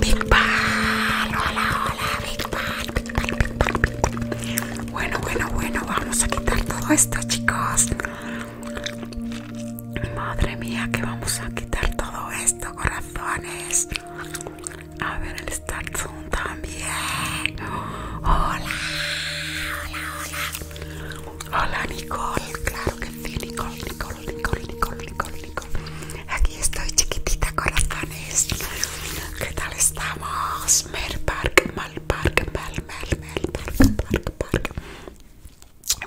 Big Bang, hola, hola, Big Bang, Bueno, bueno, bueno, vamos a quitar todo esto, chicos. Madre mía, que vamos a quitar todo esto, corazones. A ver, el Starzoom también. Hola, hola, hola. Hola, Nicole, claro que sí, Nicole, Nicole, Nicole, Nicole, Nicole. Aquí estoy chiquitita corazones. ¿Qué tal estamos? Mal Park,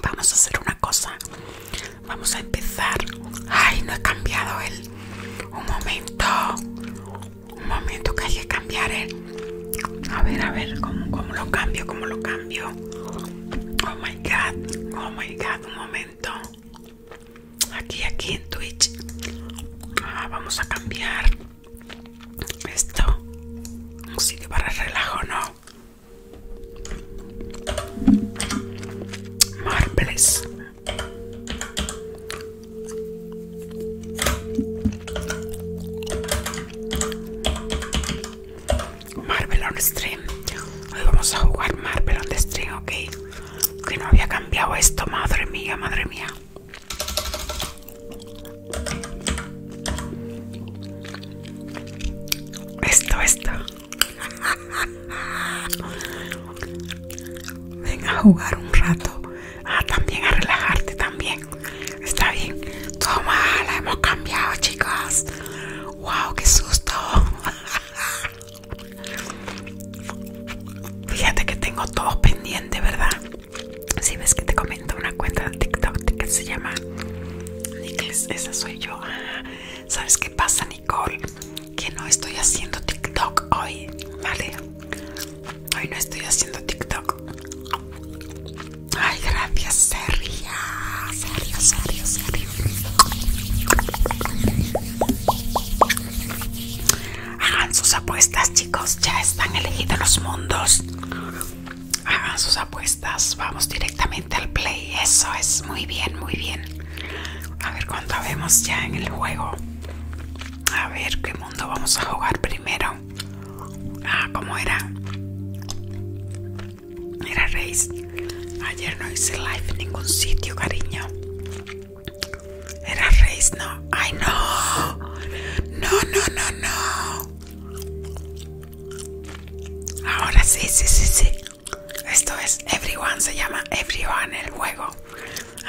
Vamos a hacer una cosa. Vamos a empezar. Ay, no he cambiado el. Un momento. Un momento que hay que cambiar el. ¿eh? A ver, a ver, ¿cómo, cómo lo cambio? ¿Cómo lo cambio? Oh my god, oh my god, un momento aquí aquí en Twitch ah, vamos a cambiar esto un sitio para relajo no marbles Marvel on Stream. Hoy vamos a jugar Marvel on Stream, ok que no había cambiado esto, madre mía, madre mía. Esto, esto. Venga a jugar un rato. Ah, también a relajarte también. Está bien. Toma, la hemos cambiado, chicas. Wow, qué susto. Fíjate que tengo todo pendiente, ¿verdad? Si ves que te comento una cuenta de TikTok que se llama Nichols, esa soy yo. Ah, ¿Sabes qué pasa, Nicole? Que no estoy haciendo TikTok hoy, ¿vale? Hoy no estoy haciendo TikTok. Ay, gracias, Sergio. Serio, serio, serio. Hagan sus apuestas, chicos. Ya están elegidos los mundos. Hagan sus apuestas. Vamos directamente al play. Eso es muy bien, muy bien. A ver cuánto vemos ya en el juego. A ver qué mundo vamos a jugar primero. Ah, ¿cómo era? era Ayer no hice live en ningún sitio, cariño. Era Reis, no. Ay, no. No, no, no, no. Ahora sí, sí, sí, sí. Esto es Everyone, se llama Everyone el juego.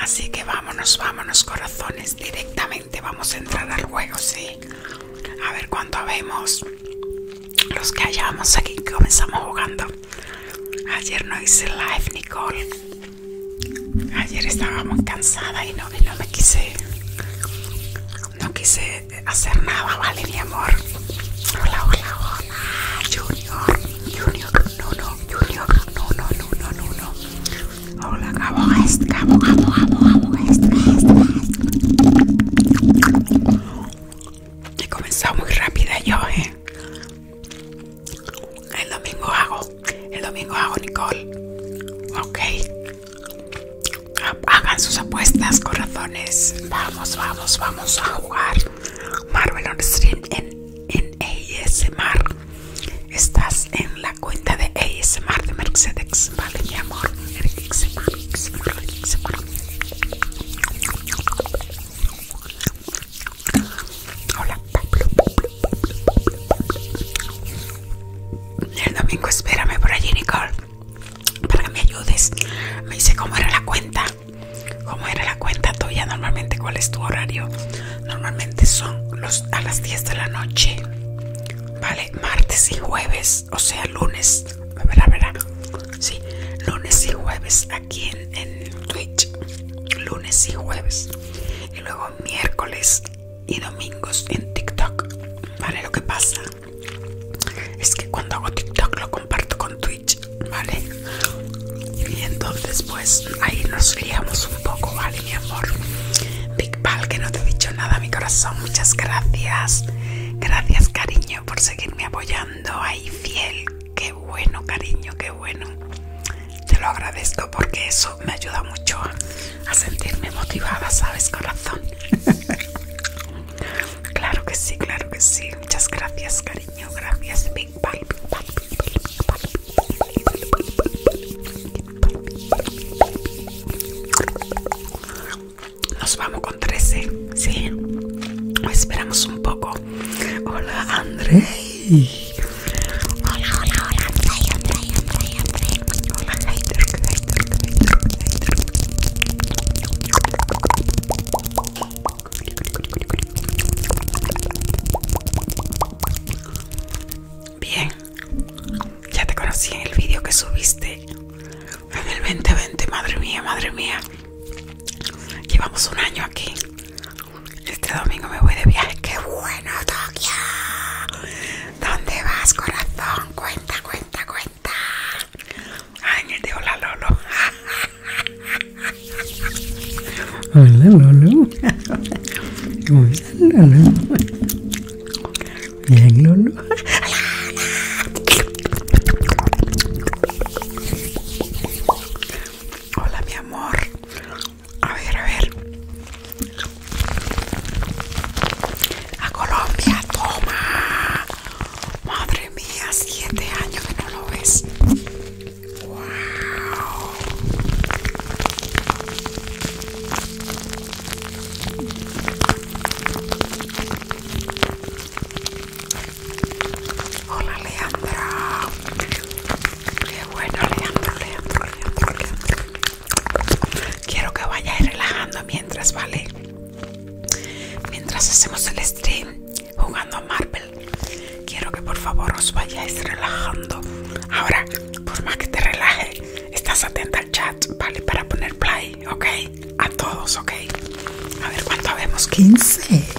Así que vámonos, vámonos, corazones. Directamente vamos a entrar al juego, sí. A ver cuánto vemos. Los que hayamos aquí comenzamos jugando ayer no hice live, Nicole. Ayer estaba muy cansada y no, no me quise, no quise hacer nada, ¿vale, mi amor? Hola, hola, hola, Junior, Junior, no, no, Junior, no, no, no, no, no, no. Hola, vamos, vamos, vamos, vamos vamos. He comenzado muy rápida yo, eh. El domingo hago, el domingo hago Nicole. Ok. Hagan sus apuestas, corazones. Vamos, vamos, vamos a jugar. Marvel on Stream en, ASMR. Estás en la cuenta de ASMR de Mercedes. Vale, mi amor. Hola, El domingo espérame por allí, Nicole, para que me ayudes. Me dice cómo era la cuenta. ¿Cómo era la cuenta tuya normalmente? ¿Cuál es tu horario? Normalmente son los, a las 10 de la noche, ¿vale? Martes y jueves, o sea, lunes, Verá, verá. Sí, lunes y jueves aquí en en, Twitch lunes y jueves y luego miércoles y domingos en TikTok. Vale, lo que pasa es que cuando hago TikTok lo comparto con Twitch, ¿vale? Y entonces pues ahí nos liamos un poco, ¿vale, mi amor? Big Pal, que no te he dicho nada, mi corazón, muchas gracias. Gracias, cariño, por seguirme apoyando ahí fiel Qué bueno, cariño, qué bueno. Te lo agradezco porque eso me ayuda mucho a sentirme motivada, ¿sabes, corazón? claro que sí, claro que sí. Muchas gracias, cariño. Gracias. Big Nos vamos con 13, ¿sí? Esperamos un poco. Hola, André. Hola, hola, hola, Hola, Bien, ya te conocí en el vídeo que subiste en el 2020, madre mía, madre mía. Llevamos un año aquí este domingo me voy de viaje. ¡Qué bueno, Tokio! ¿Dónde vas, corazón? Cuenta, cuenta, cuenta. Ay, me te Lolo. Hola, Lolo. ¿Cómo Lolo? Bien, Lolo. Hola, mi amor a ver, a ver. A Colombia, toma. Madre mía, siete años que no lo ves. Wow. Hola Leandra. Qué bueno, Leandro, Leandro, Leandro, Leandro. Quiero que vayáis relajando mientras, ¿vale? Mientras hacemos el stream jugando a Marvel, quiero que por favor os vayáis relajando. Ahora, por más que te relajes, estás atenta al chat, ¿vale? Para poner play, ¿ok? A todos, ¿ok? A ver cuánto vemos, 15.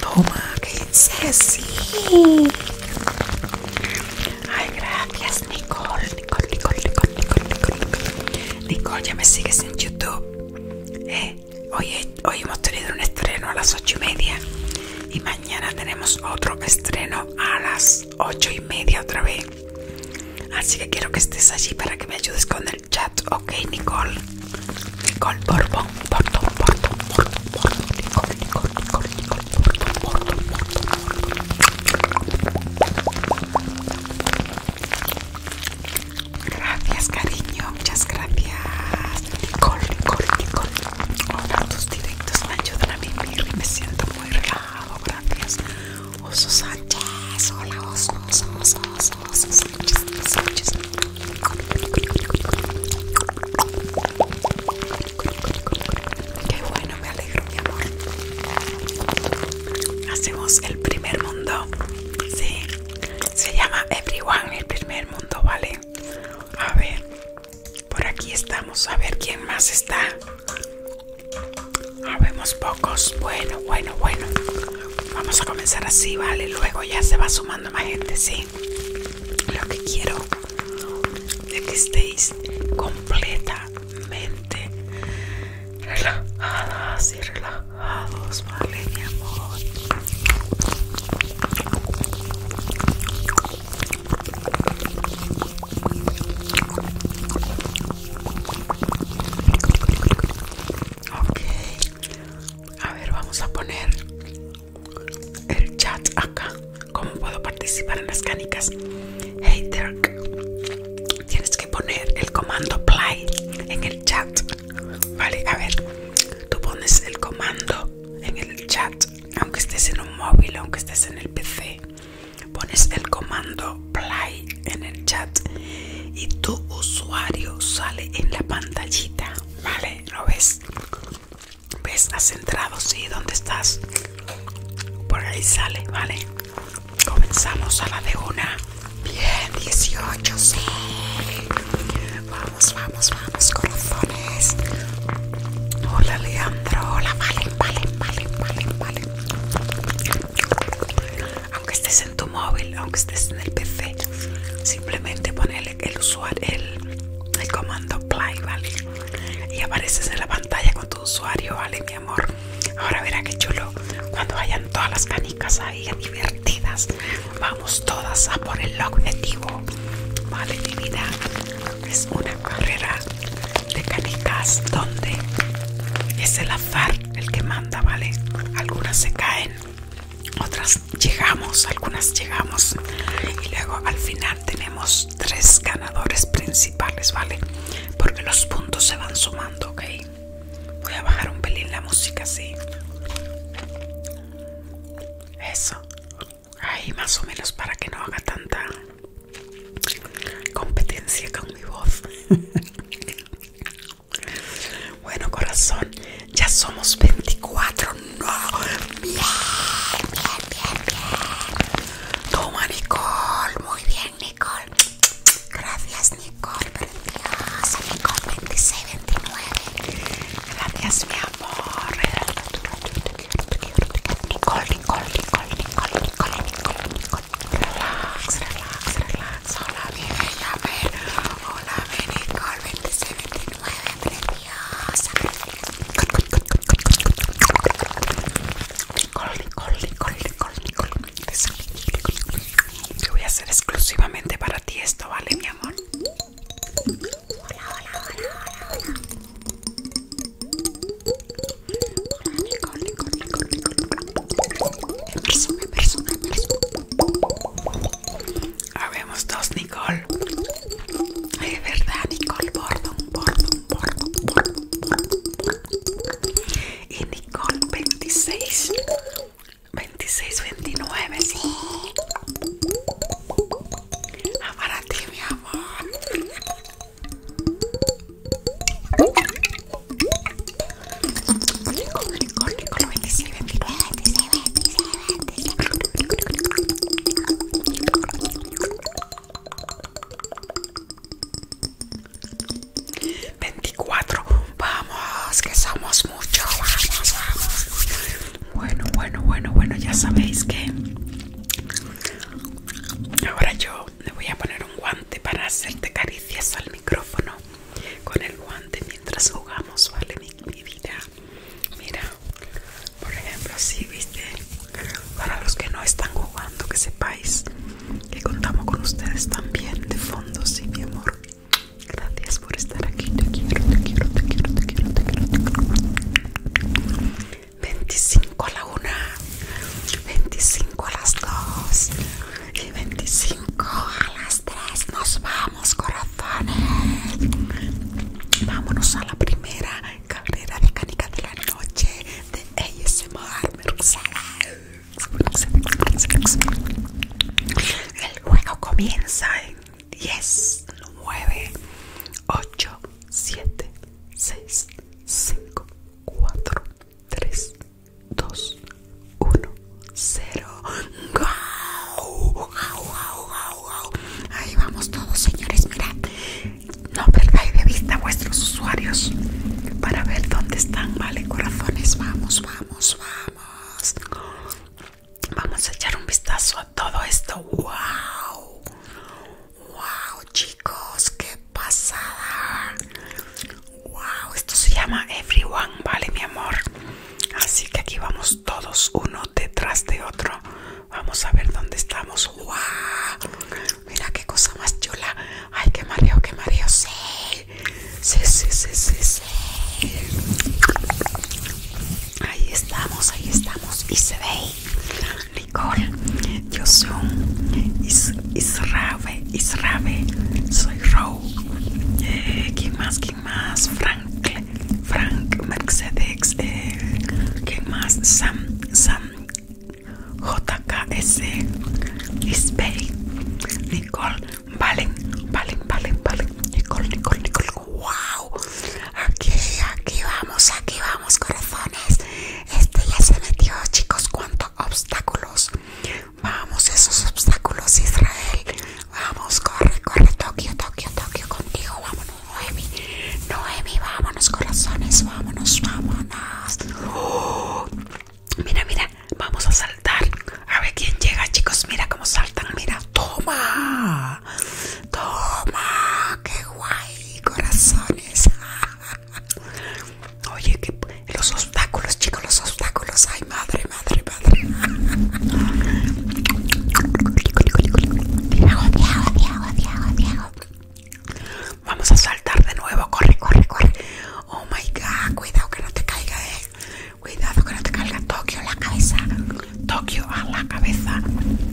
Toma, que sí. Ay, gracias, Nicole. Nicole, Nicole, Nicole, Nicole, Nicole. Nicole, ya me sigues en YouTube. Eh, hoy, hoy hemos tenido un estreno a las ocho y media. Y mañana tenemos otro estreno a las ocho y media otra vez. Así que quiero que estés allí para que me ayudes con el chat. Ok, Nicole. Nicole Borbón, por por Nicole, Nicole, Nicole, Nicole, Gracias, cariño, muchas gracias. Nicole, Nicole, Nicole. tus directos me ayudan a vivir y me siento muy relajado, gracias. Oso Sánchez, hola, Oso, Oso, Oso, Oso Qué bueno, me alegro, mi amor. Hacemos el primer mundo. Sí, se llama Everyone, el primer mundo, ¿vale? A ver, por aquí estamos. A ver quién más está. Habemos pocos. Bueno, bueno, bueno. Vamos a comenzar así, ¿vale? Luego ya se va sumando más gente, sí lo que quiero es que estéis completamente relajadas y relajados, vale, mi amor. Ok, a ver, vamos a poner el chat acá. ¿Cómo puedo participar en las canicas? Hey Dirk, tienes que poner el comando play en el chat. Vale, a ver, tú pones el comando en el chat, aunque estés en un móvil, aunque estés en el PC, pones el comando play en el chat y tu usuario sale en la pantallita. Vale, ¿lo ves? ¿Ves? Has entrado, sí, ¿dónde estás? Por ahí sale, ¿vale? Comenzamos a la de una. Bien, 18, sí. Vamos, vamos, vamos, corazones. Hola, Leandro. Hola, vale, vale, vale, vale, vale. Aunque estés en tu móvil, aunque estés en el PC, simplemente ponele el, usuario, el, el comando play, ¿vale? Y apareces en la pantalla con tu usuario, ¿vale, mi amor? Ahora verá que chulo. Cuando vayan todas las canicas ahí divertidas, vamos todas a por el objetivo, ¿vale, mi vida? Es una carrera de canicas donde es el azar el que manda, ¿vale? Algunas se caen, otras llegamos, algunas llegamos y luego al final tenemos tres ganadores principales, ¿vale? Porque los puntos se van sumando, ¿ok? Voy a bajar un pelín la música, así Eso. Ahí más o menos para que no haga tanta competencia con mi voz. bueno, corazón, ya somos 24 Bien, bien, bien, bien. Toma, Nicole. Muy bien, Nicole. Gracias, Nicole. Preciosa, Nicole 26, 29. Gracias, mi amor. Nicole, Nicole, Nicole, Nicole, Nicole, Nicole, Nicole. Relax, relax, relax. Hola, mi bella, Hola, Nicole 26, 29, Nicole, Nicole, Nicole, Nicole Nicole, Nicole, Te voy a hacer exclusivamente para ti esto, ¿vale, mi amor? Hola, hola, hola, hola, hola. Hola, Nicole, Nicole, Nicole, Emerson, Emerson, Habemos dos, Nicole. Es verdad, Nicole Bordon, Bordon, Bordon, un Y Nicole 26, 26, 29, sí. Ah, para ti, mi amor. Nicole, Nicole, Nicole 29, 24 vamos que somos muchos vamos vamos bueno bueno bueno bueno ya sabéis que ahora yo le voy a poner un guante para hacerte caricias al micrófono con el guante mientras jugamos vale mi vida Mira, por ejemplo, si viste, para los que no están jugando, que sepáis que contamos con ustedes también de fondo, sí, mi amor. Gracias por estar aquí, te quiero, te quiero, te quiero, te quiero, te quiero. 25 a la 1, 25 a las 2 y 25 a las 3. Nos vamos, corazones. Vámonos a la primera carrera mecánica de la noche de ASMR El juego comienza en 10, 9, 8, 7, 6, 5, 4, 3, 2, 1, 0. ¡Gau! ¡Gau, Ahí vamos todos, señores. Mirad, no perdáis de vista a vuestros usuarios para ver dónde están, vale, corazones. Vamos, vamos, vamos. Vamos a echar un vistazo a todo esto. ¡Wow! ¡Wow, chicos! ¡Qué pasada! ¡Wow! Esto se llama Everyone, ¿vale, mi amor? Así que aquí vamos todos uno detrás de otro. Vamos a ver dónde estamos. ¡Wow! Mira qué cosa más chula. Ay, qué mareo, qué mareo. Sí. Sí, sí, sí, sí, Ahí estamos, ahí estamos. Y se ve. Nicole, yo soy Is, Israbe, Israbe, soy Row. Eh, ¿Quién más? ¿Quién más? Franklin. Frank, Mercedes, eh, ¿quién más? Sam, Sam, JKS, Isbey, Nicole, Valen, Valen, Valen, Valen, Nicole, Nicole, Nicole, wow, aquí, aquí vamos, aquí vamos, corazones, este ya se metió, chicos, cuántos obstáculos, vamos, esos obstáculos, Israel, vamos, corre, corre, Tokio, Tokio, Tokio, contigo, vamos. Noemi. Noemi, vámonos, corazones, vámonos, vámonos. mira, mira, vamos a saltar. A ver quién llega, chicos. Mira cómo saltan, mira. Toma, toma, qué guay, corazones. Oye, los obstáculos, chicos, los obstáculos. Ay, madre, madre, madre. Vamos a saltar de nuevo. Corre, corre, corre. Oh my god. Cuidado que no te caiga, eh. Cuidado que no te caiga. Tokio, la cabeza. Tokio, a la cabeza.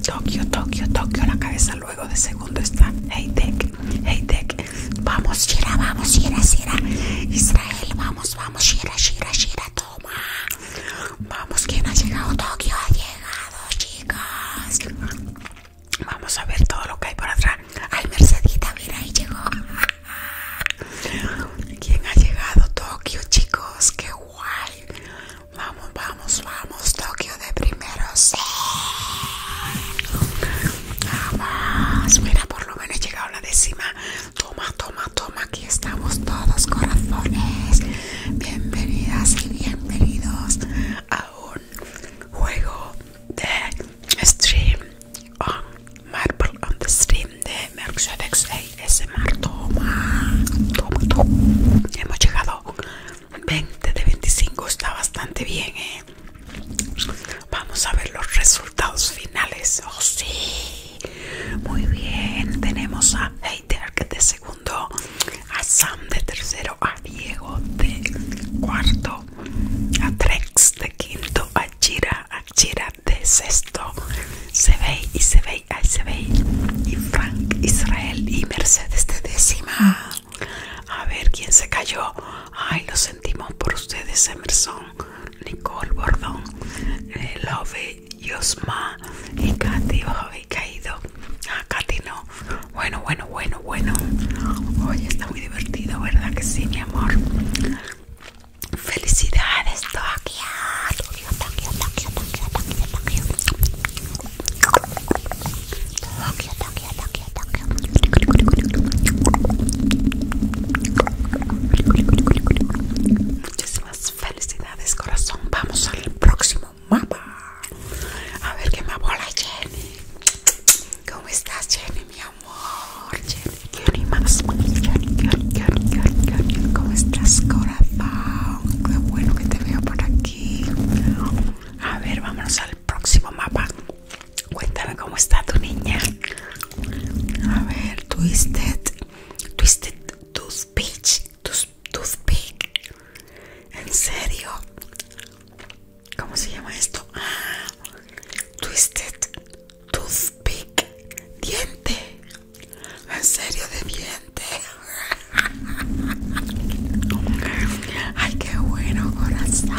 Tokio, Tokio, Tokio, la cabeza. Luego de segundo está Hey Tech. Hey Tech. Vamos, Shira, vamos, Shira, Shira. Israel, vamos, vamos, Shira, Shira, Shira. Toma. Vamos, ¿quién ha llegado? Tokio, ayer llegado, chicas. Vamos a ver todo lo que hay por atrás. Ay, Mercedita, mira, ahí llegó. ¿Quién ha llegado? Tokio, chicos, qué guay. Vamos, vamos, vamos. Tokio de primeros! Vamos, mira, por lo menos he llegado la décima. Toma, toma, toma. Aquí estamos todos, corazones. Bienvenidas y bienvenidos a un juego de stream on Marble on the Stream de Mercedes ASMR. Toma, toma, Hemos llegado 20 de 25, está bastante bien, ¿eh? Vamos a ver los resultados finales. Oh, sí, muy bien. Tenemos a Hater que te a Sam de tercero, a Diego de cuarto, a Trex de quinto, a Chira, a Chira de sexto, ve y Sebey, se ve, y Frank Israel y Mercedes de décima. A ver quién se cayó. Ay, lo sentimos por ustedes, Emerson, Nicole Bordón, eh, Love, Yosma y Katy ha caído. a ah, Katy no. Bueno, bueno, bueno, bueno. Hoy está muy divertido, ¿verdad que sí, mi amor? Felicidades, Tokio. Tokio, Tokio, Tokio, Tokio, Tokio, Tokio. Tokio, Tokio, Muchísimas felicidades, corazón. Vamos al próximo mapa. A ver que mapa hola Jenny. ¿Cómo estás Jenny, mi amor? Jenny, qué animas, ¿Cómo estás, corazón? Qué bueno que te veo por aquí. A ver, vámonos al próximo mapa. Cuéntame cómo está tu niña. A ver, Twisted, Twisted, Tooth toothpick. ¿En serio? ¿Cómo se llama esto? Ah, twisted toothpick. Diente. ¿En serio de diente? Ay, qué bueno, corazón.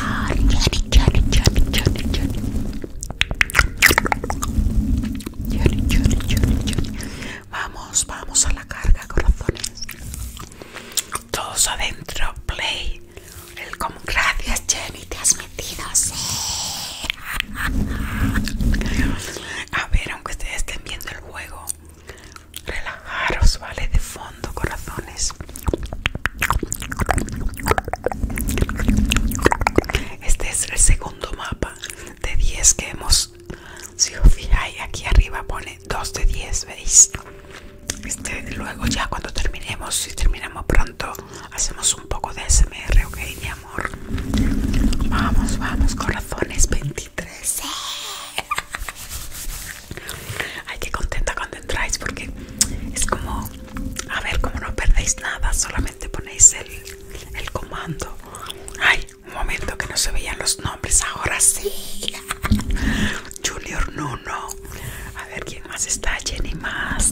Vamos, vamos a la carga, corazones. Todos adentro, play. El como gracias, Jenny, te has metido, A ver, aunque ustedes estén viendo el juego, relajaros, vale, de fondo, corazones. Este es el segundo mapa de 10 que hemos si os aquí arriba pone 2 de 10 veis este, luego ya cuando terminemos si terminamos pronto hacemos un poco de smr ok mi amor vamos vamos corazones 23 Hay que contenta cuando entráis porque es como a ver como no perdéis nada solamente ponéis el, el comando ay un momento que no se veían los nombres, ahora sí. Junior Nuno. A ver quién más está. Jenny Más.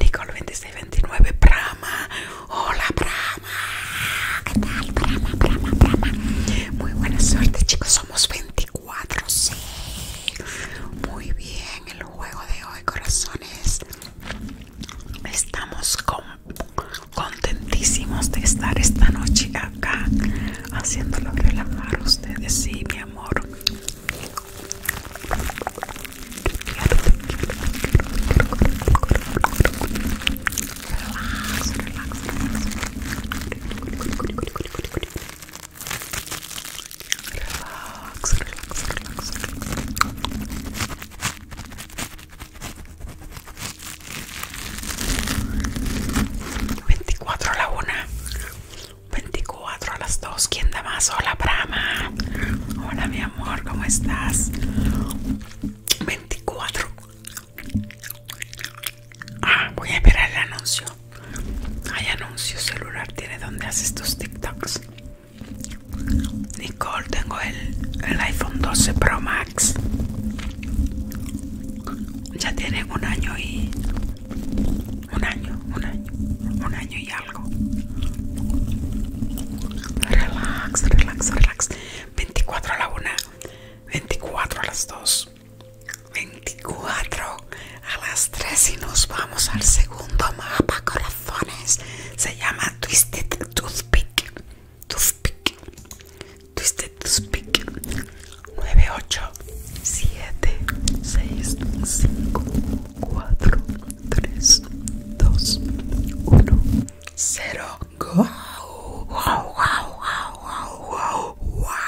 Nicole 2629. Prama. Hola, Prama. ¿Qué tal, Prama, Prama, Prama? Muy buena suerte, chicos. Somos 24, sí. Muy bien, el juego de hoy, corazones. Estamos con contentísimos de estar esta noche acá haciéndolo relajar a ustedes. Sí, mi amor. 24 a la 1 24 a las 2 ¿Quién da más? Hola Brahma Hola mi amor, ¿cómo estás? 24 Ah, voy a esperar el anuncio Hay anuncio celular Tiene donde haces tus TikToks Nicole, tengo el, el iPhone 12 Pro Max ya tiene un año y... Un año, un año, un año y algo. Relax, relax, relax. 24 a la 1, 24 a las 2, 24 a las 3 y nos vamos al segundo mapa, corazones. Se llama Twisted Toothpick. Toothpick. Twisted 9, 8, 7 6 5 4 3 2 1 0 Wow wow wow wow wow wow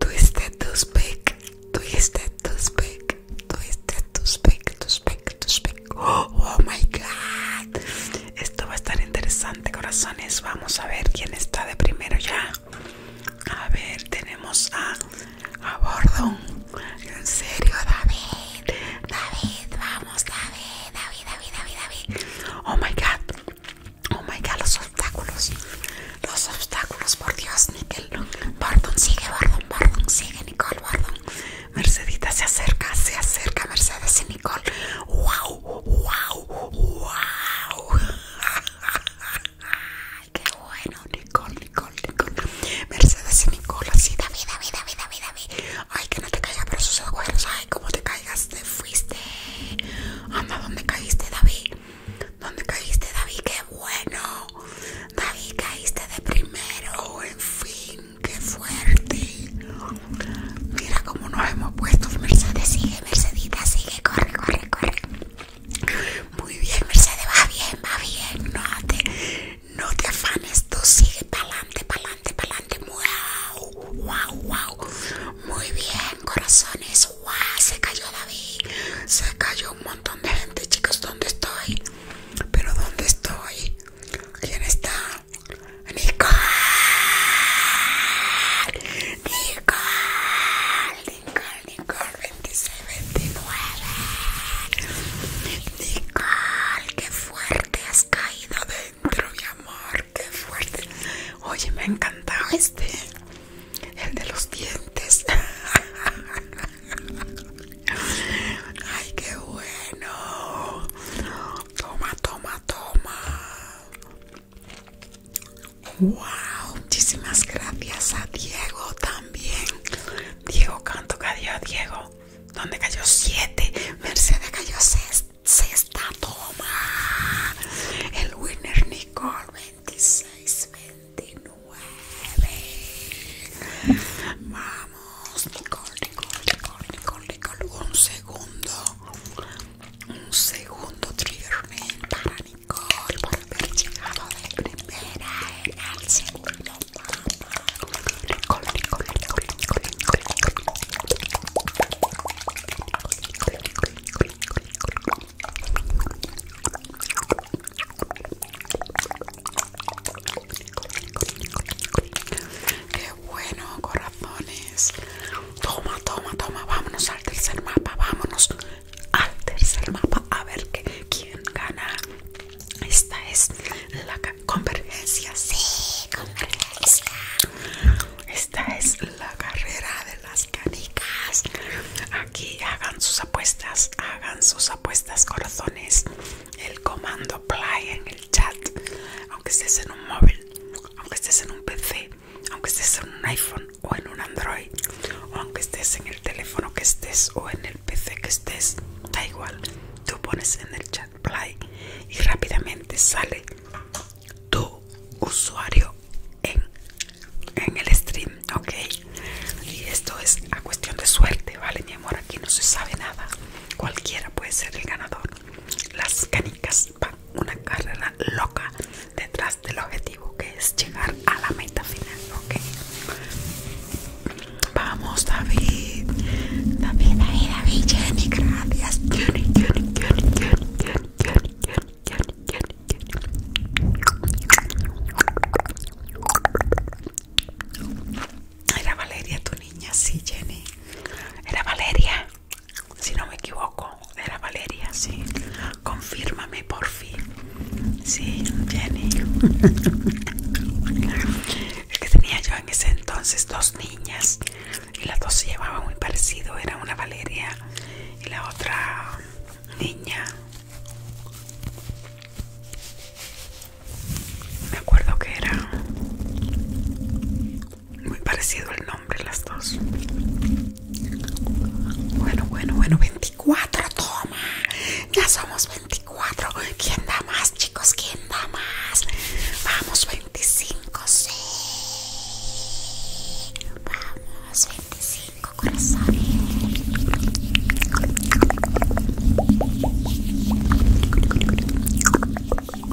Twisted to speak Twisted to speak Twisted to speak to speak to speak oh, oh my god esto va a estar interesante, corazones. Vamos a ver quién está de primero ya. A ver, tenemos a, a Bordon. En serio, David. David, vamos, David, David, David, David, David. Oh my god. Oh my god, los obstáculos. Los obstáculos, por Dios, Nickel. Bordon, sigue, Bordon, Bordon, sigue, Nicole, Bordon. Mercedita se acerca, se acerca, Mercedes Nicole, ¡Wow! ¡Wow! ¡Wow! ¡Qué bueno! Nicole, Nicole, Nicole. Mercedes y Nicole, así, David, David, David, David, David. Ay, que no te caigas por sus abuelos, Ay, como te caigas, te fuiste. Anda, ¿dónde caíste, David? ¿Dónde caíste, David? ¡Qué bueno! David, caíste de primero. En fin, qué fuerte. Mira cómo nos hemos puesto. Mercedes, sigue, Mercedita, sigue, corre, corre, corre. Muy bien, Mercedes, va bien, va bien. No te, no te afanes, tú sigue pa'lante, pa'lante, pa'lante. Wow, wow, wow. Muy bien, corazones. Wow, se cayó David. Se cayó un montón de gente, chicos. ¿Dónde estoy? Pero ¿dónde estoy? ¿Quién está? Nicole, Nicole, Nicole, Nicole, 26, 29. Nicole, qué fuerte has caído dentro, mi amor, qué fuerte. Oye, me ha encantado este, el de los dientes. Ay, qué bueno. Toma, toma, toma. Wow, muchísimas gracias a Diego también. Diego, canto cayó Diego? ¿Dónde cayó? Siete. Mercedes cayó sexta, sexta toma. El winner Nicole 26, 29. Vamos, Nicole, Nicole, Nicole, Nicole, Nicole. Un segundo un segundo trigger para Nicole por haber llegado de primera segundo Qué bueno, corazones. Toma, toma, toma. Vámonos al tercer mapa. Vámonos al tercer mapa. A ver quién gana. Esta es la convergencia. Sí, convergencia. Esta es la carrera de las canicas. Aquí hagan sus apuestas. Hagan sus apuestas, corazones. El comando play en el chat. Aunque estés en un móvil. Aunque estés en un PC, aunque estés en un iPhone o en un Android, o aunque estés en el teléfono que estés o en el PC que estés, da igual. Tú pones en el chat play y rápidamente sale tu usuario en, el stream, ¿ok? Y esto es a cuestión de suerte, ¿vale? Mi amor, aquí no se sabe nada. Cualquiera puede ser el ganador. Las canicas una carrera loca detrás del objetivo que es llegar a la meta final, ¿ok? Vamos, David. David, David, David, Jenny, gracias. Jenny, Jenny, Jenny, Jenny, Jenny, Jenny, Jenny, Jenny, Jenny, Jenny. Era Valeria tu niña, sí, Jenny. Era Valeria si no me equivoco, era Valeria, sí. Confírmame por fin. Sí, Jenny. Es que tenía yo en ese entonces dos niñas y las dos se llevaban muy parecido. Era una Valeria y la otra niña. Me acuerdo que era muy parecido el nombre, las dos. Bueno, bueno, bueno, 24, toma. Ya somos 24. ¿Quién da más, chicos? ¿Quién da más? Vamos, 25, sí. Vamos, 25, corazón. Bueno,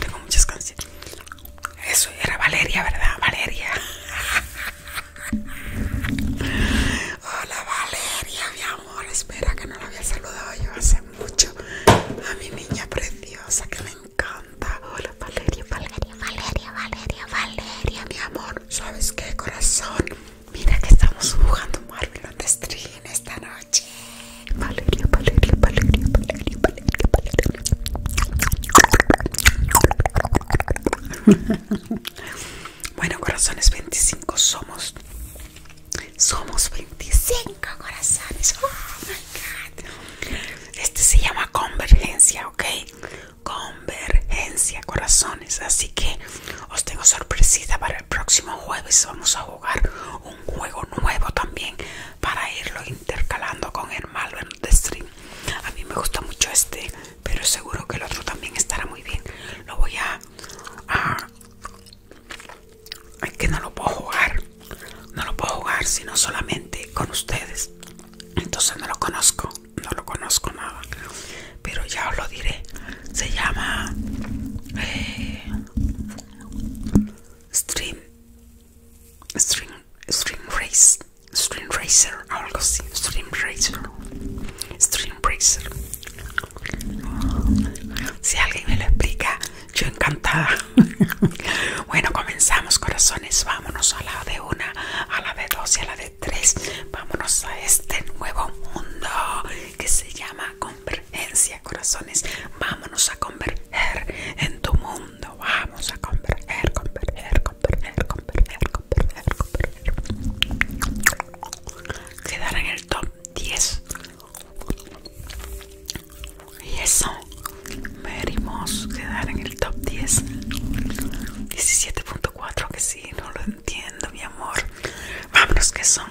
tengo muchas canciones. Eso era Valeria, ¿verdad? Valeria. Hola Valeria, mi amor. Espera que no la había saludado yo hace mucho. A mi niña preciosa que me encanta. Hola Valeria, Valeria, Valeria, Valeria, Valeria, mi amor. ¿Sabes qué, corazón? Mira que estamos jugando Marvel on the Stream esta noche. Valeria, Valeria, Valeria, Valeria, Valeria, Valeria. bueno, corazones 25 somos. Somos 25 corazones. Oh my god. Este se llama convergencia, ¿ok? convergencia, corazones. Así que os tengo sorpresita para el próximo jueves. Vamos a jugar un juego nuevo también para irlo intercalando con el malo de stream. A mí me gusta mucho este, pero seguro que el otro también estará muy bien. Lo voy a. a es que no lo puedo jugar. No lo puedo jugar sino solamente con ustedes. Entonces no lo conozco no lo conozco nada pero ya os lo diré se llama eh, stream stream stream race stream racer algo así stream racer stream racer si alguien me lo explica yo encantada bueno comenzamos corazones vámonos a la de una a la de dos y a la de 3 Vámonos a este nuevo mundo que se llama convergencia, corazones. Vámonos a converger en tu mundo. Vamos a converger, converger, converger, converger, converger, Quedar en el top 10. Y eso, verimos quedar en el top 10. 17.4 que si no lo, entiendo, mi amor. Vámonos, que son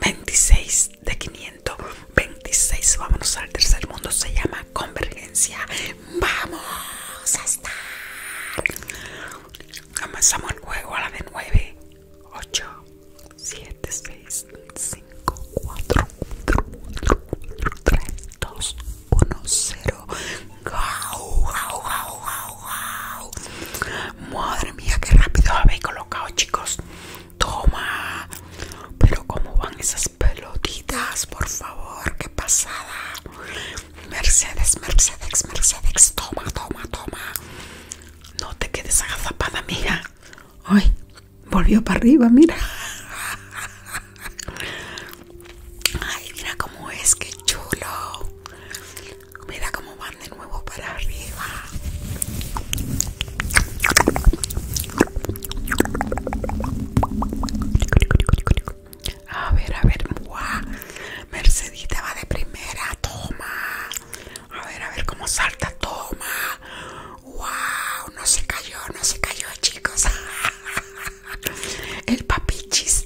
26 de 526. Vámonos al tercer mundo. Se llama convergencia. Vamos a estar. Comenzamos el juego a la de 9, 8, 7, 6, 5, 4, 4, 4 3, 2, 1, 0. Madre mía, qué rápido habéis colocado, chicos. Toma. Pero cómo van esas pelotitas, por favor, qué pasada. Mercedes, Mercedes, Mercedes, toma, toma, toma. No te quedes agazapada, amiga. Ay, volvió para arriba, mira. Ay, mira cómo es, qué chulo. Mira cómo van de nuevo para arriba. A ver, a ver, Mercedita va de primera, toma. A ver, a ver cómo salta, toma. ¡Wow! No se cayó, no se cayó, chicos. El papichis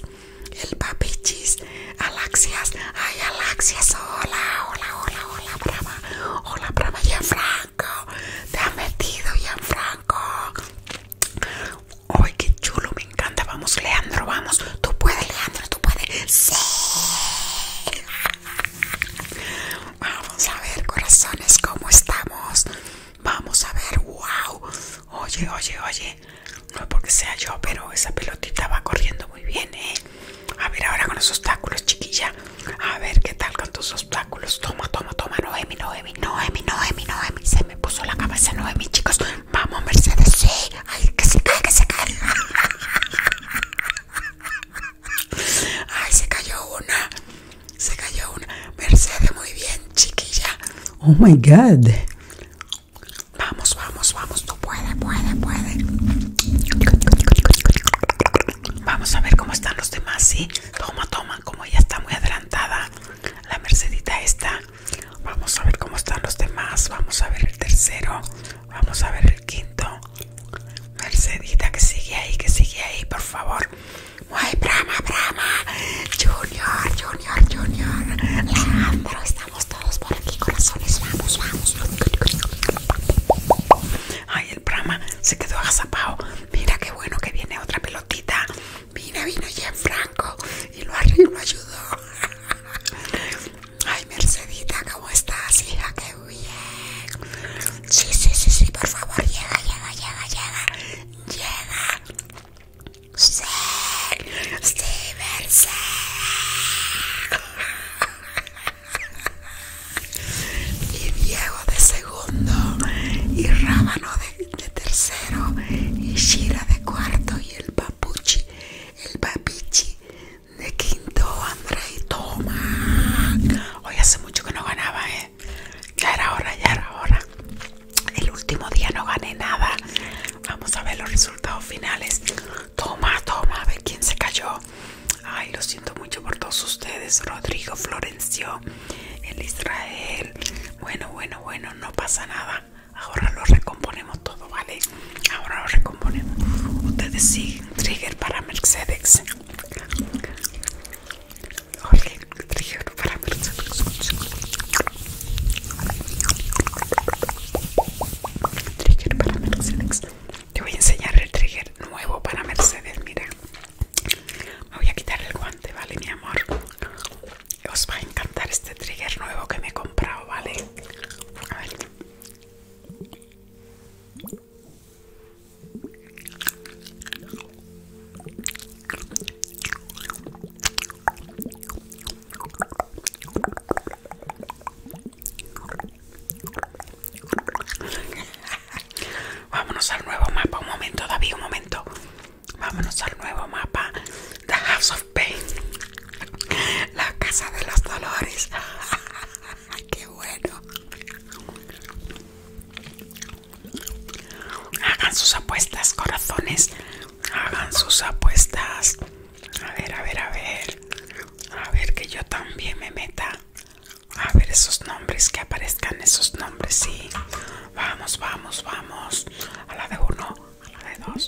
el papichis, Alaxias, ay Alaxias, hola, hola, hola, hola, brava, hola, brava, Franco, te ha metido, Franco Ay, qué chulo, me encanta, vamos, Leandro, vamos, tú puedes, Leandro, tú puedes, sí. Vamos a ver, corazones, cómo estamos. Vamos a ver, wow. Oye, oye, oye. No es porque sea yo, pero esa pelotita va corriendo muy bien, ¿eh? A ver, ahora con los obstáculos, chiquilla. A ver, ¿qué tal con tus obstáculos? Toma, toma, toma. Noemi, Noemi, Noemi, Noemi, Noemi. Se me puso la cabeza Noemi, chicos. Vamos, Mercedes, sí. Ay, que se cae, que se cae. Ay, se cayó una. Se cayó una. Mercedes, muy bien, chiquilla. Oh my god. Vamos, vamos, vamos. Tú puedes, puedes, puedes Vamos a ver cómo están los demás, ¿sí? Toma, toma. Como ella está muy adelantada, la Mercedita está. Vamos a ver cómo están los demás. Vamos a ver el tercero. Vamos a ver el quinto. Mercedita que sigue ahí, que sigue ahí, por favor. Muy brama, brama. Junior, Junior, Junior. Vamos todos por aquí, corazones. Vamos, vamos. Ay, el Brahma se quedó agazapado. Mira qué bueno que viene otra pelotita. Mira, vino ya Franco y lo, lo ayudó. Ay, Mercedita, ¿cómo estás, hija? Qué bien. Sí, sí, sí, sí, por favor, llega, llega, llega, llega. Llega. Steven, sí. Y Diego de segundo, y Rábano de, tercero, y Shira de cuarto, y el Papuchi, el Papichi de quinto, André Toma. Hoy hace mucho que no ganaba, ¿eh? Ya era hora, ya era hora. El último día no gané nada. Vamos a ver los resultados finales. Toma, toma, a ver quién se cayó. Ay, lo siento mucho por todos ustedes. Rodrigo Florencio, el Israel. Bueno, bueno, bueno, no pasa nada. Ahora lo recomponemos todo, ¿vale? Ahora lo recomponemos. Ustedes siguen. Trigger para Mercedes. trigger para Mercedes. Trigger para Mercedes. Te voy a enseñar el trigger nuevo para Mercedes. Mira, me voy a quitar el guante, ¿vale, mi amor? Os va a encantar este trigger nuevo que me he comprado, ¿vale? A ver. Vámonos al nuevo mapa, un momento, David, un momento. Vámonos al nuevo mapa. The House of Pain. La casa de los dolores. Qué bueno. Hagan sus apuestas, corazones. Hagan sus apuestas. A ver, a ver, a ver. A ver que yo también me meta. A ver esos nombres, que aparezcan esos nombres, sí. Vamos, vamos, vamos. A la de uno, a la de dos.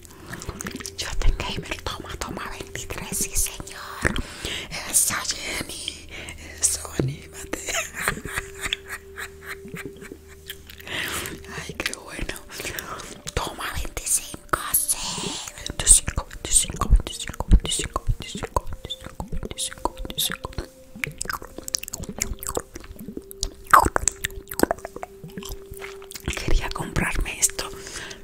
yo te Gamer, toma, toma 23, sí señor. Eso Jenny, eso anímate. Ay, qué bueno. Toma 25, sí. 25, 25, 25, 25, 25, 25, 25, 25 quería comprarme esto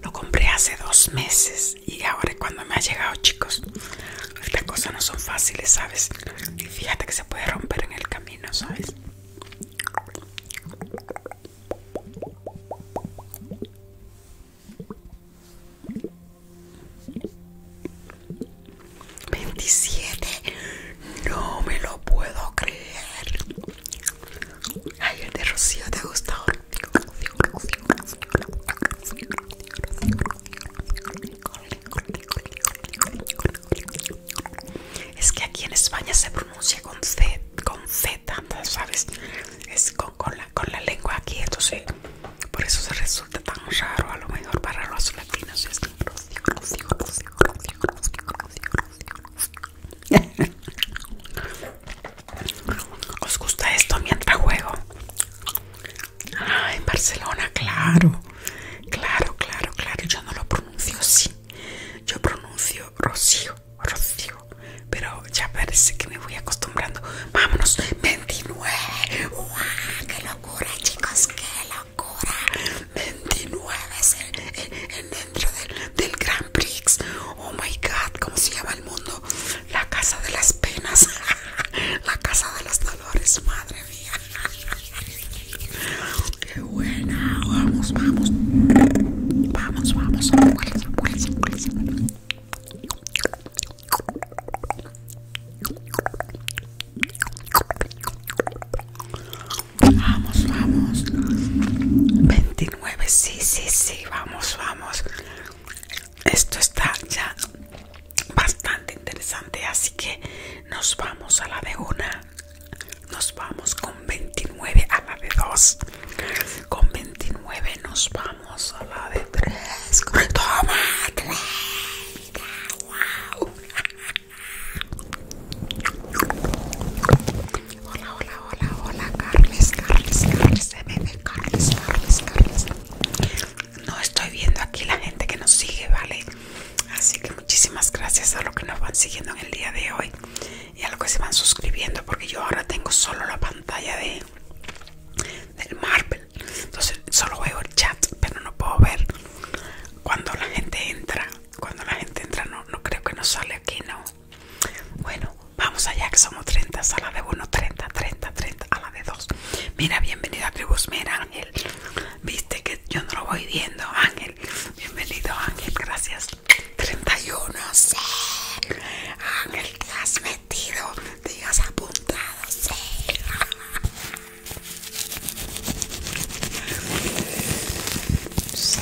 lo compré hace dos meses y ahora cuando me ha llegado chicos las cosas no son fáciles sabes y fíjate que se puede romper en el camino sabes ¡27! No me lo puedo creer. Ay, de Rocío te gustó. Es que aquí en España se pronuncia con C, con Z, ¿sabes? Es con, con, la, lengua aquí, entonces por eso se resulta tan raro a lo mejor para los latinos. ¿Os gusta esto mientras juego? Ah, en Barcelona, claro. Claro, claro, claro. Yo no lo pronuncio así. Yo pronuncio Rocío, Rocío. Pero ya parece que me voy acostumbrando. Vámonos, 29. ¡Qué locura, chicos! ¡Qué locura! 29 el, dentro del, gran Grand Prix. Oh my god, ¿cómo se llama el mundo? La casa de las penas, la casa de los dolores, madre mía. Qué buena, vamos, vamos. Vamos, vamos, Vamos, vamos. 29, sí, sí, sí, vamos, vamos. Esto está ya bastante interesante, así que nos vamos a la de una. Nos vamos con 29 a la de 2. Con 29 nos vamos a la de 3. Wow. Hola, hola, hola, hola, Carles, Carles, Carles, Carles, Carles, Carles. No estoy viendo aquí la gente que nos sigue, ¿vale? Así que muchísimas gracias a los que nos van siguiendo en el día de hoy y a los que se van suscribiendo, porque yo ahora tengo solo la pantalla de del Marvel. Entonces solo veo el chat, pero no puedo ver cuando la gente entra. Cuando la gente entra no, no creo que nos sale aquí, no. Bueno, vamos allá que somos 30 a la de 1, 30, 30, 30 a la de 2. Mira, bienvenido a tribus, mira Ángel. Viste que yo no lo voy viendo, Ángel. Bienvenido, Ángel, gracias. 31, sí. Ángel, te has metido, te has apuntado, sí. Sí.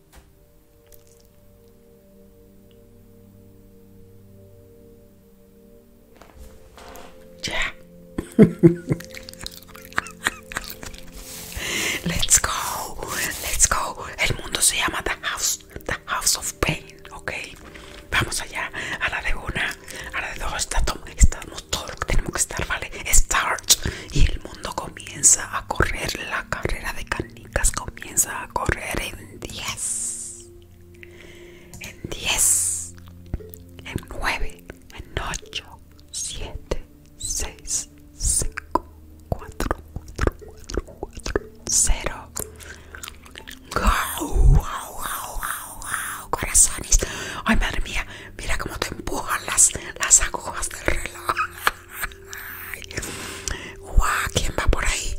¡Ya! Let's go. Let's go. El mundo se llama The House. The House of Pain. Ok. Vamos allá. A la de una. A la de dos. Estamos todo lo tenemos que estar, ¿vale? Start. Y el mundo con comienza a correr la carrera de canicas, comienza a correr en 10, en 10, en 9, en 8, 7, 6, 5, 4, 4, 4, 4, 0. ¡Wow! ¡Wow! ¡Wow! ¡Wow! ¡Corazones! ¡Ay, madre mía! Mira como te empujan las, las agujas del reloj. ¿quién va por ahí?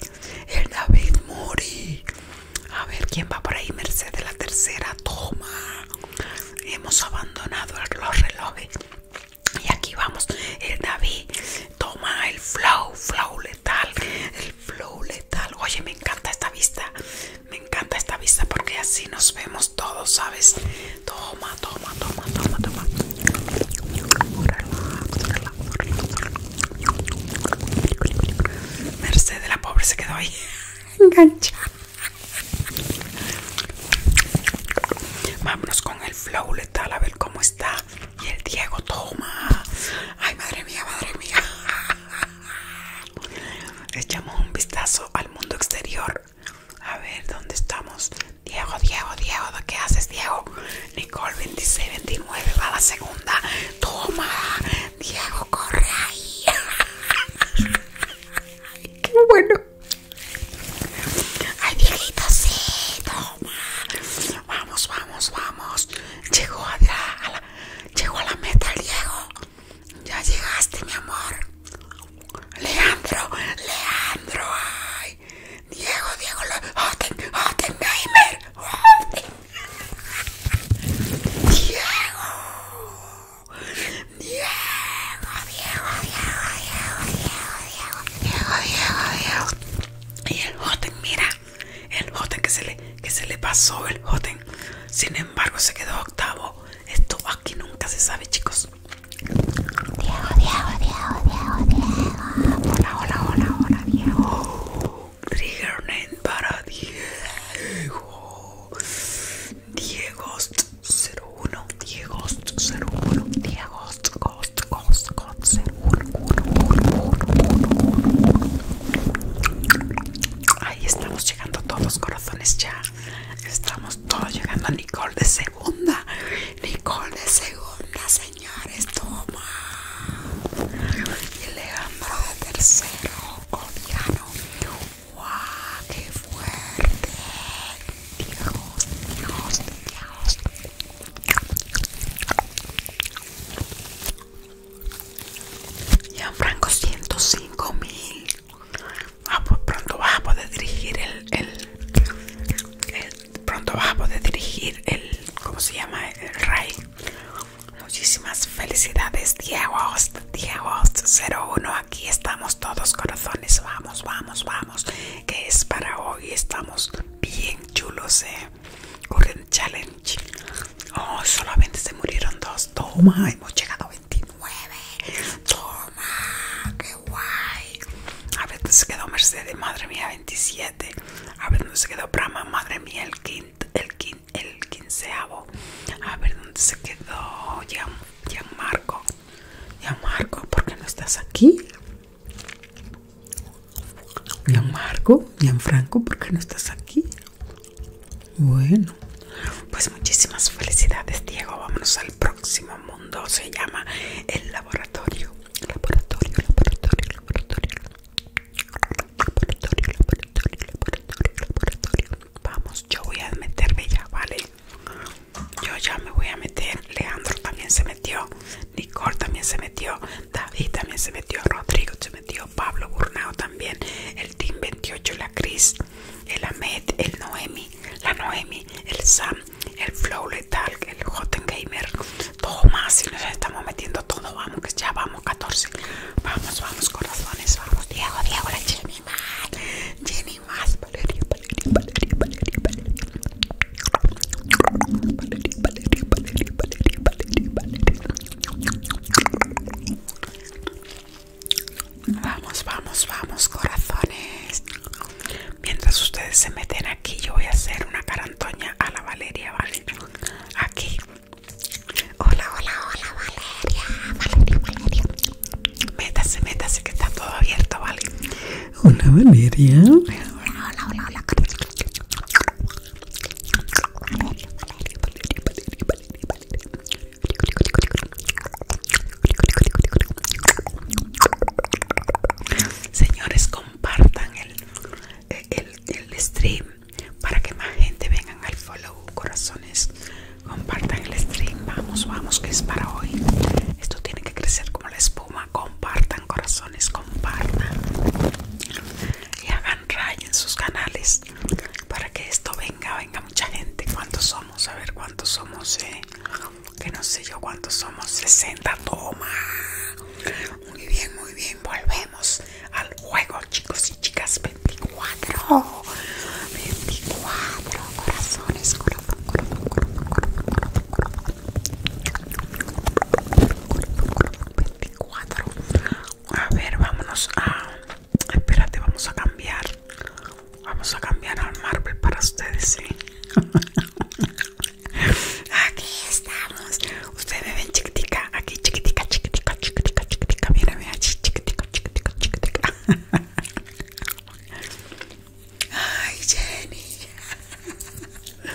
El David Mori. A ver, ¿quién va por ahí? Mercedes la tercera, toma. Hemos abandonado los relojes. Y aquí vamos. El David toma el flow, flow letal. El flow letal. Oye, me encanta esta vista. Me encanta esta vista porque así nos vemos todos, ¿sabes? Toma, toma, toma, toma, toma. Mercedes, la pobre, se quedó ahí enganchada. Vámonos con el flow letal a ver cómo está. Y el Diego, toma. Ay, madre mía, madre mía. Echamos un vistazo al mundo exterior a ver, ¿dónde estamos? Diego, Diego, Diego, ¿qué haces, Diego? Nicole, 26, 29, va la segunda. Toma, Diego, corre ahí. Qué bueno. Ay, Dieguito, sí, toma. Vamos, vamos, vamos. Llegó a la, llegó a la meta, Diego. Ya llegaste, mi amor. Leandro, Leandro, Diego, Diego, lo, Otten, Gamer Hoten, Diego, Diego, Diego, Diego, Diego, Diego, Diego, Diego, Diego. Y el Otten, mira, el Otten que se le, que se le pasó, el Otten. Sin embargo, se quedó octavo. Esto aquí nunca se sabe, chicos. Diego, Diego, Diego, Diego, Diego. Hola, hola, hola, hola, Diego. Triggername para Diego. Diego 01, Diego 01, Diego Ghost, Ghost, Ghost 01. Ahí estamos llegando todos, corazones ya. Estamos todo llegando a Nicole de segunda. Nicole de segunda, señores, toma. Y Leandro de tercero, Coriano. ¡Guau, qué fuerte! Dios, Dios, Franco Franco 105 mil. Ah, pues pronto vas a poder dirigir el, el pronto vas a poder dirigir el, ¿cómo se llama? El rey Muchísimas felicidades, Diego Diego 01. Aquí estamos todos, corazones. Vamos, vamos, vamos. Que es para hoy. Estamos bien chulos, eh. Current Challenge. Oh, solamente se murieron dos. Toma, hemos llegado a 29. Toma, guay. A ver dónde se quedó Mercedes, madre mía, 27. A ver dónde se quedó Brahma, madre mía, el, el, el quinceavo. A ver dónde se quedó Marco Marco, ¿por qué no estás aquí? Gianmarco, Franco, ¿por qué no estás aquí? Bueno, pues muchísimas felicidades, Diego. Vámonos al próximo mundo. Se llama el laboratorio laboratorio, laboratorio, laboratorio, laboratorio, laboratorio, laboratorio, laboratorio. Vamos, yo voy a meterme ya, ¿vale? Yo ya me voy a meter. Leandro también se metió. Nicole también se metió. David también se metió. Rodrigo se metió. Pablo Burnao también. El Team 28, la Cris, el Ahmed, el Noemi, la Noemi, el Sam, el flow letal, el hot gamer, todo más. Si nos estamos metiendo todo, vamos que ya vamos 14. Vamos, vamos, corazones, vamos. Diego, Diego, la Jenny más. Vamos, vamos, vamos, corazones. Mientras ustedes se meten aquí, yo voy a hacer una carantoña a la Valeria, ¿vale? Aquí. Hola, hola, hola, Valeria. Valeria, Valeria. Métase, métase, que está todo abierto, ¿vale? Hola, Valeria. Hola, hola, hola, hola. Valeria, Valeria, Valeria, Valeria, Valeria, Valeria. Señores, compartan el, el, stream para que más gente vengan al follow, corazones. Compartan el stream. Vamos, vamos, que es para hoy. Esto tiene que crecer como la espuma. Compartan, corazones, compartan. Y hagan raya en sus canales para que esto venga, venga mucha gente. ¿Cuántos somos? A ver, ¿cuántos somos? Eh? que no sé yo cuántos somos, 60, toma. Muy bien, muy bien, volvemos al juego, chicos y chicas, 24. 24 corazones, 24. A ver, vámonos a... Espérate, vamos a cambiar. Vamos a cambiar al marble para ustedes, ¿sí? Aquí estamos. Ustedes me ven chiquitica, aquí chiquitica, chiquitica, chiquitica, chiquitica. Mírame aquí, chiquitica, chiquitica, chiquitica. Ay, Jenny.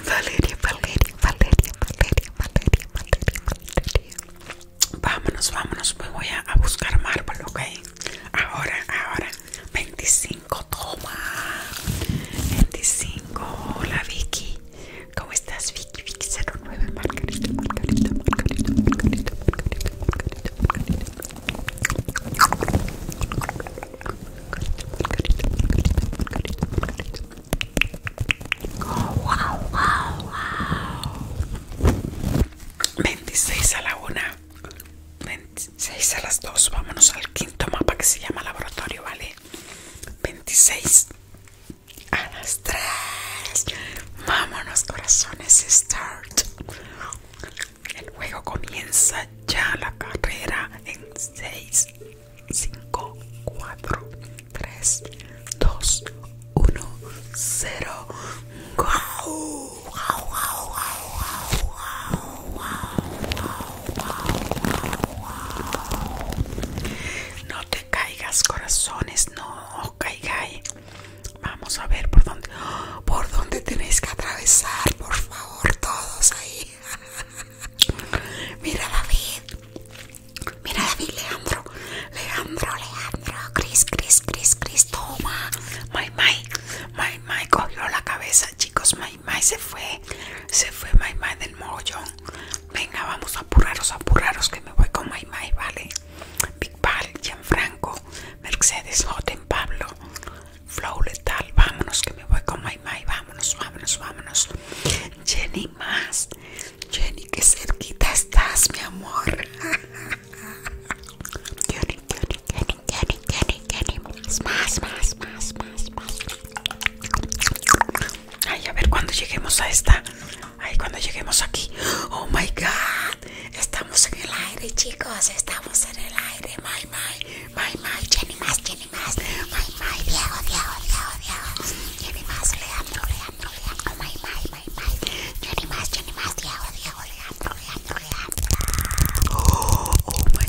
Valeria, Valeria, Valeria, Valeria, Valeria, Valeria, Valeria. Vámonos, vámonos. Pues voy a, a buscar mármol, ok. Ahora, ahora. 25, toma. 25, hola Vicky. ¿Cómo estás, Vicky? Vicky 09, Margarita, Margarita, Margarita, Margarita, Margarita, Margarita, oh, wow, wow, 26 a la una. 6 a las 2. Vámonos al quinto mapa que se llama laboratorio, ¿vale? 26 a las 3. Vámonos, corazones, start. El juego comienza ya la carrera en 6, 5, 4, 3, 2, 1, 0. ¡Wow! ¡Wow, no te caigas, corazones, no caigáis. Vamos a ver por dónde, por dónde tenéis que atravesar, por favor, todos ahí. Mira David, mira David, Leandro, Leandro, Leandro, Cris, Cris, Cris, Cris, toma. My, my, my, my, cogió la cabeza, chicos, my, se fue. Se fue Maimai del mogollón. Venga, vamos a apuraros, apuraros que me voy con Maimai, ¿vale? Big Pal, Gianfranco, Mercedes, Joten, Pablo, Flow Letal, vámonos que me voy con Maimai, vámonos, vámonos, vámonos. Jenny más. Jenny, qué cerquita estás, mi amor. Jenny, Jenny. Ay, a ver cuando lleguemos a esta. Ay, cuando lleguemos aquí. Oh my god. Estamos en el aire, chicos. Estamos en el aire. My, my, my, my. Jenny más, Jenny más. My, my. Jenny más, My, my, my, my. Jenny más, my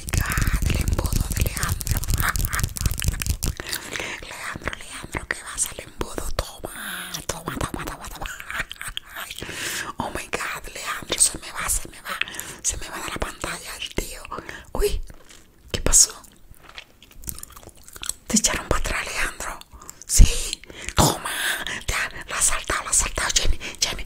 Oh my god, el embudo de Leandro. Leandro, Leandro, que vas al embudo. Toma, toma, toma, toma, toma. Oh my god, Leandro, se me va, se me va. Se me va de la pantalla el tío. Uy, ¿qué pasó? Te echaron para atrás, Leandro. Sí, toma, ya, la has saltado, la has saltado, Jamie, Jamie,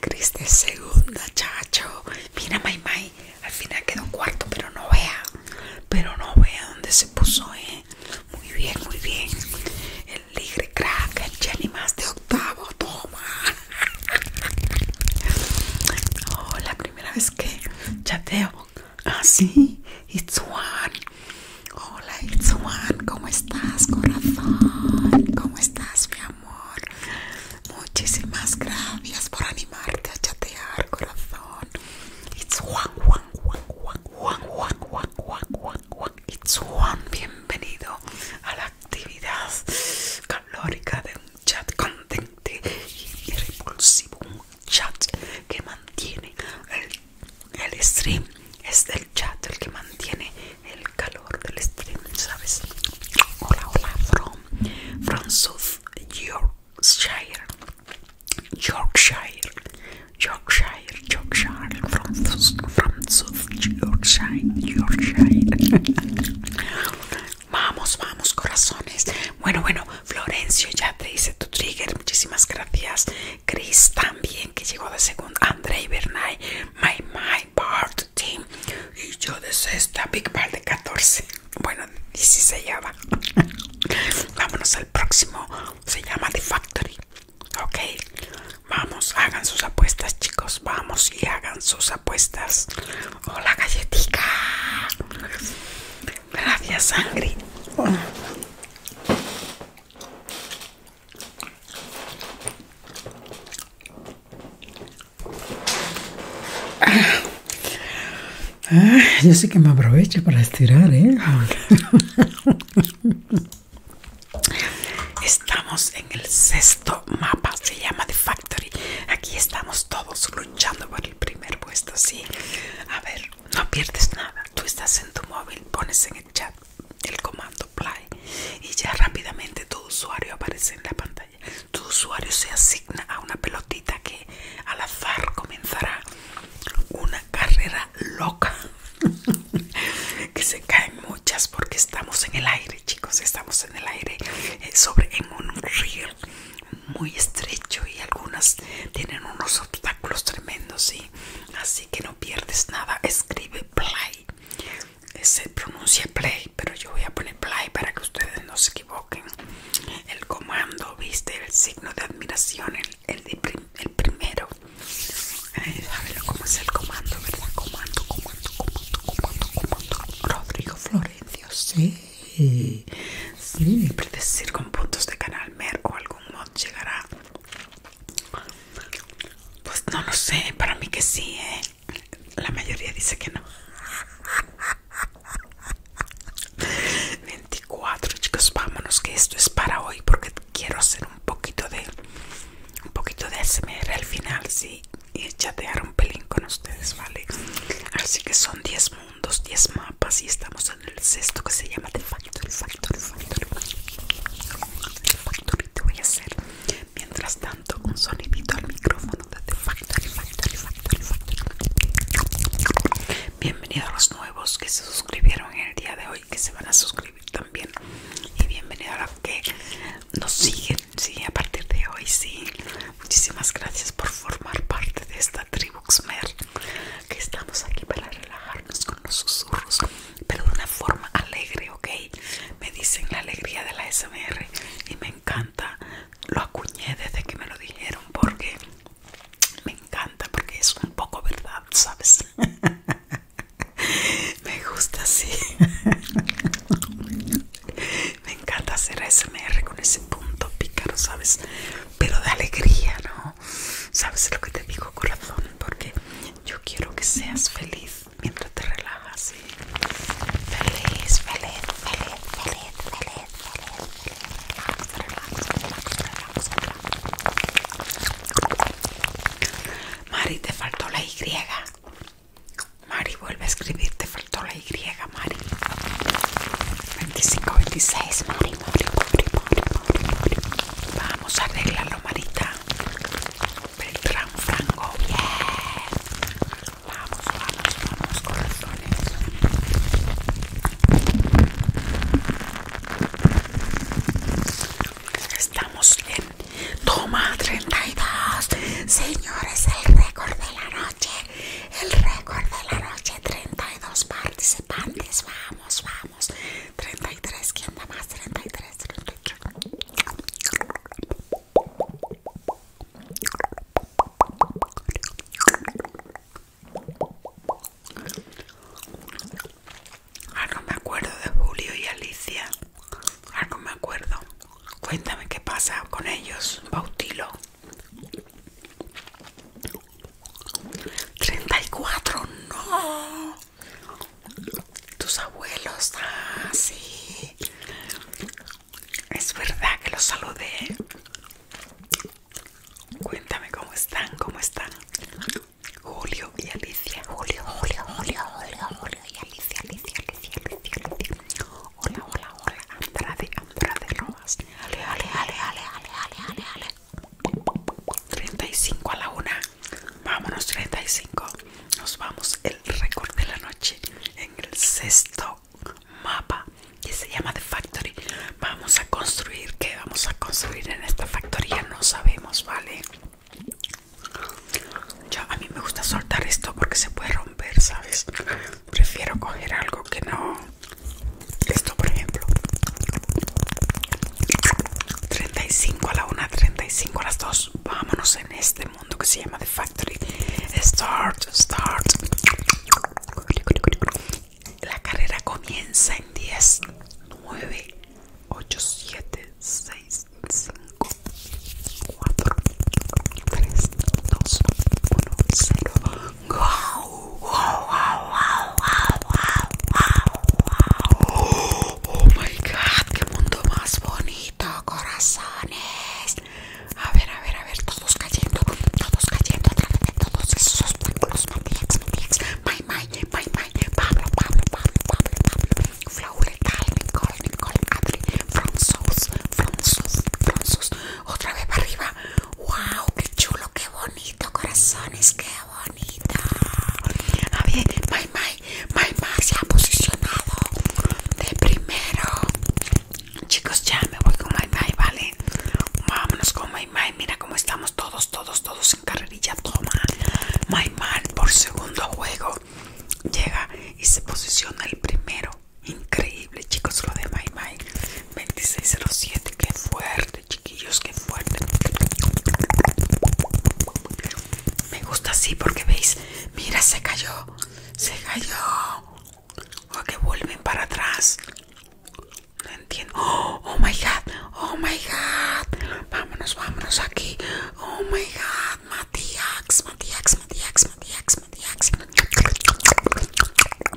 Criste segunda, chacho. Mira, Mai, Al final quedó un cuarto, pero no vea. Pero no vea dónde se puso, eh. Muy bien, muy bien. El Ligre Crack, el Jenny más de octavo. Toma. Oh, la primera vez que chateo. Ah, sí. It's one. Oh, Hola Itzuan, ¿cómo estás corazón? ¿Cómo estás mi amor? Muchísimas gracias por animarte a chatear corazón. Itzuan, Juan, Juan, Juan, Juan, Juan, Juan, Juan, bienvenido a la actividad calórica de un chat contente y repulsivo. Un chat que mantiene el, el stream. Es el chat el que mantiene el calor del stream, ¿sabes? Hola, hola, from, from South Yorkshire, Yorkshire, Yorkshire, Yorkshire, from, from South Yorkshire, Yorkshire. vamos, vamos, corazones. Bueno, bueno, Florencio, ya te hice tu trigger, muchísimas gracias. Chris también, que llegó de segundo. Andrei Bernay, my, my part team y yo de esta big part de 14 bueno 16 se llama vámonos al próximo se llama the factory ok vamos hagan sus apuestas chicos vamos y hagan sus apuestas hola galletica gracias sangre yo sé que me aprovecho para estirar, ¿eh? Estamos en el sexto mapa, se llama The Factory. Aquí estamos todos luchando por el primer puesto, sí. A ver, no pierdes nada. Tú estás en tu móvil, pones en el el comando play y ya rápidamente tu usuario aparece en la pantalla tu usuario se asigna a una pelotita que al azar comenzará una carrera loca que se caen muchas porque estamos en el aire chicos estamos en el aire eh, sobre en un río muy estrecho y algunas tienen unos obstáculos tremendos ¿sí? así que no pierdes nada escribe play se pronuncia play pero yo voy a poner play para que ustedes no se equivoquen el comando viste el signo de admiración el, el, el primero saben cómo es el comando verdad comando comando comando comando comando Rodrigo Florencio sí sí, siempre decir con puntos de canal mer o algún mod llegará pues no lo sé, para mí que sí, ¿eh? La mayoría dice que no. 24 chicos, vámonos que esto es para hoy porque quiero hacer un poquito de un poquito de SMR al final, sí, y chatear un pelín con ustedes, ¿vale? Así que son 10 mundos, 10 mapas y estamos en el sexto que se llama The Factory, The Factory te voy a hacer Mientras tanto, un sonidito al micrófono de Bienvenido a los nuevos que se suscribieron el día de hoy, que se van a suscribir también. Y bienvenido a los que nos siguen, sí, a partir de hoy, sí. Muchísimas gracias por formar parte de esta tribu que estamos aquí para relajarnos con los susurros pero de una forma alegre, ¿ok? Me dicen la alegría de la SMR y me encanta. Lo acuñé desde que me lo dijeron porque me encanta, porque es un poco verdad, ¿sabes? me gusta así. me encanta hacer ASMR con ese punto pícaro, ¿sabes? Pero de alegría, ¿no? ¿Sabes lo que te digo, corazón? Porque yo quiero que seas feliz mientras te relajas. Feliz, feliz, feliz, feliz, feliz, feliz, feliz. Relax, relax, relax, Mari, te faltó la Y. Mari, vuelve a escribir, te faltó la Y, Mari. 25, 26, Mari, Mari, Mari, Mari, Mari. Vamos a arreglarlo, Marita. Beltrán. Franco. Bien. Vamos, vamos, vamos, corazones. Estamos en Toma 32. Señores, el récord de la noche. El récord de la noche. 32 participantes. Vamos, vamos. 33. ¿Quién da más? 33. Ah, no me acuerdo de Julio y Alicia. Ah, no me acuerdo. Cuéntame qué pasa con ellos. Bautilo. 34, no. Tus abuelos, ah, sí. Es verdad que los saludé. Cuéntame cómo están, cómo están. Julio y Alicia. Julio, Julio, Julio, Julio, Julio y Alicia, Alicia, Alicia, Alicia, Alicia. Hola, hola, hola. Andrade, Andrade Rojas. Ale, ale, ale, ale, ale, ale, ale, 35 a la una. Vámonos 35. Nos vamos el récord de la noche en el sexto mapa que se llama The Factory. Vamos a construir, ¿qué vamos a construir en esta factoría? No sabemos, ¿vale? Yo, a mí me gusta soltar esto porque se puede romper, ¿sabes? Prefiero coger algo que no... Esto, por ejemplo. 35 a la 1, 35 a las 2. Vámonos en este mundo que se llama The Factory. Start, start. La carrera comienza en 10, 9, 8, 7, 6, 5, 4, 3, 2, 1, 0. ¡Wow! ¡Wow! ¡Wow! ¡Wow! ¡Wow! ¡Oh my god! ¡Qué mundo más bonito! corazones. A ver, a ver, a ver, todos cayendo, todos cayendo a de todos esos Matías, Matías, May, May, May, Pablo, Pablo, Pablo, Pablo, Pablo, Letal, Nicole, Nicole, Otra vez para arriba. ¡Wow! ¡Qué chulo, qué bonito, corazones! ¡Qué bonito! A ver, May, MyMac se ha posicionado de primero. Chicos, ya me voy con MyMac, ¿vale? Vámonos con MyMac. Mira cómo estamos todos, todos, todos en carrerilla. Toma. mymar por segundo juego. Llega y se posiciona el primero. Increíble, chicos, lo de 26 2607. Qué fuerte, chiquillos, que fuerte. Me gusta así porque veis Mira, se cayó. Se cayó. O oh, que vuelven para atrás. No entiendo. Oh, oh, my god. Oh my god. Vámonos, vámonos aquí. Oh my god. Matías, Matías, Matías, Matías, Matías.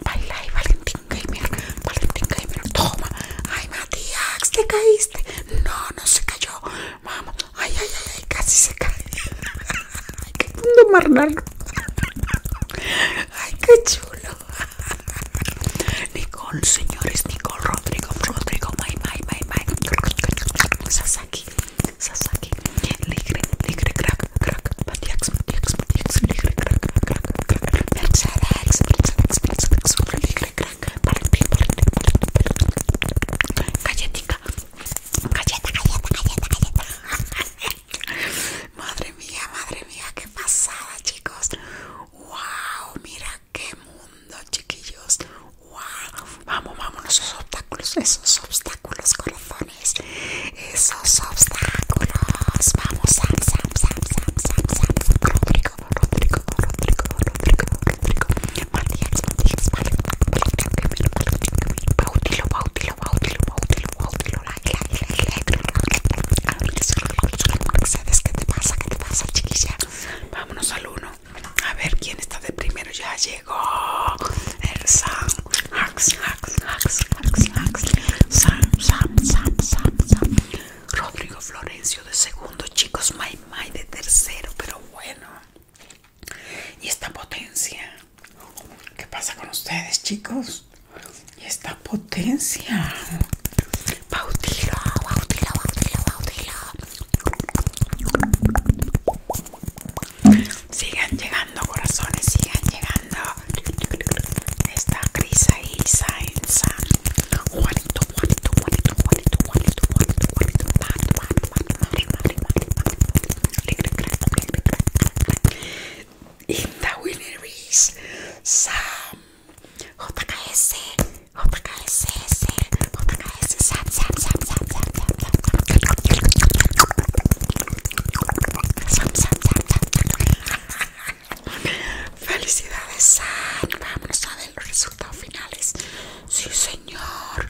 Baila y Valentín Gamer. Valentín Gamer. Toma. Ay, Matías, te caíste. No, no se cayó. Vamos. Ay, ay, ay, casi se cae. Ay, qué mundo Ay, qué chulo. Nicole, señores, Nicole Rodrigo, Rodrigo, my, ay, ay, ay. Sasaki, Sasaki, Ligre, Ligre, crack, crack, Matiax, Matiax, Ligre, crack, crack, crack, Mercedes, Mercedes, Ligre, crack, para el madre mía, madre mía, qué pasada, chicos. Wow, mira qué mundo, chiquillos. Wow, vamos, vamos, esos obstáculos, esos obstáculos, corazones. Esos obstáculos. Vamos, Sam, Sam, Sam, Sam, Sam, Sam, Rodrigo, Rodrigo, Vámonos al uno. A ver quién está de primero. Ya llegó Rodrigo Florencio de segundo, chicos. my de tercero, pero bueno y esta potencia qué pasa con ustedes chicos y esta potencia bautilo bautilo bautilo bautilo sigan llegando corazones sigan llegando esta In the Sam JKS JKS Sam Sam Sam Sam Sam Sam Sam Sam Sam Felicidades Sam a ver los resultados finales Sí señor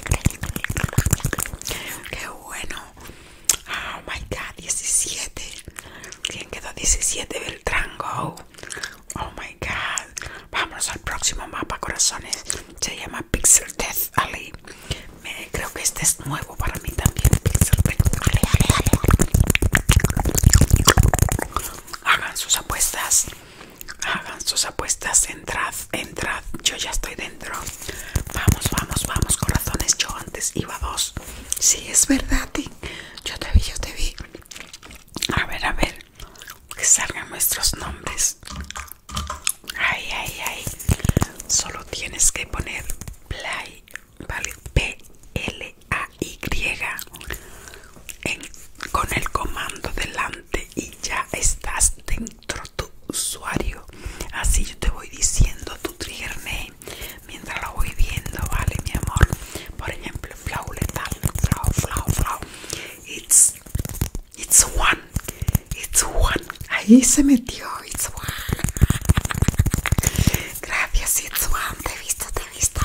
Qué bueno. Oh my god, 17. ¿Quién quedó 17 Beltrán Go? Oh my god. Vamos al próximo mapa, corazones. Se llama Pixel Death Ali, creo que este es nuevo para mí también. Pixel Death Hagan sus apuestas hagan sus apuestas, entrad, entrad, yo ya estoy dentro. Vamos, vamos, vamos, corazones, yo antes iba dos. Sí, es verdad, Yo te vi, yo te vi. A ver, a ver, que salgan nuestros nombres. Ay, ay, ay. Solo tienes que poner play, ¿vale? P-L-A-Y con el comando delante y ya estás dentro tu usuario. Así yo te voy diciendo tu trigger name mientras lo voy viendo, ¿vale, mi amor? Por ejemplo, Flow Letal, Flow, Flow, Flow. It's, it's one, it's one. Ahí se metió, it's one. Gracias, it's one. Te he visto, te he visto.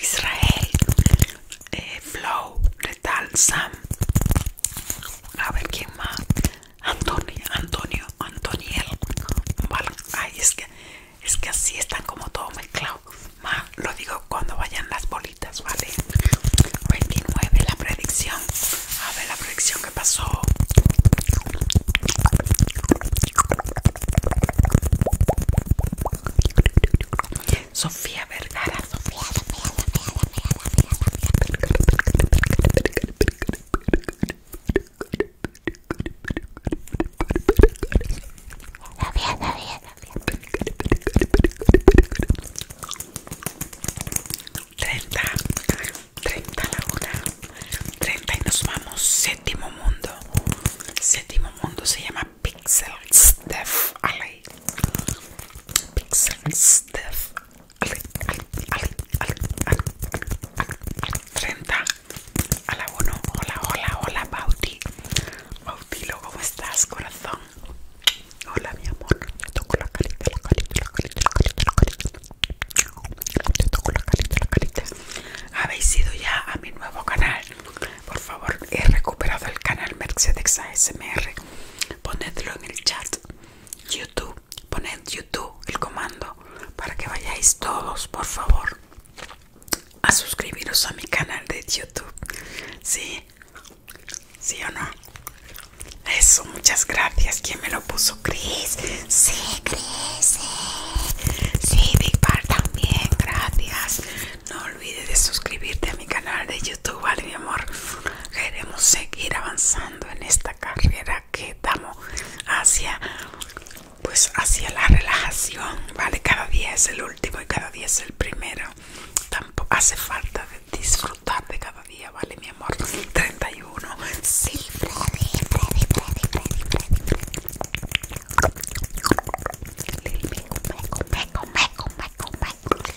Israel, eh, Flow, tal? Sam. A ver quién más. Antonio, Antonio, Antoniel. Vale. Ay, es que, es que así están como todo mezclado. Más lo digo cuando vayan las bolitas, ¿vale? 29, la predicción. A ver la predicción que pasó. Sofía Vergara, Sofía, 30 y nos vamos séptimo mundo, séptimo mundo se llama Pixel Steph Pixel Sense Death. 30 a la 1. Hola, hola, hola, Bauti. loco ¿cómo estás, corazón? Hola, mi amor. Te toco la carita, la carita, la carita, la carita, Te toco la carita, la carita. Habéis ido ya a mi nuevo canal. Por favor, he recuperado el canal Mercedes ASMR ponedlo en el chat youtube poned youtube el comando para que vayáis todos por favor a suscribiros a mi canal de youtube sí sí o no eso muchas gracias quién me lo puso Chris sí Chris sí, sí Big Bar también gracias no olvides de suscribirte a mi canal de YouTube, ¿vale, mi amor? Queremos seguir avanzando en esta carrera que damos hacia, pues, hacia la relajación, ¿vale? Cada día es el último y cada día es el primero. Tampoco hace falta disfrutar de cada día, ¿vale, mi amor? 31. Sí, 32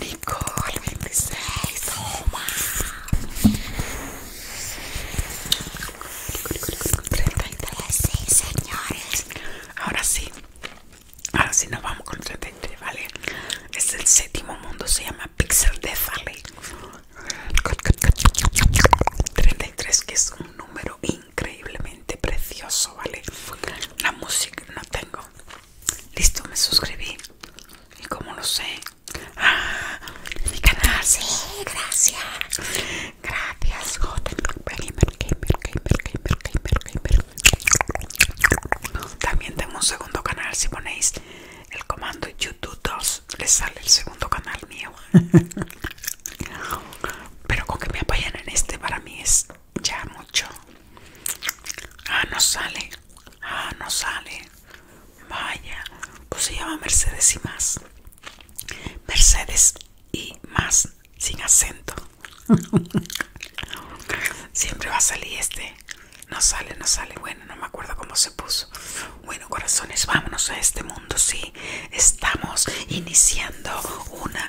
Nicole 26 Toma 33 sí señores Ahora sí Ahora sí nos vamos con 33 Vale Es el séptimo mundo Se llama Pixel Death Valley 33 que es un número increíblemente precioso, ¿vale? La música no tengo. Listo, me suscribí. Y como lo sé. ¡ah! Mi canal, sí, gracias. Gracias, También tengo un segundo canal. Si ponéis el comando YouTube 2, les sale el segundo canal mío. Pero con que me apoyen en este para mí es ya mucho. Ah, no sale. Ah, no sale. Vaya. Pues se llama Mercedes y más. Mercedes y más. Sin acento. Siempre va a salir este. No sale, no sale. Bueno, no me acuerdo cómo se puso. Bueno, corazones, vámonos a este mundo. Sí, estamos iniciando una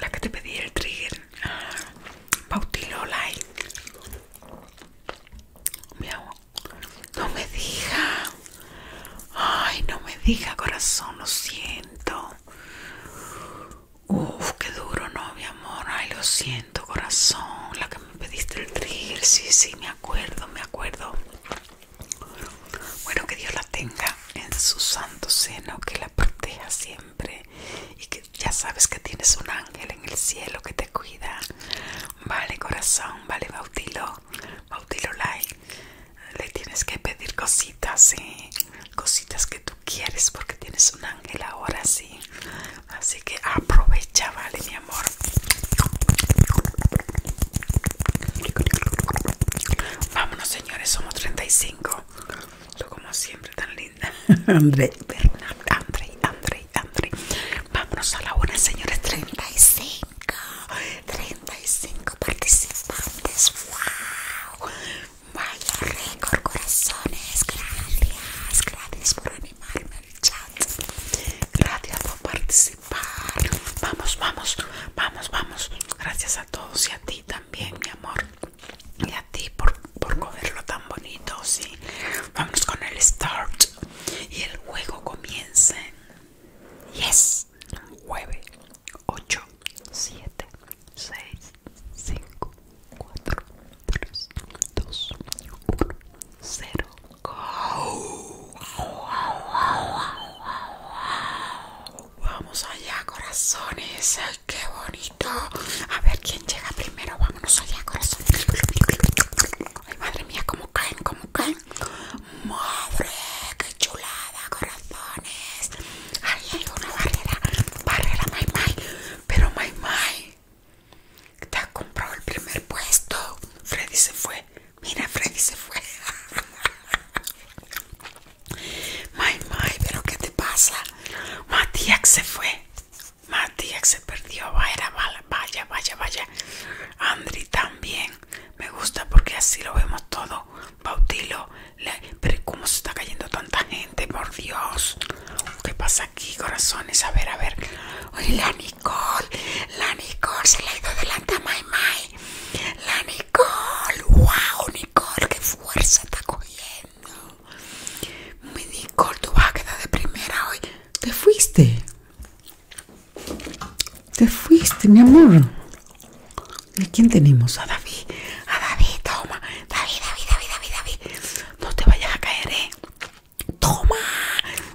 la que te pedí el trigger. Pautilo like. No me diga. Ay, no me diga, corazón, lo siento. Uf, qué duro, no, mi amor. Ay, lo siento, corazón. La que me pediste el trigger, sí, sí, mi acuerdo, me acuerdo. Bueno, que Dios la tenga en su santo seno, que la proteja siempre y que ya sabes que tienes un ángel en el cielo que te cuida. Vale, corazón, vale, Bautilo, Bautilo like, Le tienes que pedir cositas, ¿sí? ¿eh? cositas que tú quieres porque tienes un ángel ahora, sí. Así que aprovecha, vale, amor. Vámonos, señores, somos 35. Tú como siempre tan linda. André, André, André, André. Vámonos a la una, señores, 35. 35 participantes. ¡Wow! Vaya récord, corazones. Gracias, gracias por animarme al chat. Gracias por participar. Vamos, vamos, vamos, vamos. Gracias a todos y a ti también, mi amor. Y a ti por, por cogerlo tan bonito, sí. Vamos con el start. Y el juego comienza. Yes. 9, 8, 7, 6, 5, 4, 3, 2, 1, 0. Vamos allá, corazones. Ay, qué bonito. A ver quién llega primero. Vámonos allá, corazones. Ay, madre mía, cómo caen, cómo caen. Madre, qué chulada, corazones. Ahí hay una barrera. Barrera, my Pero my my. Te comprado el primer puesto. Freddy se fue. Mira, Freddy se fue. May, may, pero ¿qué te pasa? Matías se fue. Matías se perdió. Vaya, vaya, vaya, vaya. Andri también. Me gusta porque así lo vemos todo. Bautilo. Pero ¿cómo se está cayendo tanta gente? Por Dios. ¿Qué pasa aquí, corazones? A ver, a ver. Oye, Lani, Nicole, la Nicole se le ha ido delante a Mai Mai. La Nicole, wow, Nicole, qué fuerza está cogiendo. Mi Nicole, tú vas a quedar de primera hoy. Te fuiste. Te fuiste, mi amor. ¿Y quién tenemos? A David. A David, toma. David, David, David, David, David. No te vayas a caer, eh. Toma,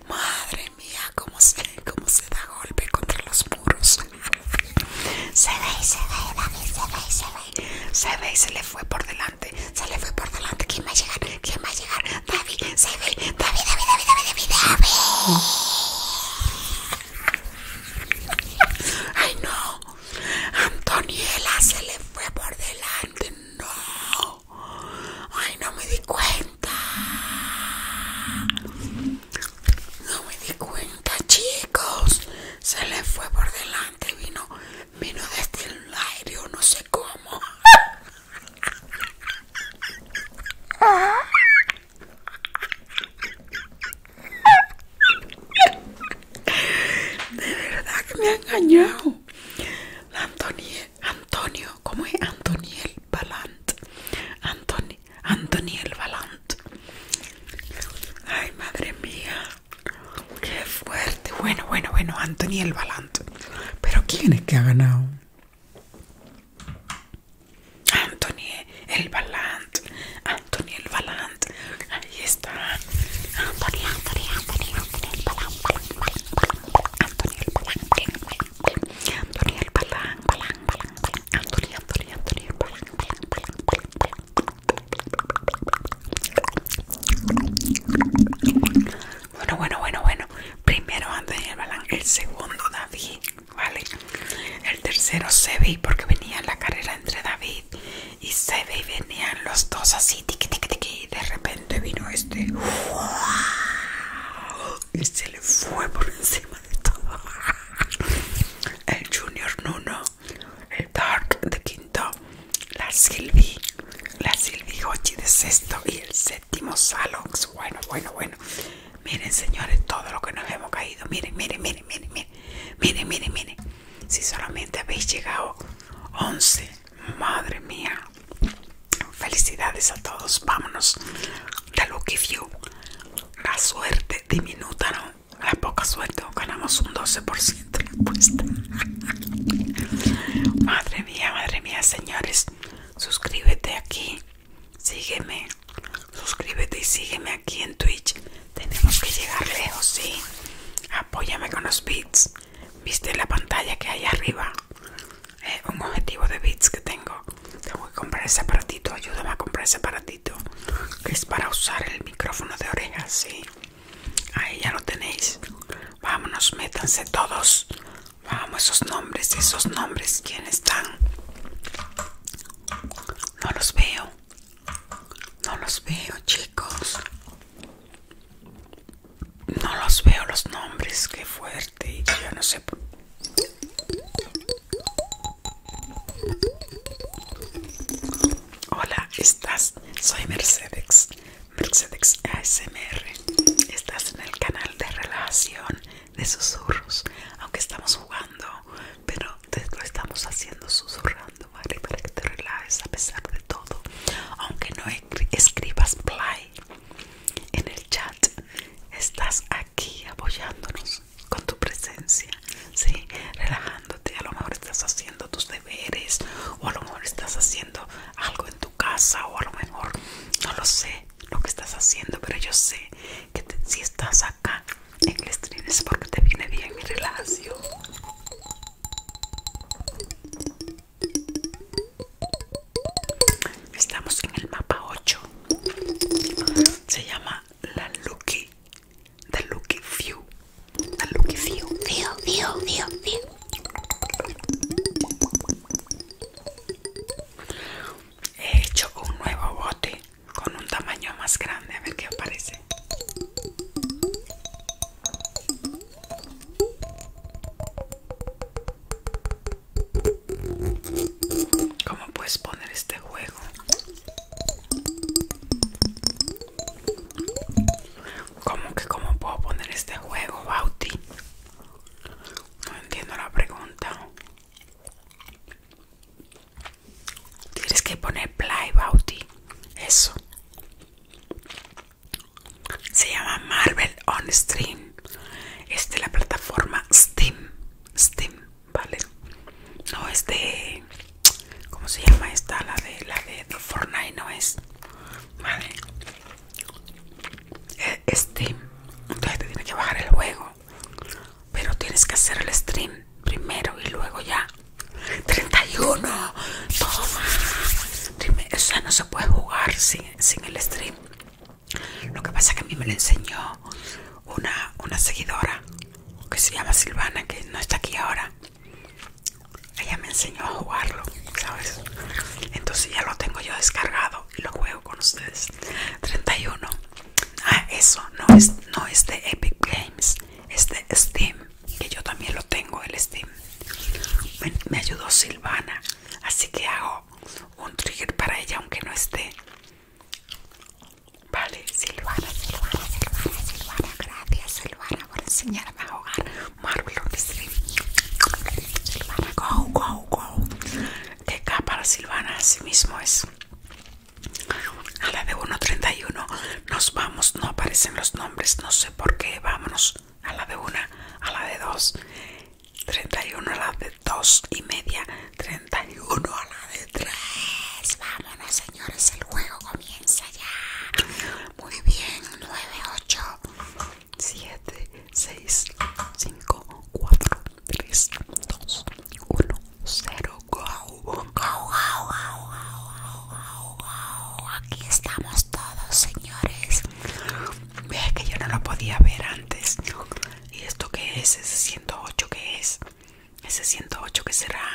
madre mía, cómo se, cómo se da golpe contra los muros. Se ve, se ve, David, se ve, se ve. Se ve y se le fue por delante. Se le fue por delante. ¿Quién va a llegar? ¿Quién va a llegar? David, se ve. David, David, David, David, David, David. Ay, no. Antoniela se le fue por delante. No. Ay, no me di cuenta. No me di cuenta, chicos. Se le fue por delante, vino, vino desde el aire, no sé cómo. De verdad que me ha engañado. La Antonieta Antonio, ¿cómo es? Antoniel Valant. Anthony Antoniel Balant, Ay, madre mía. Qué fuerte. Bueno, bueno, bueno, Antoniel Valant. Pero ¿quién es que ha ganado? Antoniel el Valant. Antoniel Balant, Ahí está. Antoniel, Antoniel, Antoniel, Antoniel Antoniel Valant. Anthony el Balan Balán, Balán, Balán. Anthony, Anthony, el Balán, Bueno, bueno, bueno, bueno. Primero Anthony el Balan el segundo David, ¿vale? El tercero Sebi, porque venía la carrera entre David y Sebi, venían los dos así, tiqui, tiqui, tiqui, y de repente vino este. Este le fue por encima de todo. El Junior Nuno, el Dark de quinto, la Silvi, la Silvi Hochi de sexto y el séptimo Salox. Bueno, bueno, bueno. Miren, señores, todo lo que nos hemos caído. Miren, miren, miren, miren, miren. Miren, miren, miren. Si solamente habéis llegado 11, madre mía. Felicidades a todos. Vámonos. The lucky few. La suerte diminuta, ¿no? La poca suerte. Ganamos un 12% de apuesta. madre mía, madre mía, señores. Suscríbete aquí. Sígueme. Suscríbete y sígueme aquí en Twitch. Tenemos que llegar lejos, sí. Apóyame con los beats. ¿Viste la pantalla que hay arriba? Eh, un objetivo de bits que tengo. Tengo que comprar ese aparatito. Ayúdame a comprar ese aparatito. Que es para usar el micrófono de orejas, sí. Ahí ya lo tenéis. Vámonos, métanse todos. Vamos, esos nombres, esos nombres, ¿quién están? No los veo. No los veo, chicos. No los veo los nombres, qué fuerte. Te no sé Hola, estás, soy Mercedes, Mercedes ASMR. Estás en el canal de relajación, de susurros, aunque estamos jugando, pero lo estamos haciendo susurrando, ¿vale? Para que te relajes a pesar de todo, aunque no escribas play en el chat, estás aquí aquí apoyándonos con tu presencia, ¿sí? relajándote. A lo mejor estás haciendo tus deberes, o a lo mejor estás haciendo algo en tu casa, o a lo mejor no lo sé lo que estás haciendo, pero yo sé que si estás acá en el stream es porque te viene bien mi relación. Estamos en el mapa 8. Se llama la Lucky. The Lucky View. The Lucky View. View, view, view, view. He hecho un nuevo bote con un tamaño más grande. A ver qué aparece. ¿Cómo puedes poner este juego? ¿Cómo que cómo puedo poner este juego, Bauti? No entiendo la pregunta. Tienes que poner play, Bauti. Eso. Se llama Marvel on Stream. Es de la plataforma Steam. Steam, ¿vale? No es de... ¿Cómo se llama esta? La de, la de, Fortnite, ¿no es? ¿Vale? E, Steam, entonces te tienes que bajar el juego, pero tienes que hacer el stream primero y luego ya. 31, toma, Dime, o no se puede jugar sin el stream. Lo que pasa es que a mí me lo enseñó una, seguidora que se llama Silvana, que no está aquí ahora. Ella me enseñó a jugarlo, ¿sabes? Entonces ya lo tengo yo descargado y lo juego con ustedes. 31. Ah, eso no es, no de Epic Games, es de Steam, que yo también lo tengo, el Steam. me ayudó Silvana, así que hago un trigger para ella, aunque no esté. Vale, Silvana, Silvana, Silvana, Silvana, gracias Silvana por enseñarme a ahogar Marvel on Stream. Silvana, go, go, go. Que la Silvana, así mismo es. A la de 1.31 nos vamos, no aparecen los nombres, no sé por qué, vámonos a la de 1, a la de 2 31 a la de 2 y media, 31 a la de 3. Vámonos, señores, el juego comienza ya. Muy bien, 9, 8, 7, 6, 5, 4, 3, 2, 1, 0. Go, go, go, go, go, go. Aquí estamos todos, señores. Ve que yo no lo podía ver antes. ¿Y esto qué es? ¿Ese 108 qué es? ¿Ese 108 qué será?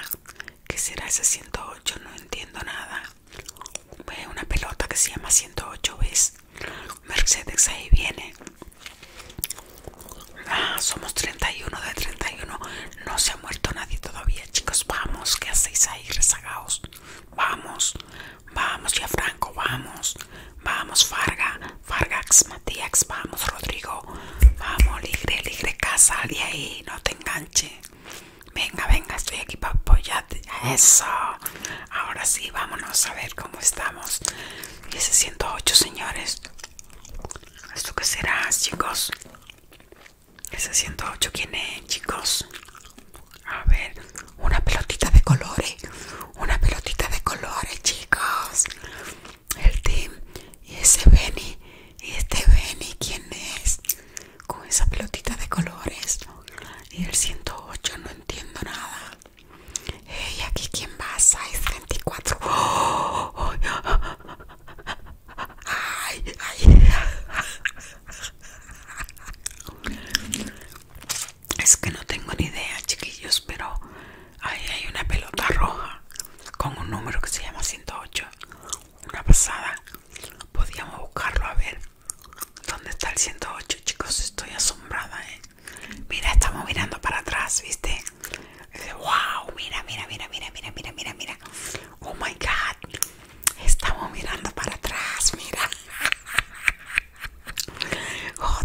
¿Qué será ese 108? No entiendo nada. una pelota que se llama 108, ¿ves? Mercedes ahí viene. Ah, somos 31 de 31. No se ha muerto nadie todavía, chicos. Vamos, ¿qué hacéis ahí rezagados? Vamos, vamos, ya Franco, vamos. Vamos, Farga, Fargax, Matías, vamos, Rodrigo. Vamos, ligre, ligre, casa, de ahí, no te enganche. Venga, venga, estoy aquí para apoyarte. Eso. Ahora sí, vámonos a ver cómo estamos. 108 señores. ¿Esto qué será, chicos? Ese 108, ¿quién es, chicos? A ver, una pelotita de colores una pelotita de colores, chicos. El Tim Y ese Benny. Y este Benny, ¿quién es? Con esa pelotita de colores. Y el 108, no entiendo nada. ¿Y aquí quién va, size 34. Ay, ay. Es que no tengo ni idea, chiquillos, pero ahí hay una pelota roja con un número que se llama 108. Una pasada. Podíamos buscarlo a ver. ¿Dónde está el 108, chicos? Estoy asombrada, ¿eh? Mira, estamos mirando para atrás, ¿viste? ¡Wow! Mira, mira, mira, mira, mira, mira, mira, mira. ¡Oh, my God! Estamos mirando para atrás, mira.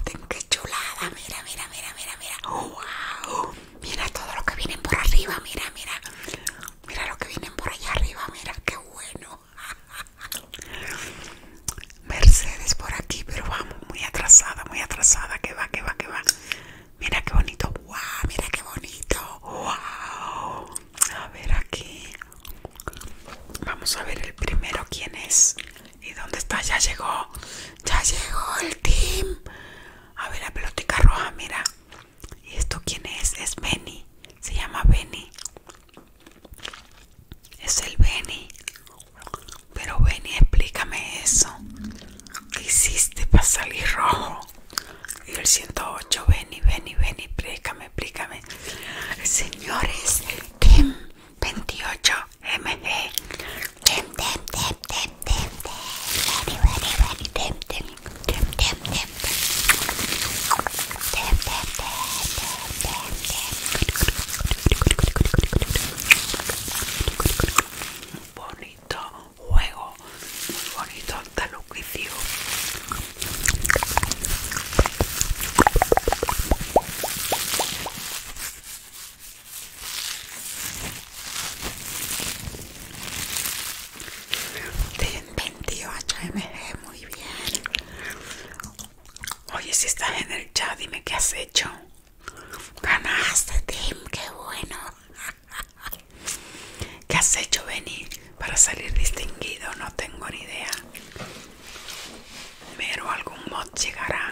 Tengo que chulada. Mira, mira, mira, mira, mira. Mira todo lo que vienen por arriba. Mira, mira. Mira lo que vienen por allá arriba. Mira, qué bueno. Mercedes por aquí, pero vamos, muy atrasada, muy atrasada. ¿Qué va, qué va, qué va. Mira qué bonito. Wow, mira qué bonito. ¡Guau! A ver aquí. Vamos a ver el primero quién es. ¿Y dónde está? Ya llegó. Ya llegó el team. A ver, la pelotica roja, mira. ¿Y esto quién es? Es Benny. Se llama Benny. Es el Benny. Pero Benny, explícame eso. ¿Qué hiciste para salir rojo? Y el 108, Benny, Benny, Benny, explícame, explícame. Señores, Tim 28 mg Tim bonito juego muy bonito hasta tim 28 mg, muy bien. Oye, si estás en el chat, dime qué has hecho. Ganaste, Tim, qué bueno. ¿Qué has hecho, Benny, para salir distinguido? No tengo ni idea o algún mod llegará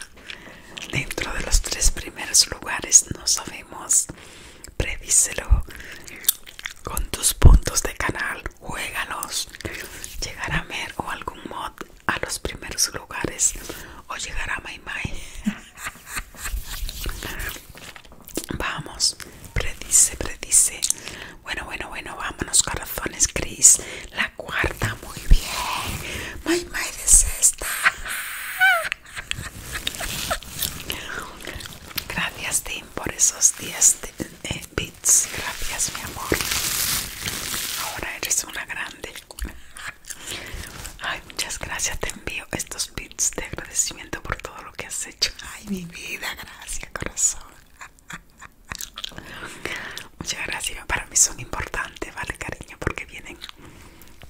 dentro de los tres primeros lugares, no sabemos. Predícelo con tus puntos de canal, juégalos. Llegará Mer o algún mod a los primeros lugares o llegará Mai Vamos, predice, predice. Bueno, bueno, bueno, vámonos, corazones, Chris. La cuarta, muy bien. My de es esta. Gracias, Tim, por esos 10 eh, bits. Gracias, mi amor. Ahora eres una grande. Ay, muchas gracias. Te envío estos bits de agradecimiento por todo lo que has hecho. Ay, mi vida, gracias, corazón. Muchas gracias. Para mí son importantes, ¿vale, cariño? Porque vienen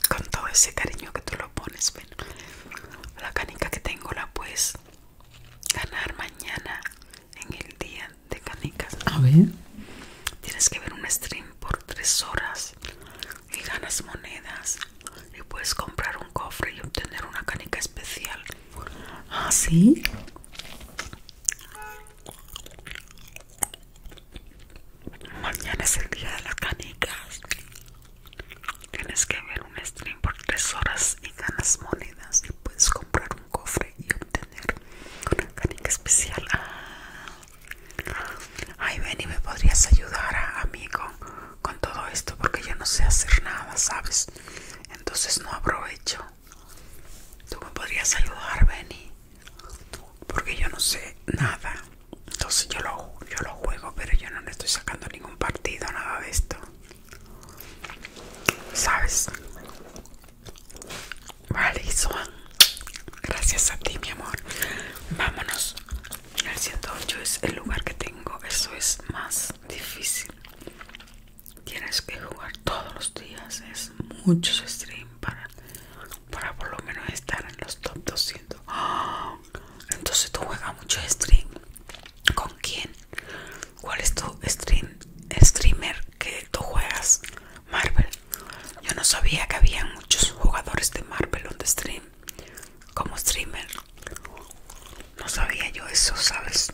con todo ese cariño que tú lo pones. la canica que tengo la puedes ganar mañana en el día de canicas. A ver, tienes que ver un stream por tres horas y ganas monedas y puedes comprar un cofre y obtener una canica especial. ¿Ah, sí? Mañana es el día de las canicas. Tienes que ver un stream por 3 horas y ganas monedas. Y puedes comprar un cofre y obtener una canica especial. Ah. Ay, Benny me podrías ayudar, ah, amigo, con todo esto porque yo no sé hacer nada, ¿sabes? Entonces no aprovecho. Tú me podrías ayudar, Benny porque yo no sé nada entonces yo lo, yo lo juego pero yo no le estoy sacando ningún partido nada de esto sabes vale gracias a ti mi amor vámonos el 108 es el lugar que tengo eso es más difícil tienes que jugar todos los días es mucho stream para para por lo menos estar en los top 200. ¡Ah! Entonces tú juegas mucho stream. ¿Con quién? ¿Cuál es tu streamer que tú juegas? Marvel. Yo no sabía que había muchos jugadores de Marvel donde stream. Como streamer. No sabía yo eso, ¿sabes?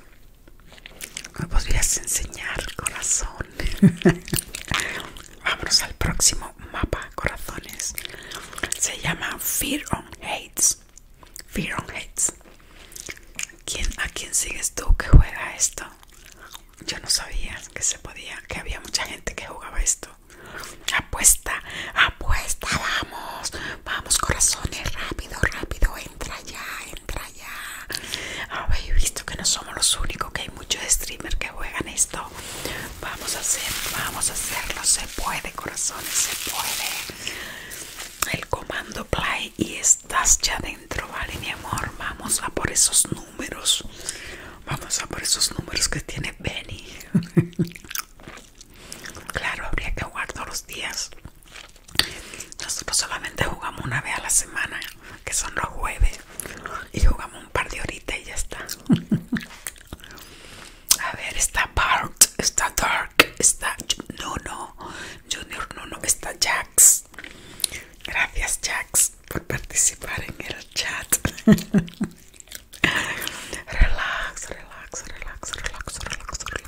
Me podrías enseñar, corazón. Vámonos al próximo mapa, corazones. Se llama Fear on Hates. Fear on Hates. ¿A quién sigues tú que juega esto? Yo no sabía que se podía, que había mucha gente que jugaba esto. Apuesta, apuesta, vamos, vamos corazones, rápido, rápido, entra ya, entra ya. Habéis visto que no somos los únicos que muchos streamers que juegan esto vamos a hacer vamos a hacerlo se puede corazones se puede el comando play y estás ya dentro vale mi amor vamos a por esos números vamos a por esos números que tiene Benny claro habría que jugar todos los días nosotros solamente jugamos una vez a la semana que son los jueves y jugamos un par de horita y ya está. A ver, está Bart, está Dark, está no no Junior no no está Jax. Gracias Jax por participar en el chat. relax, relax, relax, relax, relax, relax, relax.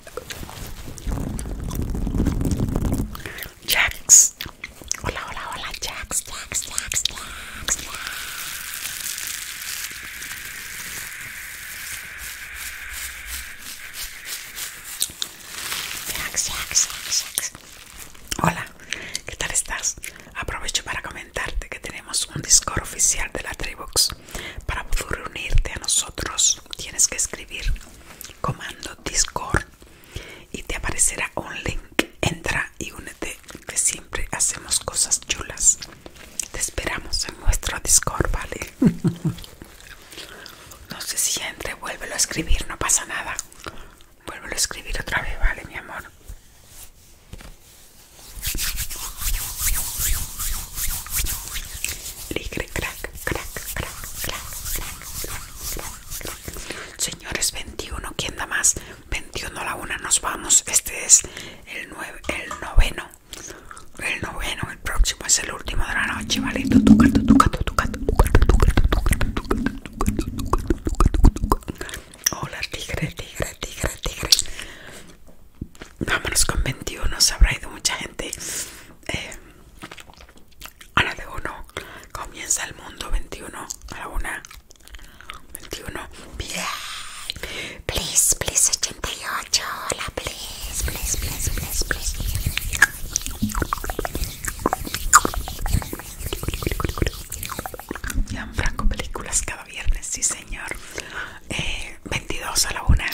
Jax. Hola, hola, hola, Jax, Jax, Jax, Jax, Jax. Jax, Hola, ¿qué tal estás? Aprovecho para comentarte que tenemos un Discord oficial de la Tribox para poder reunirte a nosotros tienes que escribir comando Discord y te aparecerá un link. Entra y únete que siempre hacemos cosas chulas. Te esperamos en nuestro Discord, ¿vale? no sé si ya entre, vuélvelo a escribir, no pasa nada. Vuélvelo a escribir otra vez, ¿vale, mi amor? Ligre, crack, crack, crack, crack, crack. Señores, 21, ¿quién da más? 21 a la 1, nos vamos. Este es el, nueve, el noveno. El noveno, el próximo es el último de la noche, ¿vale? Hola, tigre, tigre, tigre, tigre vámonos con 21, se habrá ido mucha gente. Eh, de uno comienza el mundo 21, a la una 21, Please, please, 88, hola, please, please, please, please, please. Franco películas cada viernes, sí señor. 22 eh, a la una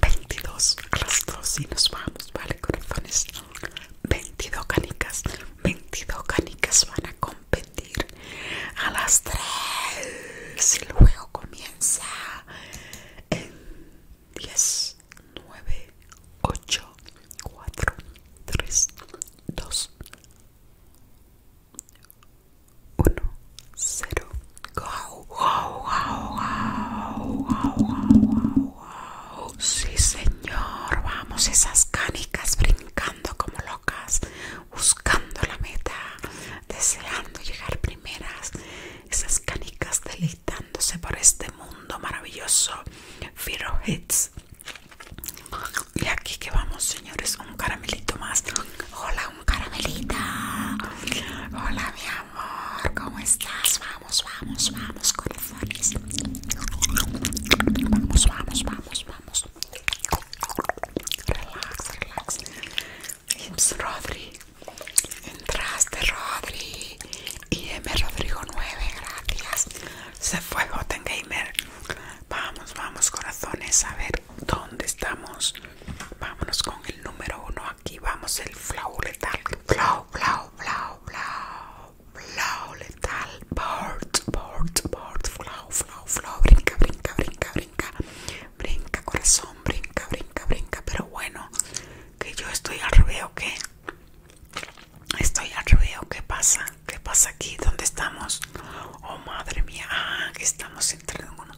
22 rastros y nos vamos, ¿vale, corazones? 22 canicas, 22 canicas van a competir a las 3 y el juego comienza en 10, 9, 8, 4, 3, 2, 1, 0 Wow, Sí, señor. Vamos, esas canicas brincando como locas, buscando la meta, deseando llegar primeras. Esas canicas deleitándose por este mundo maravilloso. Fero Hits. Y aquí que vamos, señores, un caramelito más. Hola, un caramelita. Hola, mi amor. ¿cómo estás? Vamos, vamos, vamos, corazones. Vamos, vamos, vamos, vamos. Relax, relax. Rodri. Entraste, Rodri. Y Rodrigo 9, gracias. Se fue botengamer. Gamer. Vamos, vamos, corazones. A ver, ¿dónde estamos? Vámonos con el número uno aquí vamos el flow letal. Flow, flow, flow, flow. Flow letal. Board, board, board. Flow, flow, flow. Brinca, brinca, brinca, brinca. Brinca, corazón. Brinca, brinca, brinca. Pero bueno, que yo estoy al revés qué. Estoy al revés qué pasa. ¿Qué pasa aquí? ¿Dónde estamos? Oh, madre mía. Ah, que estamos entrando en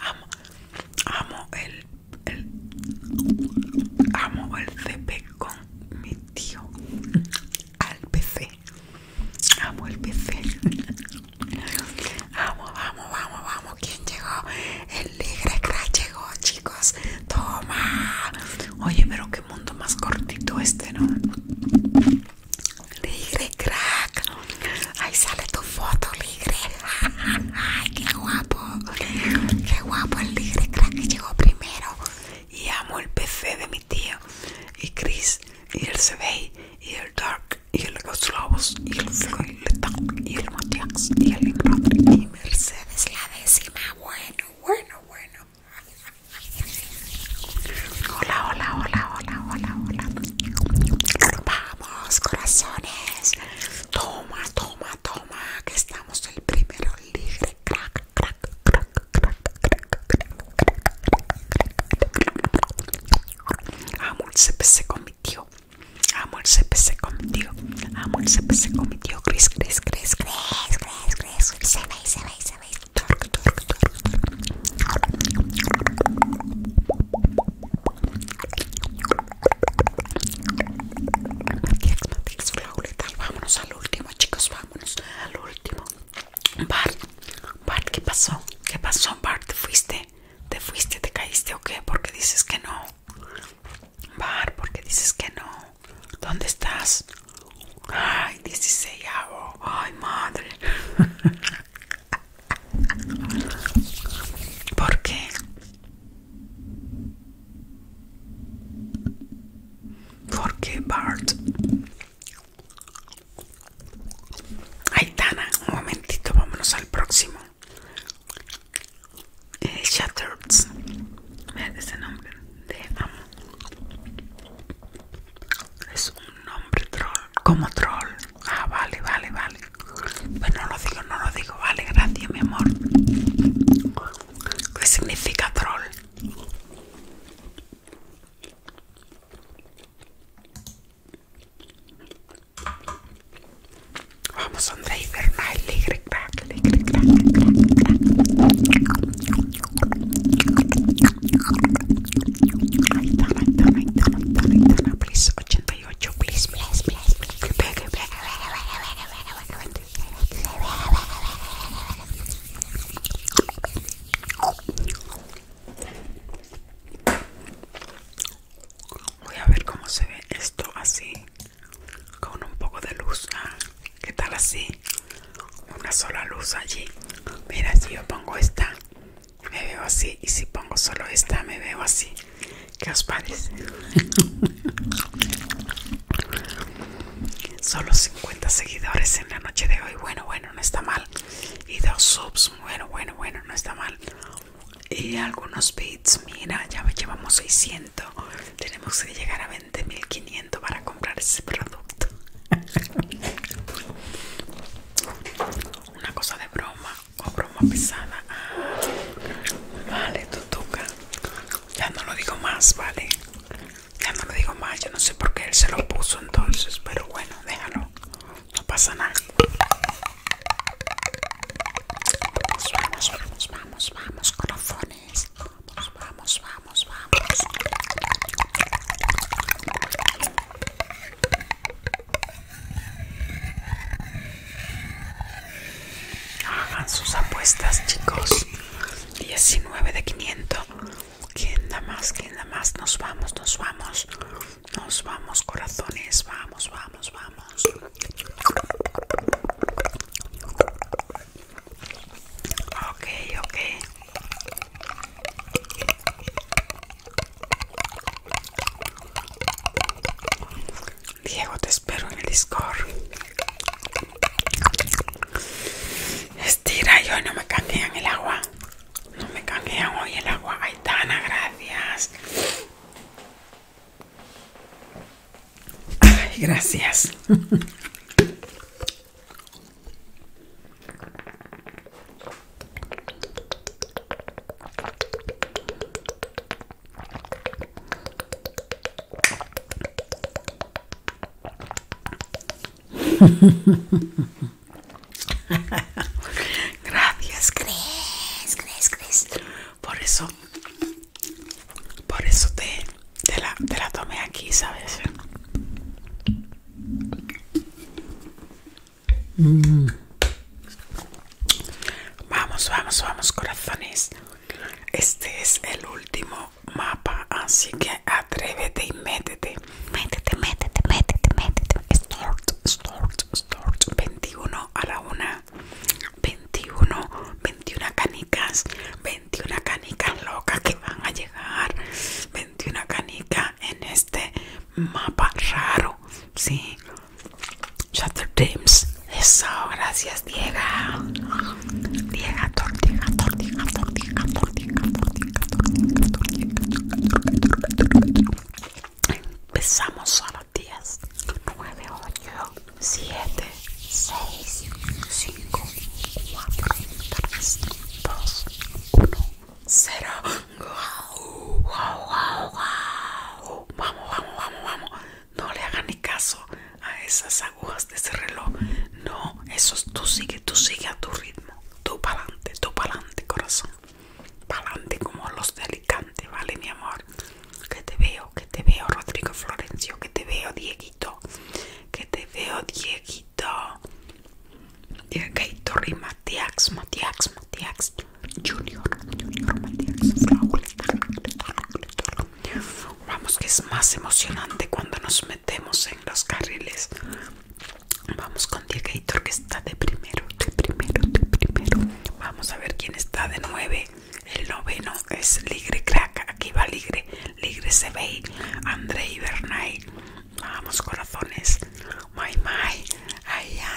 Amo, el, amo el CP con mi tío. Al PC. Amo el PC. Amo, vamos, vamos, vamos. ¿Quién llegó? El Ligre llegó, chicos. Toma. Oye, pero qué mundo más cortito este, ¿no? Ligre crack. Ahí sale tu foto, Ligre. Ay, qué guapo. Qué guapo el Ligre crack que llegó primero. Y amo el PC de mi tío. Y Chris. Y el CB. Y el Dark. Y el lobos Y el Floyd. Y el Matiax. Y el Y Mercedes la décima. Bueno, bueno, bueno. Hola, hola, hola, hola, hola, hola. Vamos, corazones. Toma, toma, toma. Que estamos el primero libre. Crack, crack, crack, crack, crack, crack. Amo el CPC con mi amor Amo el CPC con mi tío. Amo el CPC con mi tío. Cris, Cris, Cris, Cris, Cris, Cris. Se ve, se ve, se ve. Vámonos al último, chicos. Vámonos al último. Bart, Bart, ¿qué pasó? ¿Qué pasó, Bart? ¿Te fuiste? ¿Te fuiste? ¿Te caíste o qué? ¿Por qué dices que no? Bart, ¿por qué dices que no? ¿Dónde estás? Ay, 16 Ay, madre. ¿Por qué? ¿Por qué Bart? Aitana, un momentito, vámonos al próximo. Shattered. ese nombre. De amo. Es un nombre troll. Como troll. Ah, vale, vale, vale. Pues no lo digo, no lo digo. Vale, gracias, mi amor. ¿Qué significa troll? Vamos, crack, crack, crack, crack. Aitana, Aitana, Aitana, Aitana, Aitana, please, 88, please, please, please, please. Voy a ver cómo se ve esto así, con un poco de luz. Ah, ¿Qué tal así? Una sola luz allí. Mira, si yo pongo esta, me veo así y si pongo solo esta me veo así ¿qué os parece? solo 50 seguidores en la noche de hoy bueno bueno no está mal y dos subs bueno bueno bueno no está mal y algunos bits mira ya llevamos 600 tenemos que llegar a 20.500 para comprar ese producto una cosa de broma o broma pesada. Vale, tutuca. Ya no lo digo más, vale. Ya no lo digo más. Yo no sé por qué él se lo puso entonces, pero bueno, déjalo. No pasa nada. Vamos, vamos, vamos, vamos, vamos, Vamos, vamos, vamos, vamos. Hagan sus apuestas, chicos. 19 de 500. ¿Quién da más? ¿Quién da más? Nos vamos, nos vamos. Nos vamos, corazones. Vamos, vamos, vamos. Ok, ok. Diego, te espero en el Discord. Estira y hoy no me canjean el agua. No me canjean hoy el agua. Aitana, gracias. Ay, gracias. Gracias, gracias, gracias, Por eso, por eso te, la, te la tomé aquí, ¿sabes? Mm. Vamos, vamos, vamos, corazones. Este es el último mapa, así que atrévete y métete. Métete, métete, métete, métete. Storch, Storch, Storch 21 a la 1. 21, 21 canicas. 21 canicas locas que van a llegar. 21 canicas en este mapa raro, sí. Shattered Dreams. Eso, gracias, Diego. Diego, tortilla, tortilla, tortilla, tortilla, tortilla, tortilla, tortilla. Empezamos a las 10, 9, 8, 7, 6, 5, 4, 3, 2, 1. Cero. Vamos, vamos, vamos, vamos. No le hagan ni caso a esas agujas de ese reloj. No, eso es, tú sigue, tú sigue a tu ritmo. Tú para adelante, tú para corazón. Para adelante como los delicantes, ¿vale, mi amor? Que te veo, que te veo, Rodrigo Florencio, que te veo, Dieguito. Que te veo, Dieguito. Dieguito rima, Junior, Junior Vamos que es más emocionante cuando nos metemos en los carriles. Vamos con Diegator que está de primero, de primero, de primero. Vamos a ver quién está de nueve. El noveno es Ligre Crack. Aquí va Ligre. Ligre se ve. Andrei Bernay. Vamos corazones. My my.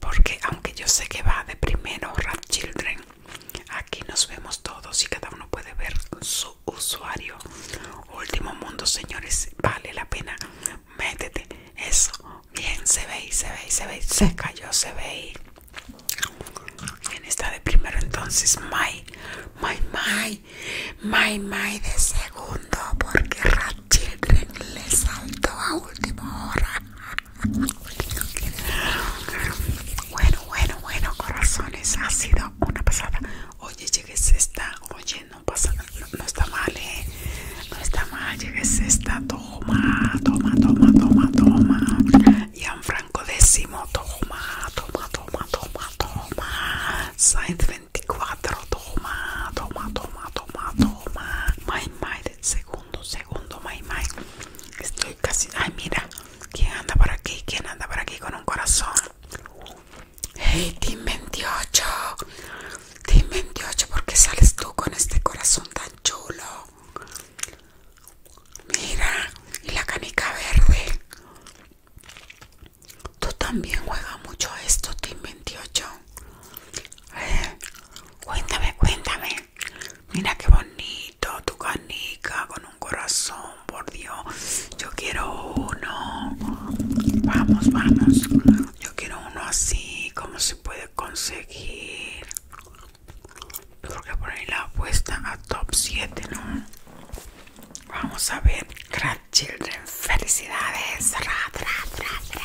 porque aunque yo sé que va de primero RATCHILDREN, Children, aquí nos vemos todos y cada uno puede ver su usuario. Último mundo, señores, vale la pena. Métete, eso, bien, se ve y se ve y se ve, se cayó, se ve ¿Quién está de primero entonces? my, my, my, my, my de segundo, porque RATCHILDREN le saltó a último hora. Bueno, bueno, bueno, corazones, ha sido una pasada. Oye, llegues esta, oye, no pasa, nada, no está mal, eh. No está mal, llegues esta, toma, toma, toma, toma, toma. franco décimo, toma, toma, toma, toma, toma. Sainz 24, toma, toma, toma, toma, toma. My segundo, segundo, my, Estoy casi. Ay, mira. ¿Quién anda por aquí? ¿Quién anda por aquí con un corazón? Hey, Team 28. Team 28, Porque sales tú con este corazón tan chulo? Mira, y la canica verde. Tú también juegas mucho esto, Team 28. Eh, cuéntame, cuéntame. Mira qué bonito tu canica con un corazón, por Dios. Yo quiero uno. Vamos, vamos. Yo quiero uno así. ¿Cómo se puede conseguir? Yo que poner la apuesta a top 7, ¿no? Vamos a ver. Crack Children. Felicidades. ra, ra, ra.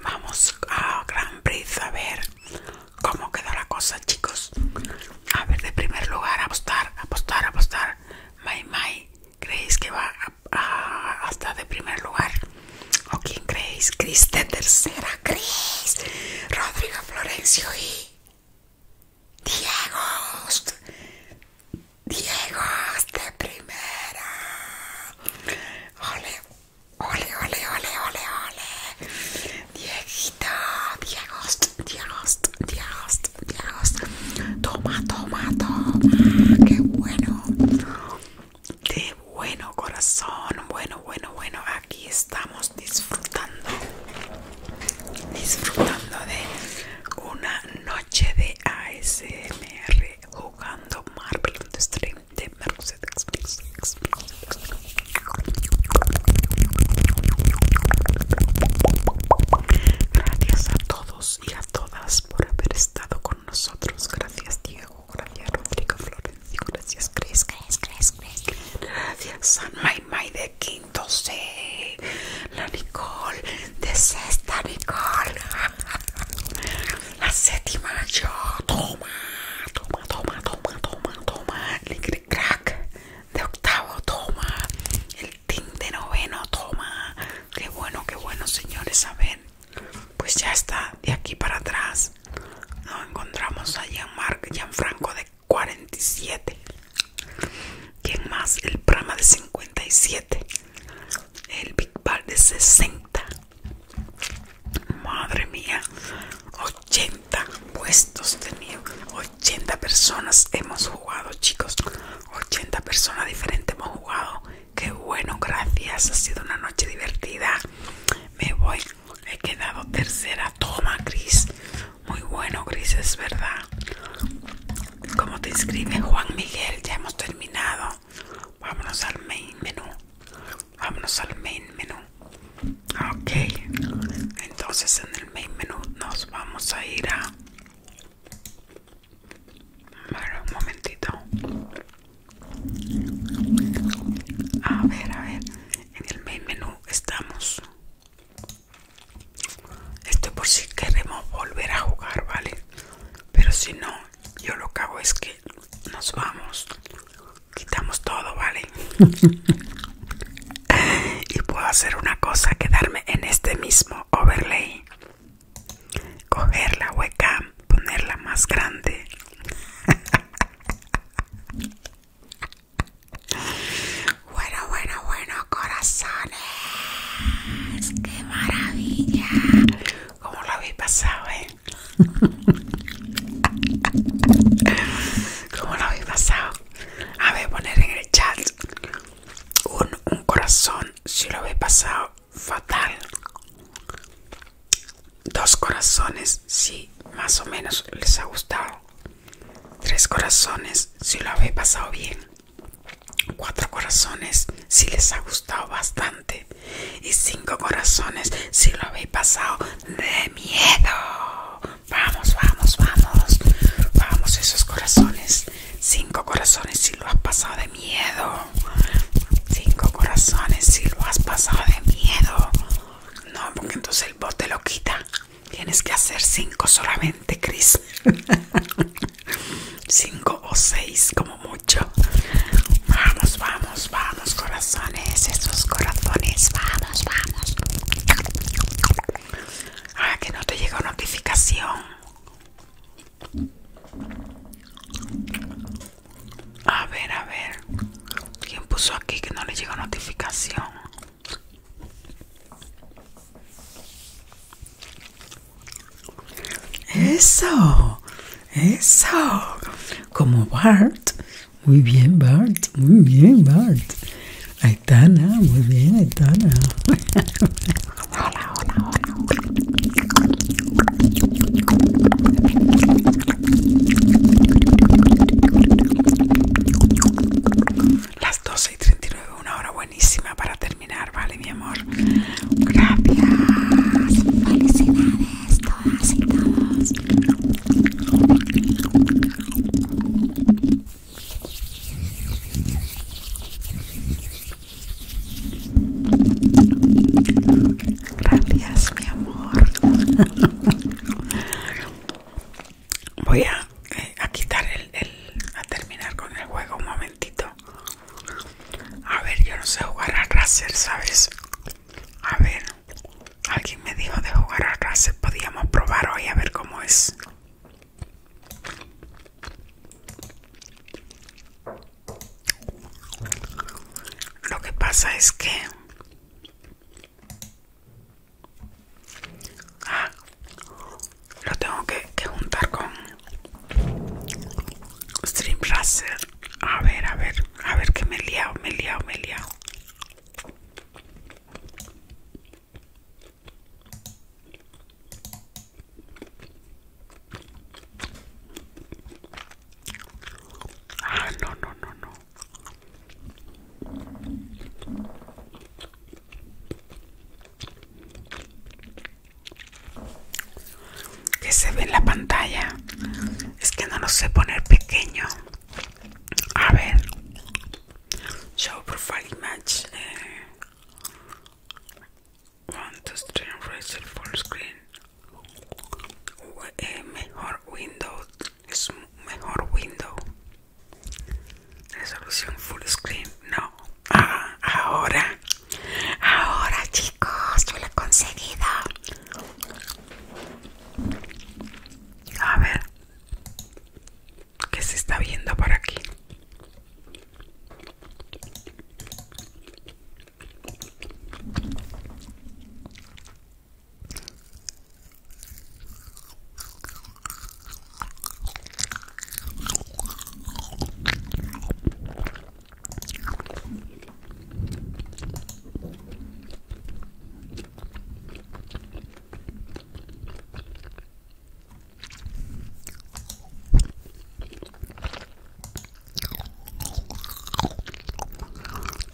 Vamos a Gran prisa a ver cómo queda la cosa, chicos. A ver, de primer lugar, apostar, apostar, apostar. May May, ¿creéis que va hasta de primer lugar? ¿O quién creéis? Cris de tercera, Cris, Rodrigo Florencio y Diego, Diego de primera. Ole, ole, ole, ole, ole, Dieguito, Diego, Diego, Diego, Diego Toma, toma, toma. Qué bueno. Qué bueno, corazón. Bueno, bueno, bueno. Aquí estamos disfrutando disfrutando de una noche de ASMR jugando Marvel on Stream de Gracias a todos y a todas por haber estado con nosotros. Gracias Diego, gracias Rodrigo Florencio, gracias Chris, Chris, Chris, Gracias San May de aquí. La Nicole, de sexta Nicole. La séptima yo. Toma, toma, toma, toma, toma, toma. El crack de octavo, toma. El tin de noveno, toma. Qué bueno, qué bueno, señores. A ver, pues ya está. De aquí para atrás nos encontramos a Jean-Franco de 47 ¿Quién más? El Prama de 57 El Big Ball de 60 Madre mía 80 puestos tenía 80 personas hemos jugado chicos 80 personas diferentes hemos jugado Qué bueno, gracias, ha sido una noche divertida Me voy, he quedado tercera Toma Cris muy bueno, Gris, es ¿verdad? Como te escribe Juan Miguel? Ya hemos terminado. Vámonos al main menu. Vámonos al main menu. Ok. Entonces en el main menu nos vamos a ir a... Bueno, un momentito. A ver, a ver. En el main menu estamos. Esto por si queremos volver a jugar, ¿vale? Pero si no, yo lo que hago es que nos vamos. Quitamos todo, ¿vale? y puedo hacer una cosa, quedarme en este mismo overlay. Coger la hueca ponerla más grande. Bueno, bueno, bueno, corazones. ¡Qué maravilla! ¿Cómo lo habéis pasado, eh? ¿Cómo lo habéis pasado? A ver, poner en el chat un, un corazón si lo habéis pasado fatal. Dos corazones si más o menos les ha gustado. Tres corazones si lo habéis pasado bien cuatro corazones si les ha gustado bastante y cinco corazones si lo habéis pasado de miedo vamos vamos vamos vamos esos corazones cinco corazones si lo has pasado de miedo cinco corazones si lo has pasado de miedo no porque entonces el bote lo quita Tienes que hacer cinco solamente, Chris. cinco o seis, como mucho. Vamos, vamos, vamos, corazones. Esos corazones, vamos, vamos. Ah, que no te llegó notificación. A ver, a ver. ¿Quién puso aquí que no le llegó notificación? Eso, eso, como Bart. Muy bien, Bart, muy bien, Bart. Aitana, muy bien, Aitana. hola, hola, hola. Las doce y y nueve una hora buenísima para terminar, ¿vale, mi amor? Gracias. Felicidades todas y todos. Gracias, mi amor voy a, eh, quitar el, a terminar con el juego un momentito a ver yo no sé jugar a racer sabes a ver alguien me dijo de jugar a racer podíamos probar hoy a ver cómo es lo que pasa es que Ah, lo tengo que, juntar con Stream Racer. A ver, a ver, a ver que me he liado, me he liado, me he liado. Ah, no, no, no, no que se ve en la pantalla es que no lo sé poner pequeño a ver show profile image eh. one to three full screen eh, mejor window es mejor window Resolución full screen, no. Ah, ahora, ahora chicos, yo lo he conseguido. A ver, ¿qué se está viendo por aquí?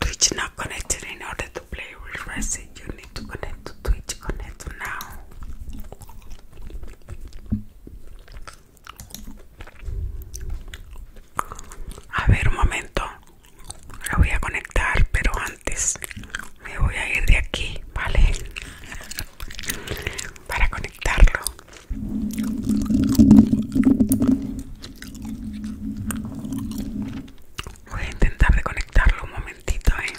Twitch not connected in order to play with Resident. You need to connect to Twitch. Connect now. A ver, un momento. Lo voy a conectar, pero antes me voy a ir de aquí, ¿vale? Para conectarlo. Voy a intentar de conectarlo un momentito, ¿eh?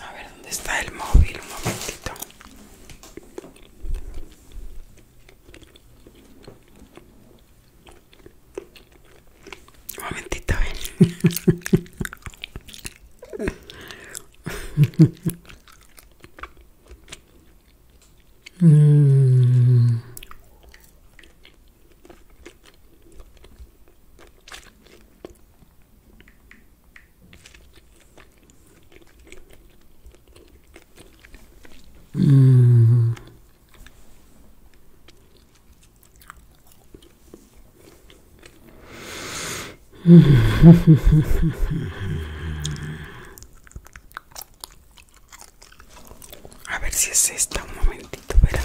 A ver, ¿dónde está el móvil? Un momentito. Un momentito, ¿eh? Mm. Mm. A ver si es esta, un momentito, verán.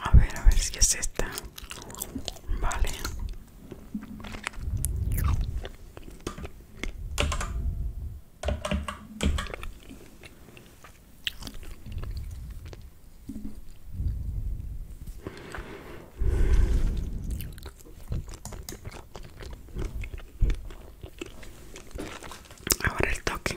A ver, a ver si es esta. Vale. Ahora el toque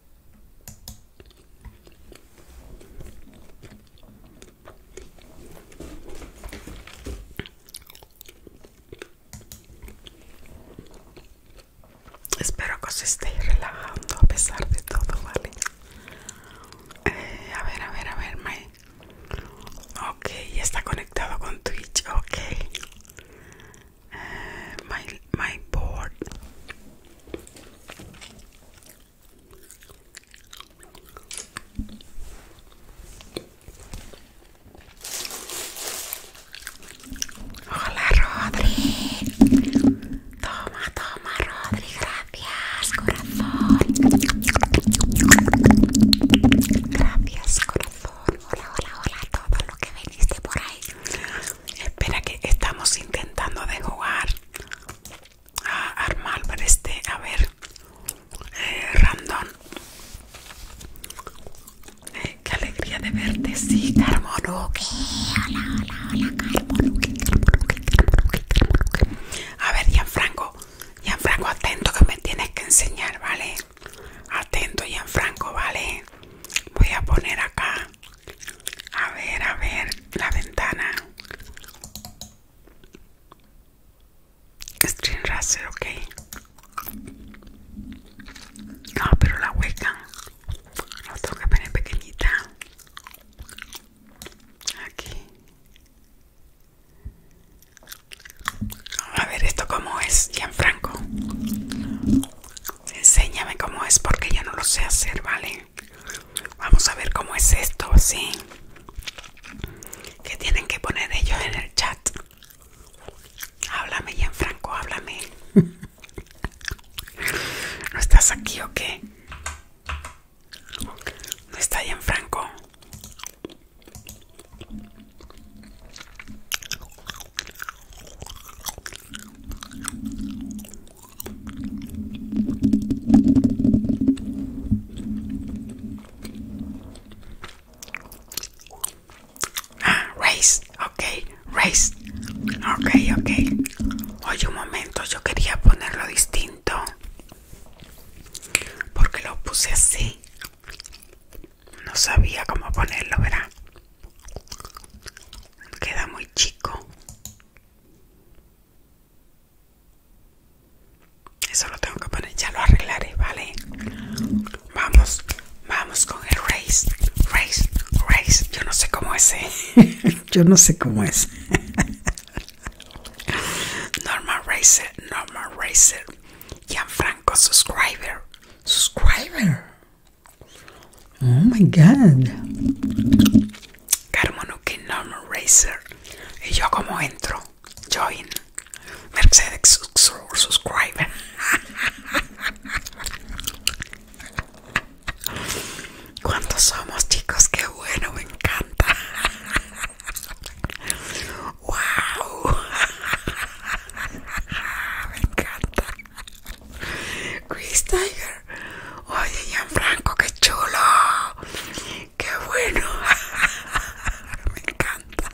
Espero que os estéis relajando a pesar de todo, ¿vale? Eh, a ver, a ver, a ver, May. Ok, ya está conectado con Twitch, ok. Eh, my, my board. Hola Rodri. Toma, toma Rodri. Gracias, corazón. Gracias, corazón. Hola, hola, hola a todos los que veniste por ahí. Espera que estamos intentando de jugar a armar para este, a ver, eh, Randón. Eh, qué alegría de verte, sí, Carmoruque. Hola, hola, hola, Carmo, en franco A ver, Gianfranco, Gianfranco, atento que me tienes que enseñar, ¿vale? Atento, Franco, ¿vale? Voy a poner acá a ver, a ver, la ventana. Stream racer, ok. No, pero la hueca. No tengo que poner pequeñita. Aquí. A ver, esto cómo es, franco Enséñame cómo es porque yo no lo sé hacer, ¿vale? Vamos a ver cómo es esto, ¿sí? ¿Qué tienen que poner ellos en el chat? Háblame, franco háblame. ¿No estás aquí o qué? ¿No está franco Ah, race, ok, race, ok, ok. Oye, un momento, yo quería ponerlo distinto. Porque lo puse así. No sabía cómo ponerlo, ¿verdad? Queda muy chico. Eso lo tengo que poner, ya lo arreglaré, ¿vale? Vamos, vamos con el race, race, race. Yo no sé cómo es, ¿eh? Yo no sé cómo es. Normal Racer, Normal Racer. Gianfranco, subscriber, subscriber. Oh my god. Carmono normal Racer. Y yo como entro, join, Mercedes subscribe. ¿Cuántos somos chicos? Qué bueno, me encanta. Wow. Me encanta. Chris Tiger. Oye, Gianfranco, qué chulo. Qué bueno. Me encanta.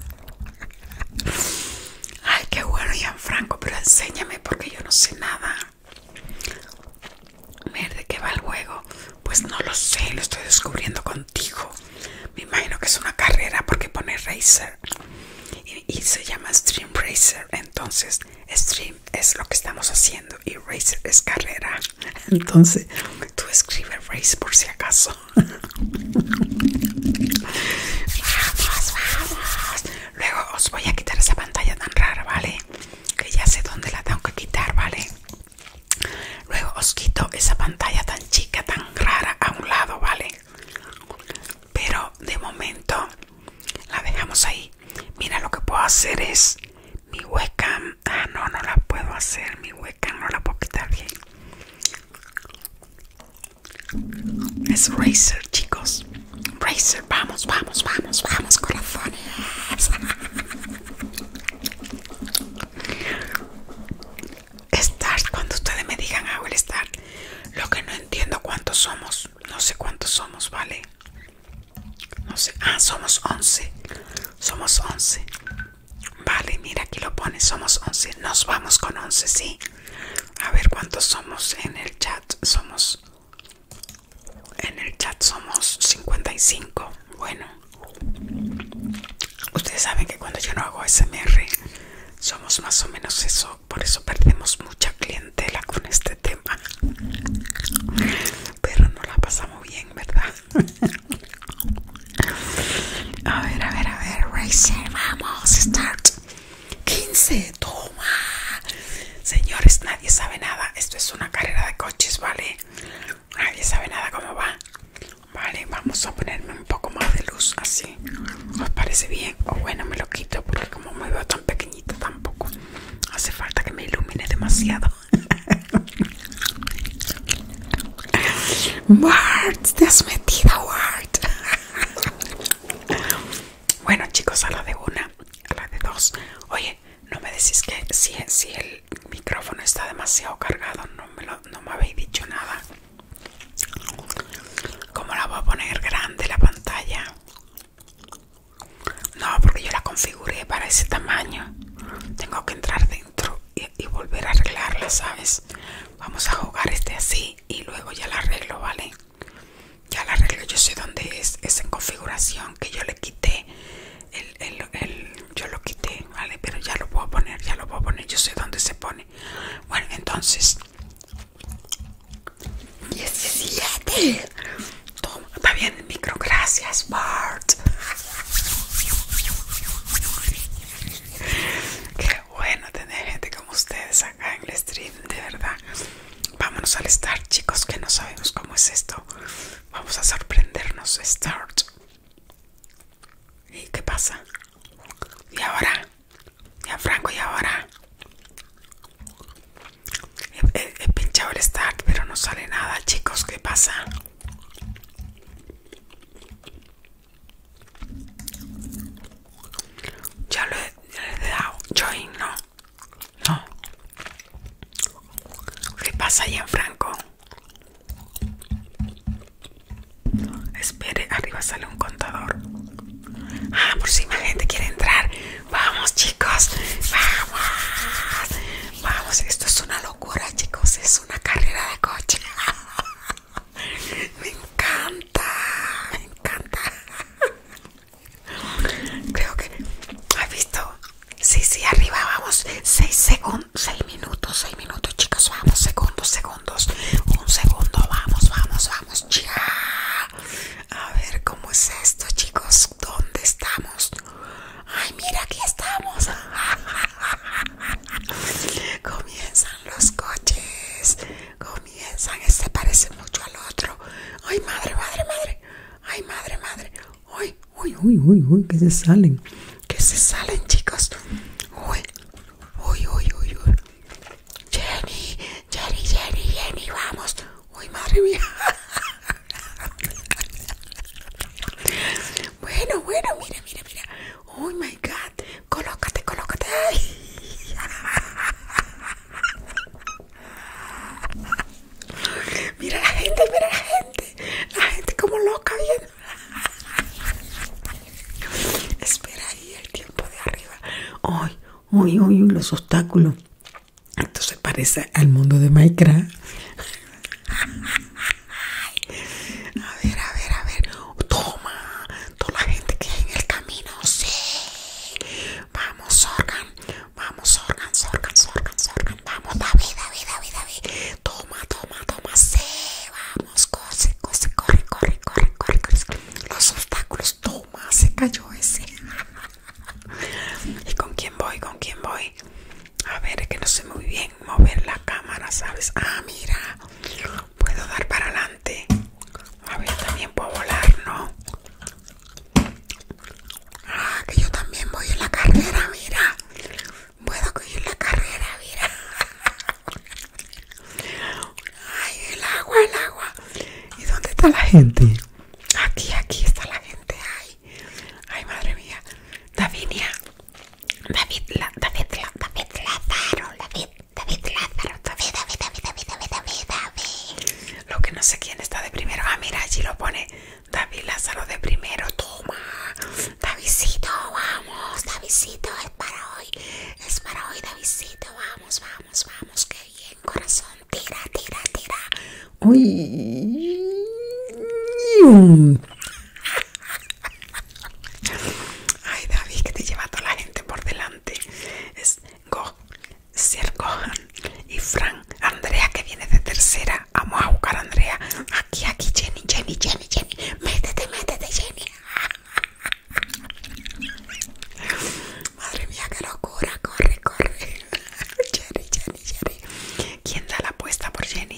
Ay, qué bueno, Gianfranco, pero enséñame porque yo no sé nada. ver ¿de qué va el juego? Pues no lo sé, lo estoy descubriendo contigo. Me imagino que es una carrera porque pone Racer y, y se llama Stream Racer. Entonces, Stream es lo que estamos haciendo y Racer es carrera. Entonces, tú escribes Race por si acaso. Vamos, vamos. Luego os voy a quitar esa pantalla tan rara, ¿vale? Que ya sé dónde la tengo que quitar, ¿vale? Luego os quito esa pantalla tan chica, tan rara a un lado, ¿vale? Pero de momento la dejamos ahí. Mira, lo que puedo hacer es mi webcam ah no no la puedo hacer mi webcam no la puedo quitar bien es Razer chicos Razer vamos vamos vamos vamos corazones star cuando ustedes me digan hago ah, el star lo que no entiendo cuántos somos no sé cuántos somos vale no sé, ah, somos 11. Somos 11. Vale, mira, aquí lo pone, somos 11. Nos vamos con 11, ¿sí? A ver cuántos somos en el chat. Somos... En el chat somos 55. Bueno. Ustedes saben que cuando yo no hago SMR somos más o menos eso. Por eso perdemos mucha clientela con este tema pero no la pasamos bien, ¿verdad? a ver, a ver, a ver, racing, vamos, start. 15, toma. Señores, nadie sabe nada. Esto es una carrera de coches, ¿vale? Nadie sabe nada cómo va. Vale, vamos a ponerme un poco más de luz así. ¿Os parece bien? O bueno, me lo quito porque como me veo tan pequeñita tampoco. Hace falta que me ilumine demasiado. Wart te has metido, Wart bueno, chicos, a la de una, a la de dos. Oye, no me decís que si, el micrófono está demasiado cargado, no me, no me habéis dicho nada. ¿Cómo la voy a poner grande la pantalla? No, porque yo la configuré para ese tamaño. Tengo que entrar dentro y, volver a arreglarla, ¿sabes? Vamos a jugar este así y luego ya la arreglo, ¿vale? Ya la arreglo, yo sé dónde es. Es en configuración que yo le quité. El, yo lo quité, ¿vale? Pero ya lo puedo poner, ya lo puedo poner. Yo sé dónde se pone. Bueno, entonces... 17 Toma, va bien micro, gracias Bart. Qué bueno tener gente como ustedes acá en el stream, de verdad. Vámonos al start, chicos, que no sabemos cómo es esto. Vamos a sorprendernos, start. ¿Y qué pasa? ¿Y ahora? ¿Ya Franco? ¿Y ahora? He, pinchado el start, pero no sale nada, chicos. ¿Qué pasa? Ya lo he, dado join, ¿no? No. ¿Qué pasa ahí en Franco? Espere, arriba sale un contador. Ah, por si más gente quiere entrar. Vamos, chicos. Vamos. Vamos, esto es una chicos. Es una carrera de coche. me encanta, me encanta. Creo que has visto. Sí, sí, arriba vamos. 6 segundos, 6 minutos, 6 minutos, chicos. Vamos, segundos, segundos. Un segundo, vamos, vamos, vamos. Ya. A ver cómo es esto, chicos. ¿Dónde estamos? Ay, mira, aquí estamos. Comienzan los coches. Comienzan. Este parece mucho al otro. Ay, madre, madre, madre. Ay, madre, madre. Uy, uy, uy, uy, uy, que se salen. Que se salen, chicos. Uy, uy, uy, uy, uy. Jenny, Jenny, Jenny, Jenny, vamos. Uy, madre mía. Bueno, bueno, mira, mira, mira. Oh my god. Colócate, colócate. Mira la gente, mira la gente. La gente como loca Espera ahí el tiempo de arriba. Ay, uy, uy, uy, los obstáculos. Esto se parece al mundo de Minecraft. A ver, a ver, a ver. Toma. Toda la gente que hay en el camino. Sí. Vamos, organ, Vamos, Sorgan, Sorgan, Sorgan, Vamos, David, David, David, Toma, toma, toma. Sí. Vamos, cose, cose, corre, corre, corre, corre, corre. Los obstáculos. Toma, se cayó ese. ¿Y con quién voy? ¿Con quién voy? A ver, es que no sé muy bien mover la cámara, ¿sabes? Ah, mira, puedo dar para adelante. A ver, también puedo volar, ¿no? Ah, que yo también voy en la carrera, mira. Puedo en la carrera, mira. Ay, el agua, el agua. ¿Y dónde está la gente? Aquí, aquí está la gente. Ay, Ay, madre mía. Davinia. David, la, David, la, David Lázaro. David, David Lázaro. David, David, David, David, David, David, David. Lo que no sé quién está de primero. Ah, mira, allí lo pone. David Lazaro de primero. Toma. Davidcito, vamos. Davidcito, es para hoy. Es para hoy, Davidcito. Vamos, vamos, vamos. Qué bien, corazón. Tira, tira, tira. Uy. Ay, David, que te lleva toda la gente por delante. Es Go, Sir y Fran. Andrea, que viene de tercera. Vamos a buscar a Andrea. Aquí, aquí, Jenny, Jenny, Jenny, Jenny. Métete, métete, Jenny. Madre mía, qué locura. Corre, corre. Jenny, Jenny, Jenny. ¿Quién da la apuesta por Jenny?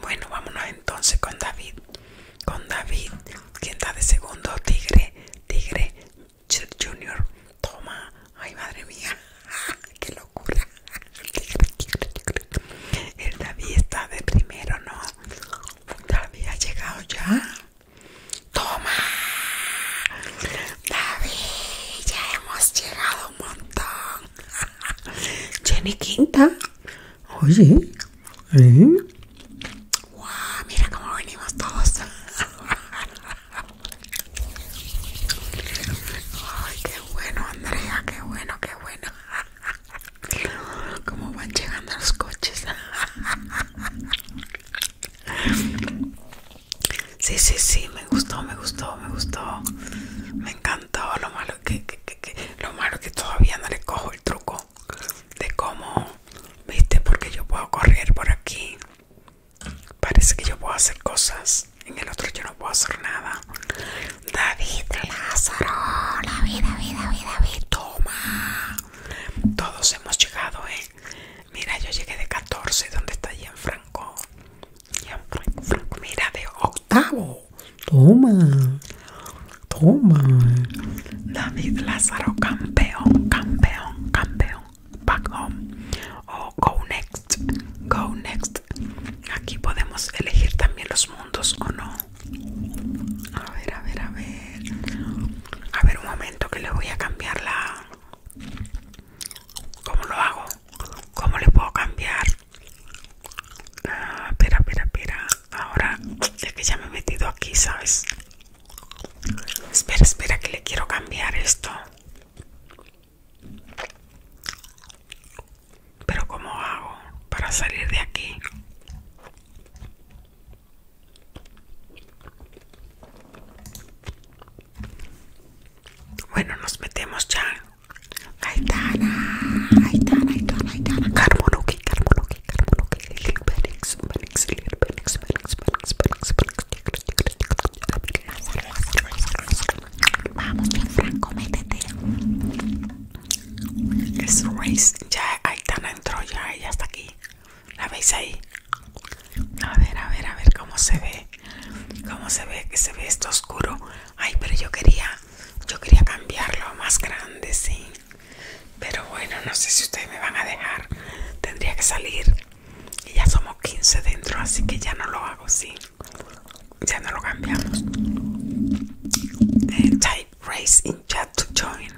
Bueno, vámonos entonces con David. Con David, quien está de segundo, Tigre, Tigre Junior. Toma, ay madre mía, qué locura. tigre, El David está de primero, ¿no? David ha llegado ya. Toma, David, ya hemos llegado un montón. Jenny Quinta. Oye. ¿eh? mira cómo venimos todos. Ay, qué bueno, Andrea, qué bueno, qué bueno. Cómo van llegando los coches. Sí, sí, sí, me gustó, me gustó, me gustó. Me encantó lo malo que, lo malo es que todavía no le cojo el truco de cómo, viste, porque yo puedo correr por aquí. Parece que yo puedo hacer cosas, en el otro yo no puedo hacer nada. David Lázaro, David, David, David, David, toma. Todos hemos llegado, eh. Mira, yo llegué de 14, ¿dónde está Allí en Franco, mira, de octavo. Toma, toma. David Lázaro, campeón, campeón, campeón. Back home. O oh, go next, go next. Aquí podemos elegir también los mundos o no. A ver, a ver, a ver. A ver un momento que le voy a cambiar la... ¿Cómo lo hago? ¿Cómo le puedo cambiar? Ah, espera, espera, espera. Ahora ya que ya me he metido aquí, ¿sabes? Espera, espera, que le quiero cambiar esto. Pero ¿cómo hago para salir de aquí? Bueno, nos metemos ya Aitana, Aitana, Aitana, Aitana, Carmonuki, Lil Lil Vamos bien, Franco, métete. Es Race, ya Aitana entró, ya ella está aquí. ¿La veis ahí? A ver, a ver, a ver cómo se ve. Cómo se ve, que se ve esto oscuro. Ay, pero yo quería, yo quería cambiarlo a más grande, sí. Pero bueno, no sé si ustedes me van a dejar. Tendría que salir. Y ya somos 15 dentro, así que ya no lo hago, sí. Ya no lo cambiamos. Eh, type race in chat to join.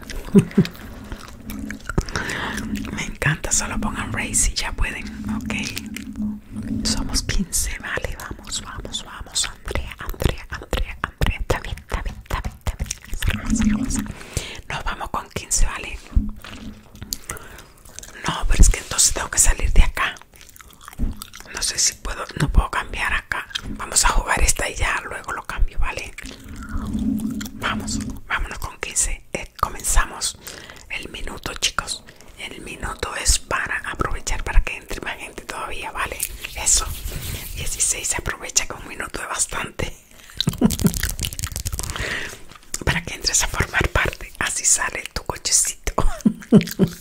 me encanta, solo pongan race y ya pueden, ok. Somos 15, vale, vamos, vamos, vamos. Andrea, Andrea, Andrea, Andrea. Está bien, está bien, Nos vamos con 15, ¿vale? No, pero es que entonces tengo que salir de acá. No sé si puedo, no puedo cambiar acá. Vamos a jugar esta y ya luego lo cambio, ¿vale? Vamos, vámonos con 15. Eh, comenzamos el minuto, chicos. El minuto es para aprovechar para que entre gente todavía, ¿vale? Eso, 16 se aprovecha que un minuto es bastante para que entres a formar parte, así sale tu cochecito.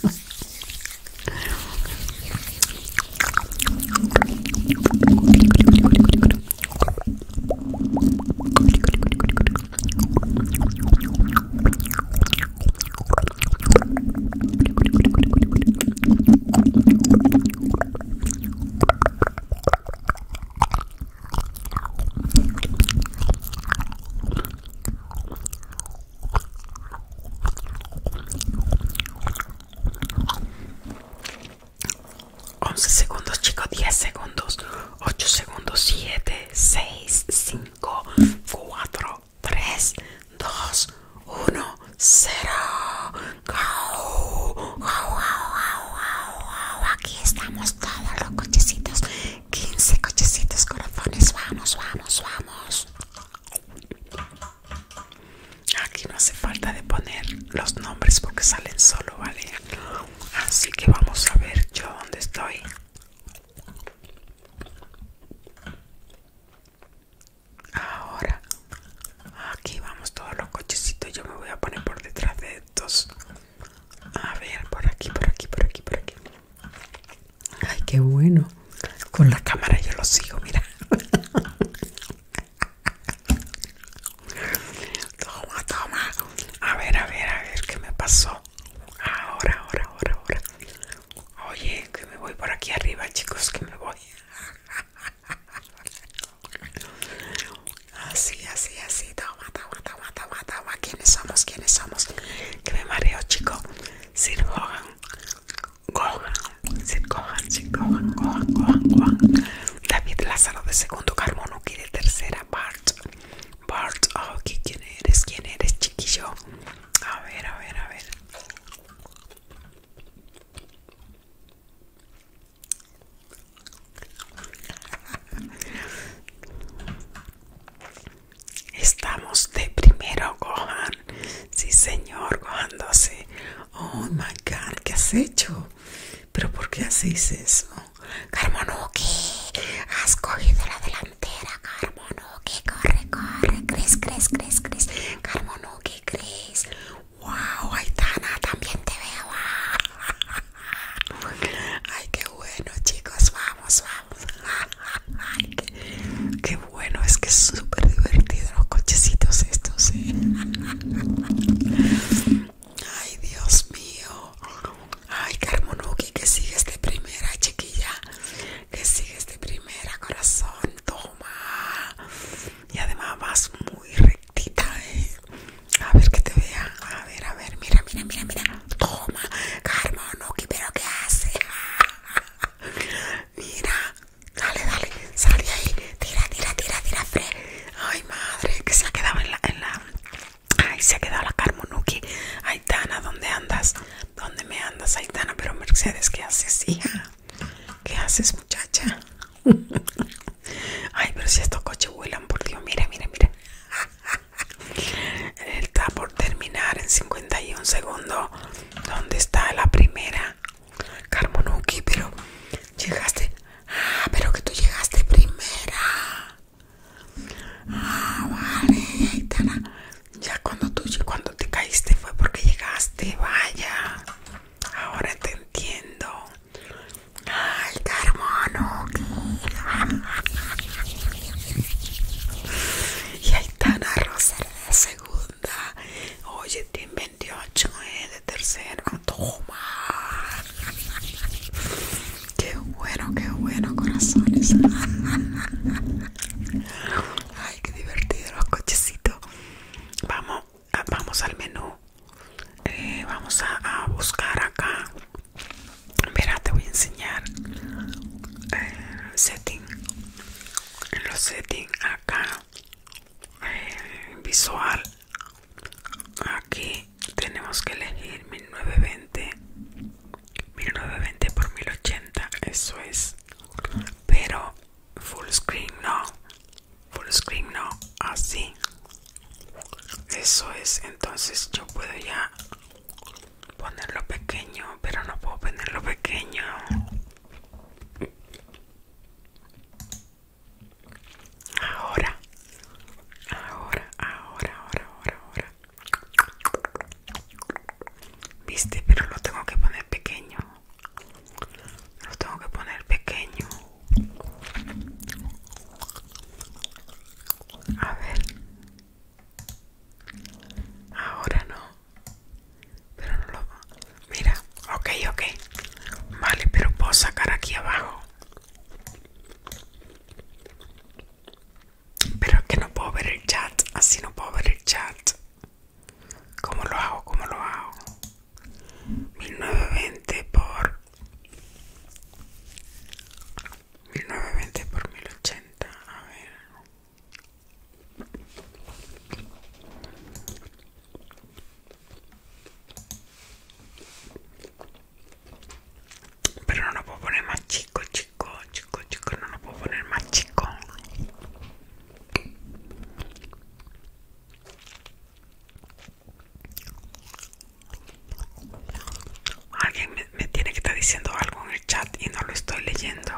11 segundos chicos, 10 segundos, 8 segundos, 7, 6, 5, 4, 3, 2, 1, 0. Aquí estamos todos los cochecitos. 15 cochecitos, corazones. Vamos, vamos, vamos. Aquí no hace falta de poner los nombres porque salen solo, ¿vale? Así que vamos a ver yo dónde estoy. Ahora, aquí vamos todos los cochecitos. Yo me voy a poner por detrás de estos. A ver, por aquí, por aquí, por aquí, por aquí. Ay, qué bueno. Con la cámara yo lo sigo, mira. Toma, toma. A ver, a ver, a ver, ¿qué me pasó? Ahora, ahora, ahora, ahora. Oye, que me voy por aquí arriba, chicos, que me voy. Así, así, así. Toma, toma, toma, toma, toma. ¿Quiénes somos? ¿Quiénes somos? Que me mareo, chico. Sir Gohan. Gohan. Sir Gohan, Sir Gohan, Gohan, Gohan, David Lázaro de segundo carbono quiere tercera. part, part. Oh, ¿quién eres? ¿Quién eres, chiquillo? A ver, a ver, a ver. Estamos de primero, Gohan. Sí, señor, Gohan Oh my god, ¿qué has hecho? ¿Pero por qué hacéis eso? qué has cogido la delantera, Carmon. Carmonuki, corre, corre, Cris, crees, Cris, Cris, Carmonuki, Cris. ¡Wow! Aitana, también te veo. ¡Ay, qué bueno, chicos! Vamos, vamos. qué, bueno, es que es súper divertido los cochecitos estos. ¿eh? Ay, Dios mío. Ay, Carmonuki, que sigues de primera, chiquilla. Que sigues de primera, corazón toma y además vas muy rectita ¿eh? a ver que te vea a ver a ver mira mira mira mira toma Carmonuki pero qué hace mira dale dale sale ahí tira tira tira tira ay madre que se ha quedado en la, ay se ha quedado la Carmonuki Aitana dónde andas dónde me andas Aitana pero Mercedes qué haces hija ¿Qué haces, muchacha? Ay, pero si estos coches vuelan, por Dios, mira, mira, mira. Está por terminar en 51 segundos. ¿Dónde está la primera? Carmonuki, pero llegaste. Ah, pero que tú llegaste primera. Ah, vale, ya cuando tú, cuando te caíste fue porque llegaste, vaya. Ahora te entiendo. Ay, qué hermano. Y ahí está la de segunda. Oye, tiene 28, eh, de tercero. Toma. Qué bueno, qué bueno, corazones. Ay, qué divertido los cochecitos vamos vamos al menú eh, vamos a, buscar acá mira te voy a enseñar eh, setting en los settings acá eh, visual aquí tenemos que elegir 1920 1920 por 1080 eso es pero full screen no full screen no así eso es entonces yo puedo ya ponerlo pequeño pero no puedo ponerlo pequeño ahora ahora ahora ahora ahora ahora viste pero lo tengo que poner pequeño lo tengo que poner pequeño a ver ahora no pero no lo mira ok ok vale pero puedo sacar aquí abajo pero es que no puedo ver el chat así no puedo ver el chat ¿Cómo lo hago? ¿Cómo lo hago? 1920 por 1920 por 1080, a ver. Pero no lo puedo poner más chico, chico, chico, chico, no lo puedo poner más chico. Alguien me, tiene que estar diciendo algo en el chat y no lo estoy leyendo.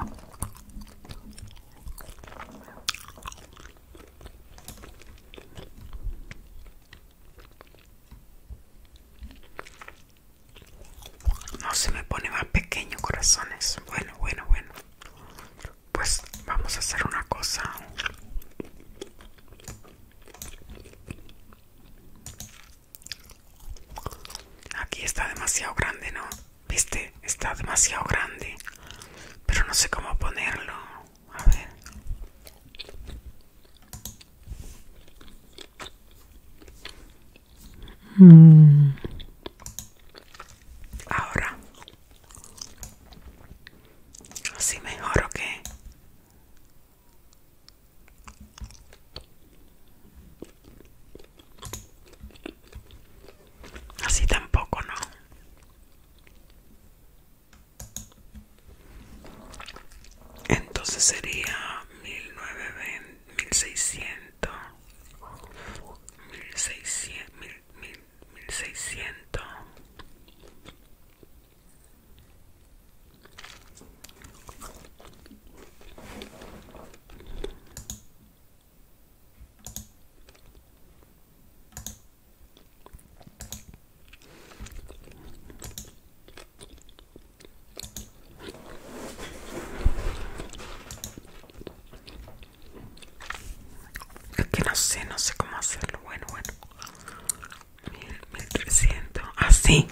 No se me pone más pequeño, corazones. Bueno, bueno, bueno pues vamos a hacer una cosa aquí está demasiado grande no viste está demasiado grande pero no sé cómo ponerlo a ver Ahora, así mejor o qué? Así tampoco, ¿no? Entonces sería mil nueve mil seiscientos mil seiscientos mil 1600 es que no sé, no sé cómo hacerlo. Bueno, bueno. 1300. Así.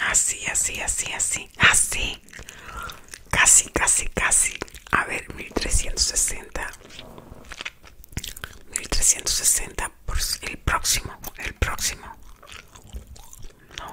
Así, así, así, así. Así. Casi, casi, casi. A ver, 1360. 1360 por el próximo. El próximo. No.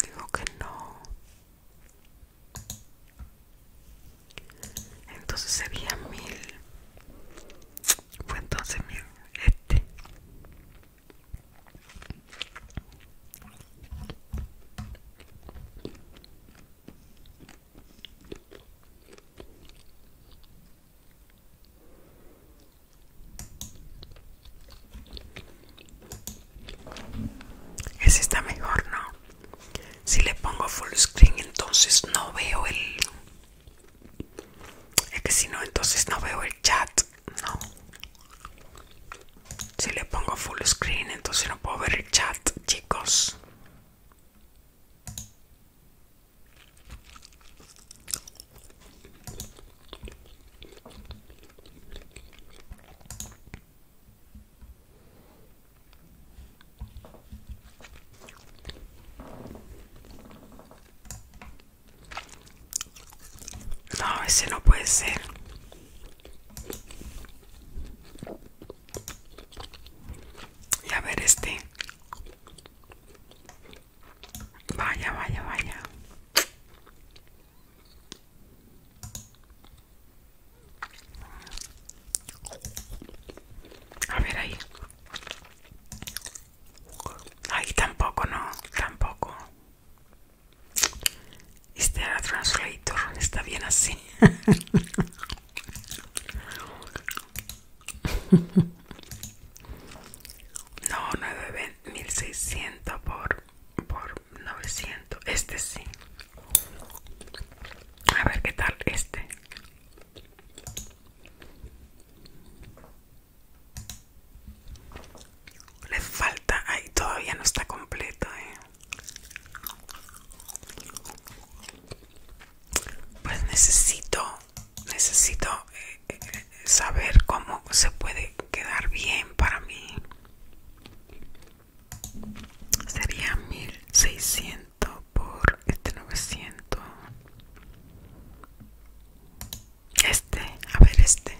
Digo que no. Entonces sería mil. Fue entonces mil. Este. Ese está mejor, ¿no? Si le pongo full screen, entonces no veo el. Es que si no, entonces no veo el chat. No. Si le pongo full screen, entonces no puedo ver el chat, chicos. No, ese no puede ser. Y a ver este. Vaya, vaya, vaya. A ver ahí. Ahí tampoco, no, tampoco. Este era translator, está bien así. No, 9.600 por, por 900 este sí a ver qué tal este le falta ahí todavía no está completo ¿eh? pues necesito necesito eh, eh, saber cómo se puede quedar bien para mí sería 1600 por este 900 este a ver este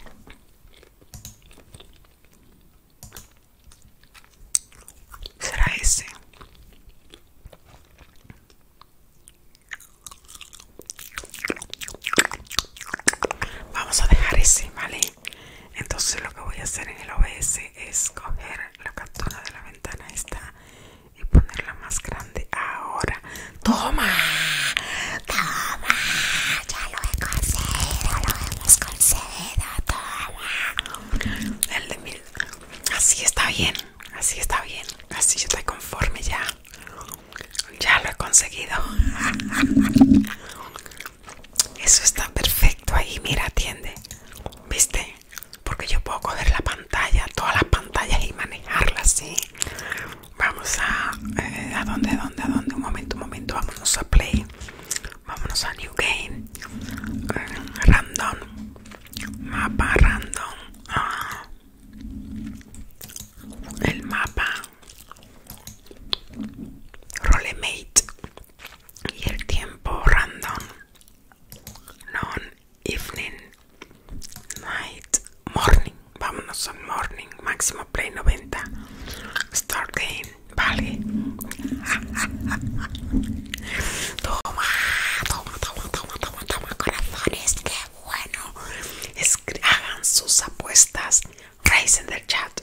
será ese vamos a dejar ese vale entonces lo que voy a hacer en el OBS es coger la cartona de la ventana esta y ponerla más grande ahora toma toma ya lo he conseguido lo hemos conseguido toma el de mil así está bien así está bien así yo estoy conforme ya ya lo he conseguido Eso está perfecto ahí, mira, atiende. ¿Viste? Porque yo puedo coger la pantalla, todas las pantallas y manejarlas, Vamos a... Eh, ¿A dónde, dónde, a dónde? Un momento, un momento. Vámonos a Play. Vámonos a New Game. Eh, random. Mapa random. Ah. El mapa. Rolemate y el tiempo random non evening night morning vámonos son morning máximo play 90 start game vale toma toma toma toma toma toma corazones que bueno hagan sus apuestas raise in the chat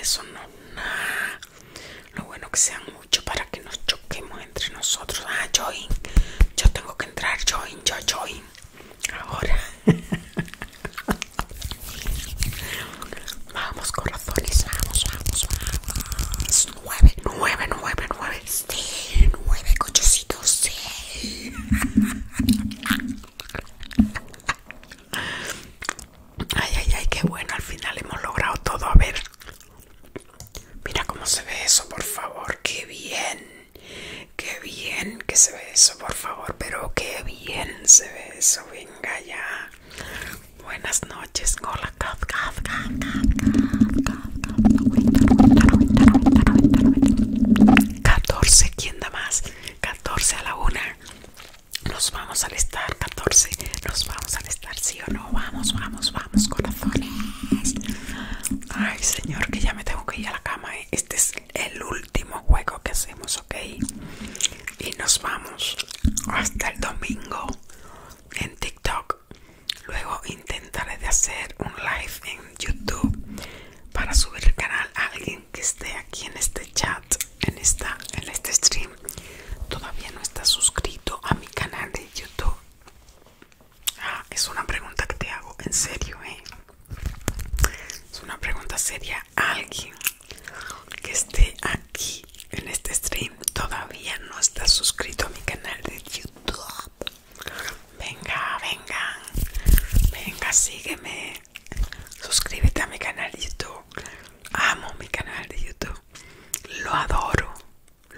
eso no, nada. Lo bueno que sean mucho para que nos choquemos entre nosotros. Ah, join. Yo tengo que entrar, join, yo join. Ahora. vamos, corazones, vamos, vamos, vamos. Nueve, nueve, nueve, nueve. Sí, nueve cochecitos, sí. Ay, ay, ay, qué bueno, al final hemos logrado todo. A ver, mira cómo se ve eso, por favor. Qué bien, qué bien que se ve eso, por favor. Pero qué bien se ve eso, venga ya. Buenas noches, hola, 14, ¿quién da más? 14 a la una nos vamos a estar 14. Nos vamos a estar sí o no. Vamos, vamos, vamos, corazones. Ay, señor, que ya me tengo que ir a la cama. ¿eh? Este es el último juego que hacemos, ¿ok? Y nos vamos hasta el domingo en TikTok. Luego intentaré de hacer un live en YouTube para subir el canal a alguien que esté aquí en este chat, en esta, en este stream, todavía no está suscrito a mi canal de YouTube? Ah, es una pregunta que te hago, en serio, eh. Es una pregunta seria. Alguien que esté aquí en este stream todavía no está suscrito a mi canal de YouTube. Venga, venga, venga, sígueme suscríbete a mi canal de YouTube. Amo mi canal de YouTube. Lo adoro.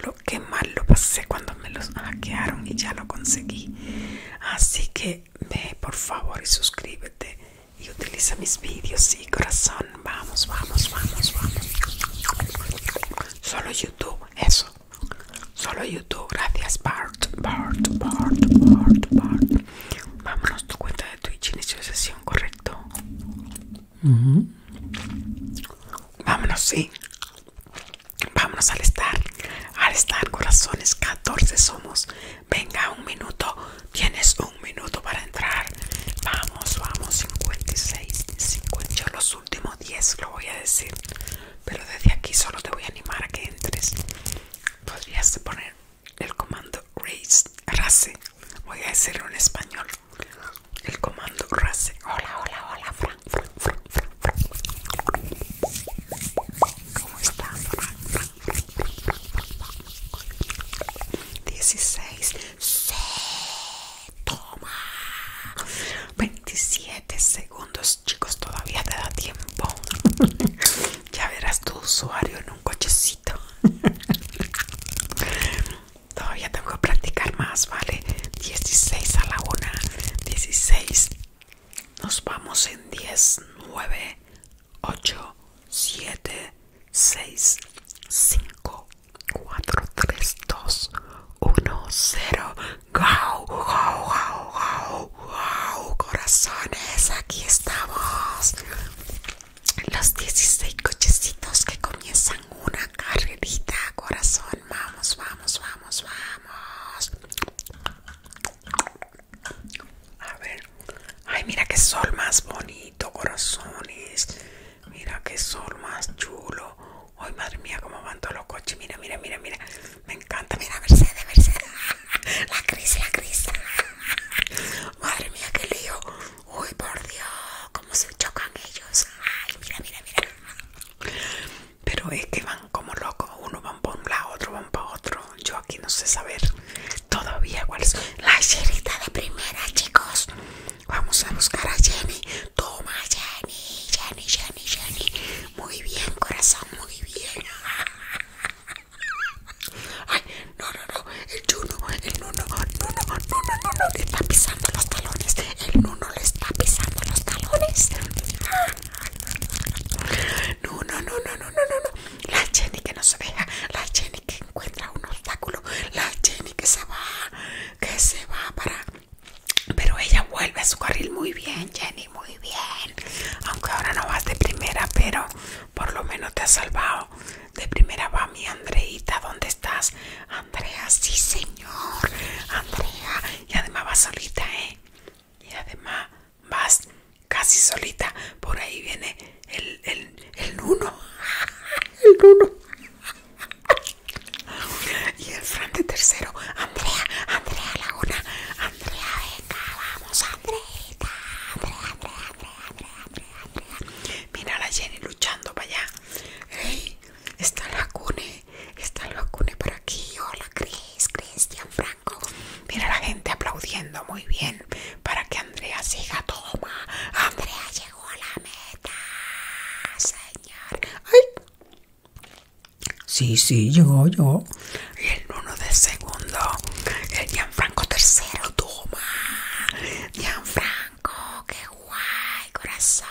Lo que mal lo pasé cuando me los hackearon y ya lo conseguí. Así que ve por favor y suscríbete y utiliza mis vídeos y sí, corazón. Vamos, vamos, vamos, vamos. Solo YouTube, eso. Solo YouTube. Gracias, Bart. Bart, Bart, Bart, Bart. Vámonos tu cuenta de Twitch. Inicio de sesión. ¿correcto? Vámonos, sí. Vámonos al estar. Al estar, corazones, 14 somos. Venga, un minuto. Tienes un minuto para entrar. Vamos, vamos, 56, 50. los últimos 10 lo voy a decir. Pero desde aquí solo te voy a animar a que entres. Podrías poner el comando race, race, voy a decirlo en español, el comando race, hola, hola, hola, Frank, Frank, Frank, Frank, ¿cómo estás? 16, se toma, 27 segundos, chicos, todavía te da tiempo. Ya verás tu usuario en un cochecito. Todavía tengo que practicar más, ¿vale? 16 a la 1, 16. Nos vamos en 10, 9, 8, 7, 6, 5, 4, 3, 2, 1, 0. ¡Gau, gau, gau, gau, gau! Corazones, aquí estamos los 16 cochecitos que comienzan una carrerita, corazón. Vamos, vamos, vamos, vamos. A ver. Ay, mira qué sol más bonito, corazones. Mira qué sol más chulo. Ay, madre mía, cómo van todos los coches. Mira, mira, mira, mira. Me encanta. Mira, Mercedes, Mercedes. La crisis, la crisis. Madre mía, qué lío. Uy, por Dios, cómo se chocan ellos. Ay, mira, mira, mira. Pero es que van como locos. Uno van para un lado, otro van para otro. Yo aquí no sé saber todavía cuál es. La Jenita de primera, chicos. Vamos a buscar a Jenny. Toma, Jenny, Jenny, Jenny, Jenny. Muy bien, corazón, muy bien. Ay, no, no, no, el Juno, el Nuno, Nuno, Nuno, Nuno, le está pisando los talones, el Nuno le está pisando los talones. No, no, no, no, no, no, no, la Jenny que no se deja, la Jenny que encuentra un obstáculo, la Jenny que se va, que se va para... Pero ella vuelve a su carril muy bien, Jenny, muy bien. Aunque ahora no vas de primera, pero por lo menos te has salvado. De primera va mi Andreita, ¿dónde estás? Andrea, sí señor, Andrea. Y además vas solita, ¿eh? Y además vas casi solita. Por ahí viene el, el, el uno. El uno. Y el Fran de tercero. Andrea, Andrea Laguna. Andrea, venga, vamos, Andreita. Andrea, Andrea. Mira a la Jenny luchando para allá. Hey, está el cune, está el cune por aquí. Hola, Cris, Cristian Franco. Mira a la gente aplaudiendo muy bien para que Andrea siga toma. Andrea llegó a la meta, señor. Ay. Sí, sí, llegó, llegó. Y el uno de segundo, el Franco tercero, toma. Gianfranco, qué guay, corazón.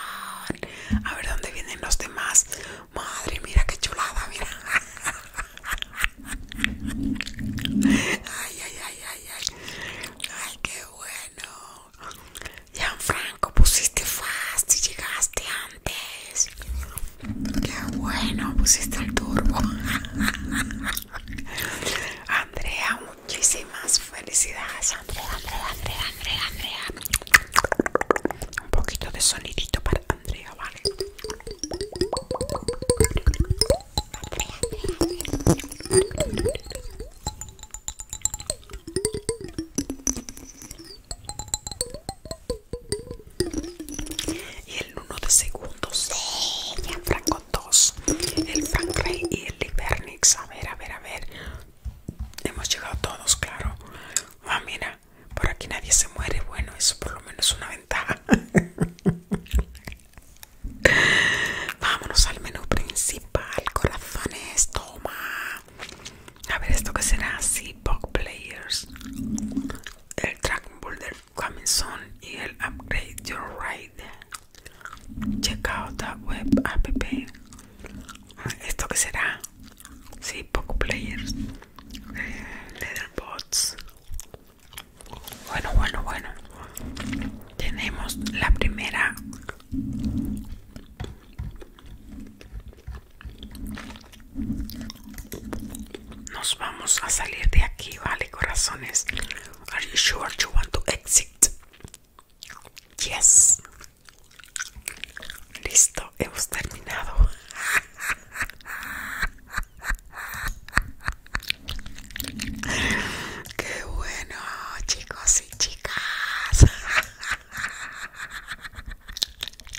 A ver dónde vienen los demás. Madre, mira qué chulada, mira. Ay, ay, ay, ay, ay. Ay, qué bueno. Gianfranco, pusiste fast y llegaste antes. Qué bueno, pusiste el turbo. Andrea, muchísimas felicidades. Andrea, Andrea, Andrea, Andrea, Un poquito de sonidito para Andrea, ¿vale? Y el 1 de segundos, sí, Franco dos: el Frank y el libernix, A ver, a ver, a ver. Hemos llegado todos, claro. Ah, mira, por aquí nadie se muere. Bueno, eso por lo menos es una ventaja. Vámonos al menú principal, corazones. Toma. A ver, esto que será: pop Players. El Dragon Ball del coming soon y el upgrade your ride check out the web app ah, esto que será Si, poco players eh, bots bueno bueno bueno tenemos la primera nos vamos a salir de aquí, vale, corazones. Are you sure you want to exit? Yes. Listo, hemos terminado. Qué bueno, chicos y chicas.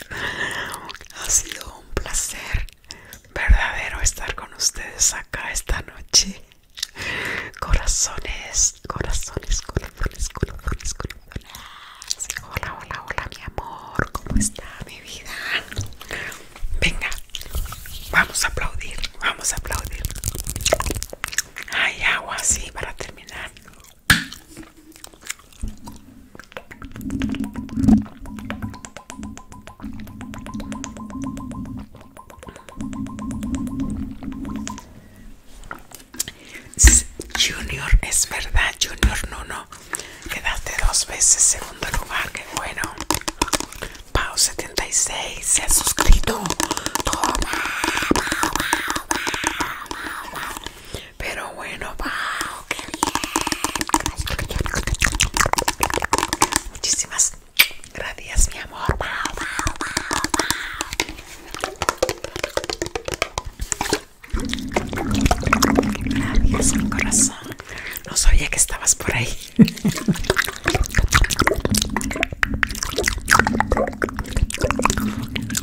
Ha sido un placer verdadero estar con ustedes acá esta noche. Corazones, corazones, corazones, corazones, corazones. Hola, hola, hola, mi amor. ¿Cómo está mi vida? Venga, vamos a aplaudir, vamos a aplaudir. Hay agua así para terminar. Junior, es verdad, Junior Nuno. Quedaste dos veces segundo lugar, qué bueno. Pau 76 se ha suscrito. Pero bueno, Pau, qué bien. Muchísimas Gracias, mi amor. Gracias, mi corazón. No sabía que estabas por ahí.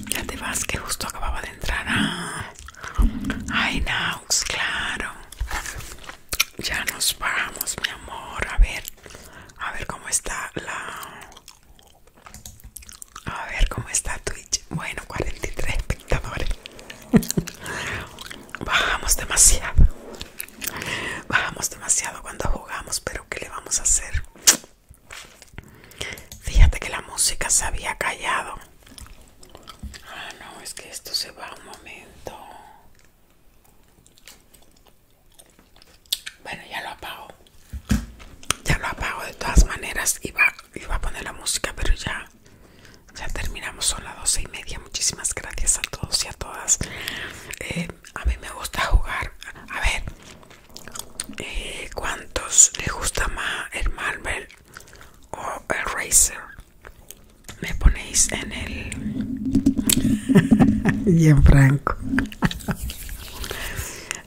Ya te vas, que justo acababa de entrar. Ah. Ay, naus claro ya nos vamos, mi amor. A ver, a ver cómo está la. A ver cómo está Twitch. Bueno, 43 espectadores. Bajamos demasiado. Bajamos demasiado cuando jugamos, pero ¿qué le vamos a hacer? Fíjate que la música se había callado. Ah, no, es que esto se va un momento. Bueno, ya lo apago. Ya lo apago de todas maneras. Iba, va a poner la música, pero ya, ya terminamos. Son las doce y media. Muchísimas gracias a todos y a todas. Eh, a mí me gusta jugar. A ver, eh, ¿cuántos les gusta más el Marvel o el Racer? me ponéis en el bien franco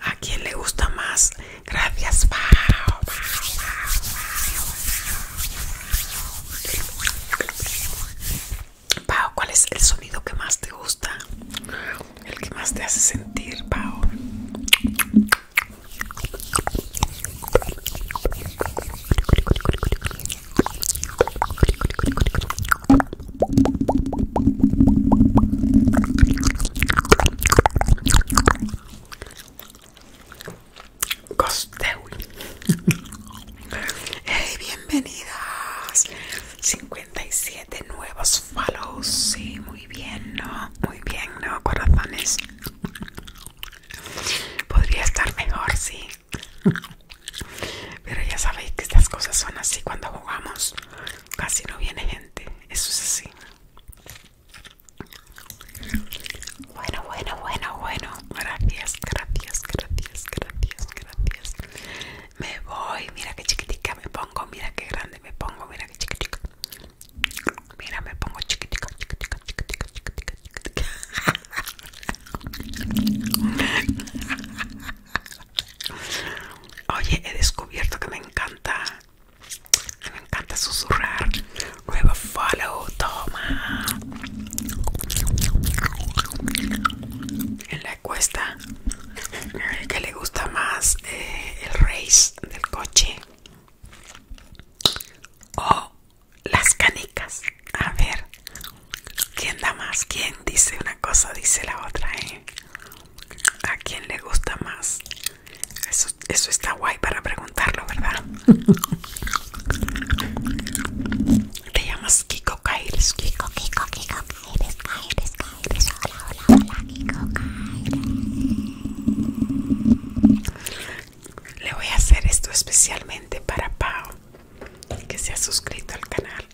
a quién le gusta más gracias Pau, Pau, cuál es el sonido que más te gusta el que más te hace sentir Pau hey, bienvenidas. 57 nuevos follows. Sí, muy bien, ¿no? Muy bien, ¿no? Corazones. Podría estar mejor, sí. Pero ya sabéis que estas cosas son así cuando jugamos. Casi no viene gente. Eso es así. Bueno, bueno, bueno, bueno. Gracias, gracias, gracias, gracias, gracias. Me voy. Mira que chiquitica me pongo. Mira que grande me pongo. Mira qué chiquitica. Mira, me pongo chiquitica, chiquitica, chiquitica, chiquitica, chiquitica. Oye, he descubierto que me encanta. me encanta susurrar. Nueva follow, toma. En la encuesta, que le gusta más eh, el race del coche o las canicas. A ver. ¿Quién da más? ¿Quién dice una cosa, dice la otra? Eh? ¿A quién le gusta más? Eso, está guay para preguntarlo, ¿verdad? Te llamas Kiko Kiko, Kiko, Kiko Kaires, Hola, hola, hola, Kiko Le voy a hacer esto especialmente para Pau, que se ha suscrito al canal.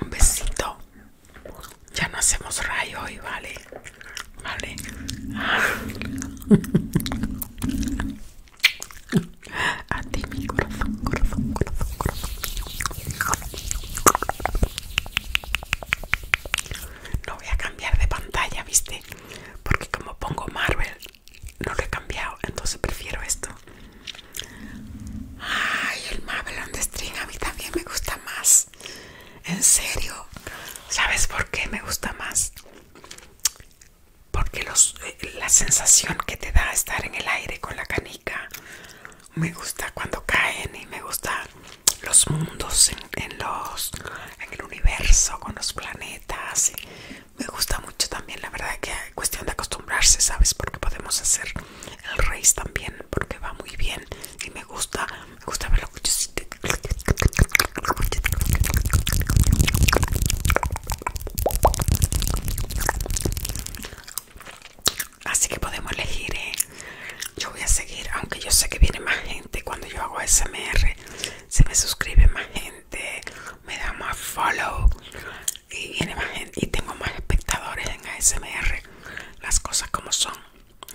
Un besito. Ya no hacemos rayo Y vale. Vale. A ti mi corazón, corazón, corazón, corazón. No voy a cambiar de pantalla, ¿viste? Porque como pongo Marvel, no lo he cambiado, entonces prefiero esto. Ay, el Marvel on the String a mí también me gusta más. En serio, ¿sabes por qué me gusta más? Porque eh, la sensación que te da estar en el aire con la canica me gusta cuando caen y me gusta los mundos en, los en el universo con los planetas me gusta mucho también la verdad que es cuestión de acostumbrarse sabes porque podemos hacer el rey también porque va muy bien y me gusta me gusta ver Así que podemos elegir, ¿eh? Yo voy a seguir, aunque yo sé que viene más gente cuando yo hago ASMR Se me suscribe más gente, me da más follow y viene más gente. Y tengo más espectadores en ASMR. Las cosas como son,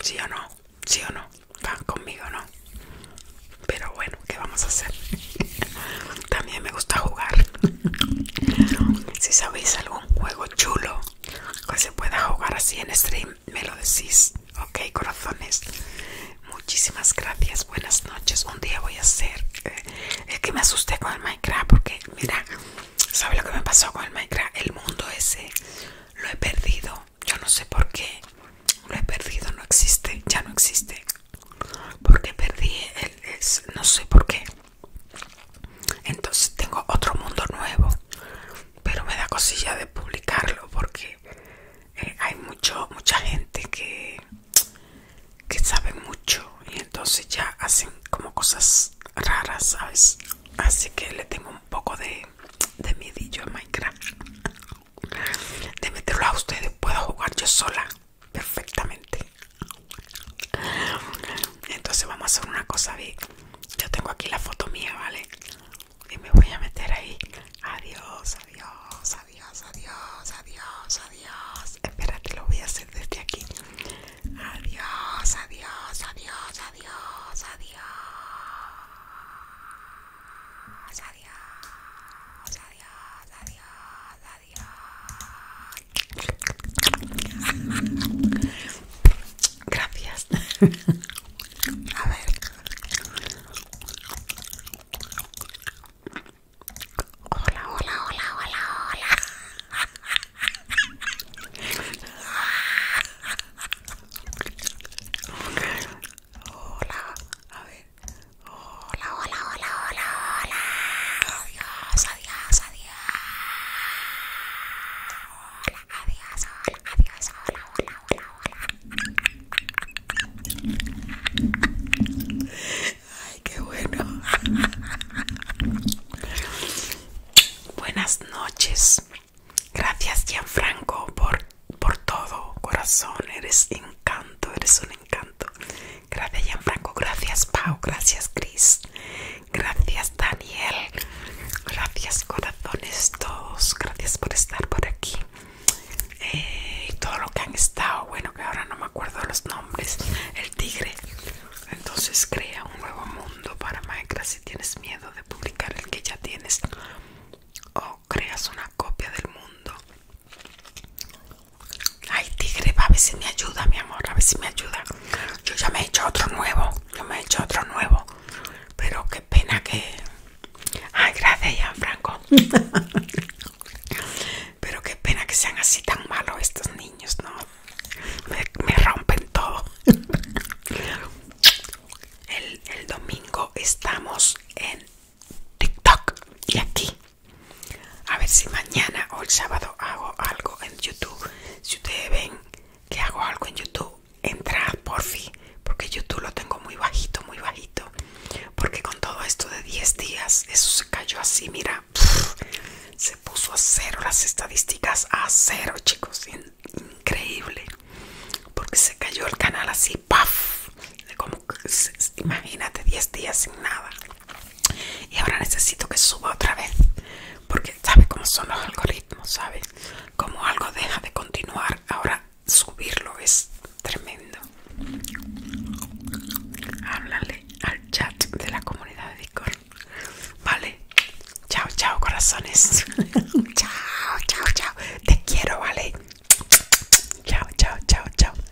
¿sí o no? ¿Sí o no? Van conmigo, ¿no? Pero bueno, ¿qué vamos a hacer? También me gusta jugar. si sabéis algún juego chulo que se pueda jugar así en stream me lo decís ok corazones muchísimas gracias buenas noches un día voy a hacer eh, es que me asusté con el minecraft porque mira sabe lo que me pasó con el minecraft el mundo ese lo he perdido yo no sé por qué lo he perdido no existe ya no existe porque perdí no sé por qué entonces tengo otro mundo nuevo, pero me da cosilla de publicarlo porque eh, hay mucho, mucha gente que, sabe mucho y entonces ya hacen como cosas raras, ¿sabes? Así que le tengo un poco de, de a Minecraft. De meterlo a ustedes, puedo jugar yo sola perfectamente. Entonces vamos a hacer una cosa, Yo tengo aquí la foto mía, ¿vale? Y me voy a meter ahí. Adiós, adiós, adiós, adiós, adiós, adiós. Espérate, lo voy a hacer desde aquí. Adiós, adiós, adiós, adiós, adiós. Adiós, adiós, adiós, adiós. Gracias. A ver. Hola, hola, hola, hola, hola. Hola, a ver. Hola, hola, hola, hola, hola. adiós adiós, adiós, hola, Ay, qué bueno. Buenas noches. Gracias, Gianfranco, por, por todo, corazón. Eres encanto, eres un encanto. Gracias, Gianfranco. Gracias, Pau. Gracias, Cris Gracias Daniel. Gracias corazones todos. Gracias por estar por aquí. Eh, y todo lo que han estado. Bueno, que ahora no me acuerdo los nombres. El tigre. Entonces crea un nuevo mundo para Minecraft si tienes miedo de publicar el que ya tienes. O creas una copia del mundo. Ay, tigre, va a ver si me ayuda, mi amor, a ver si me ayuda. Yo ya me he hecho otro nuevo yo me he hecho otro nuevo pero qué pena que ay gracias Franco, pero qué pena que sean así tan malos estos niños no me, rompen todo el, el domingo estamos en TikTok y aquí a ver si mañana o el sábado hago algo en YouTube si ustedes ven que hago algo en YouTube, entrad por fin, porque YouTube lo tengo muy bajito, muy bajito. Porque con todo esto de 10 días, eso se cayó así, mira, se puso a cero las estadísticas, a cero, chicos, increíble. Porque se cayó el canal así, paf, imagínate 10 días sin nada. Y ahora necesito que suba otra vez porque sabe cómo son los algoritmos, sabes? Como algo deja de continuar, ahora subirlo es tremendo. Háblale al chat de la comunidad de Discord. Vale, chao, chao, corazones. chao, chao, chao. Te quiero, vale. Chao, chao, chao, chao.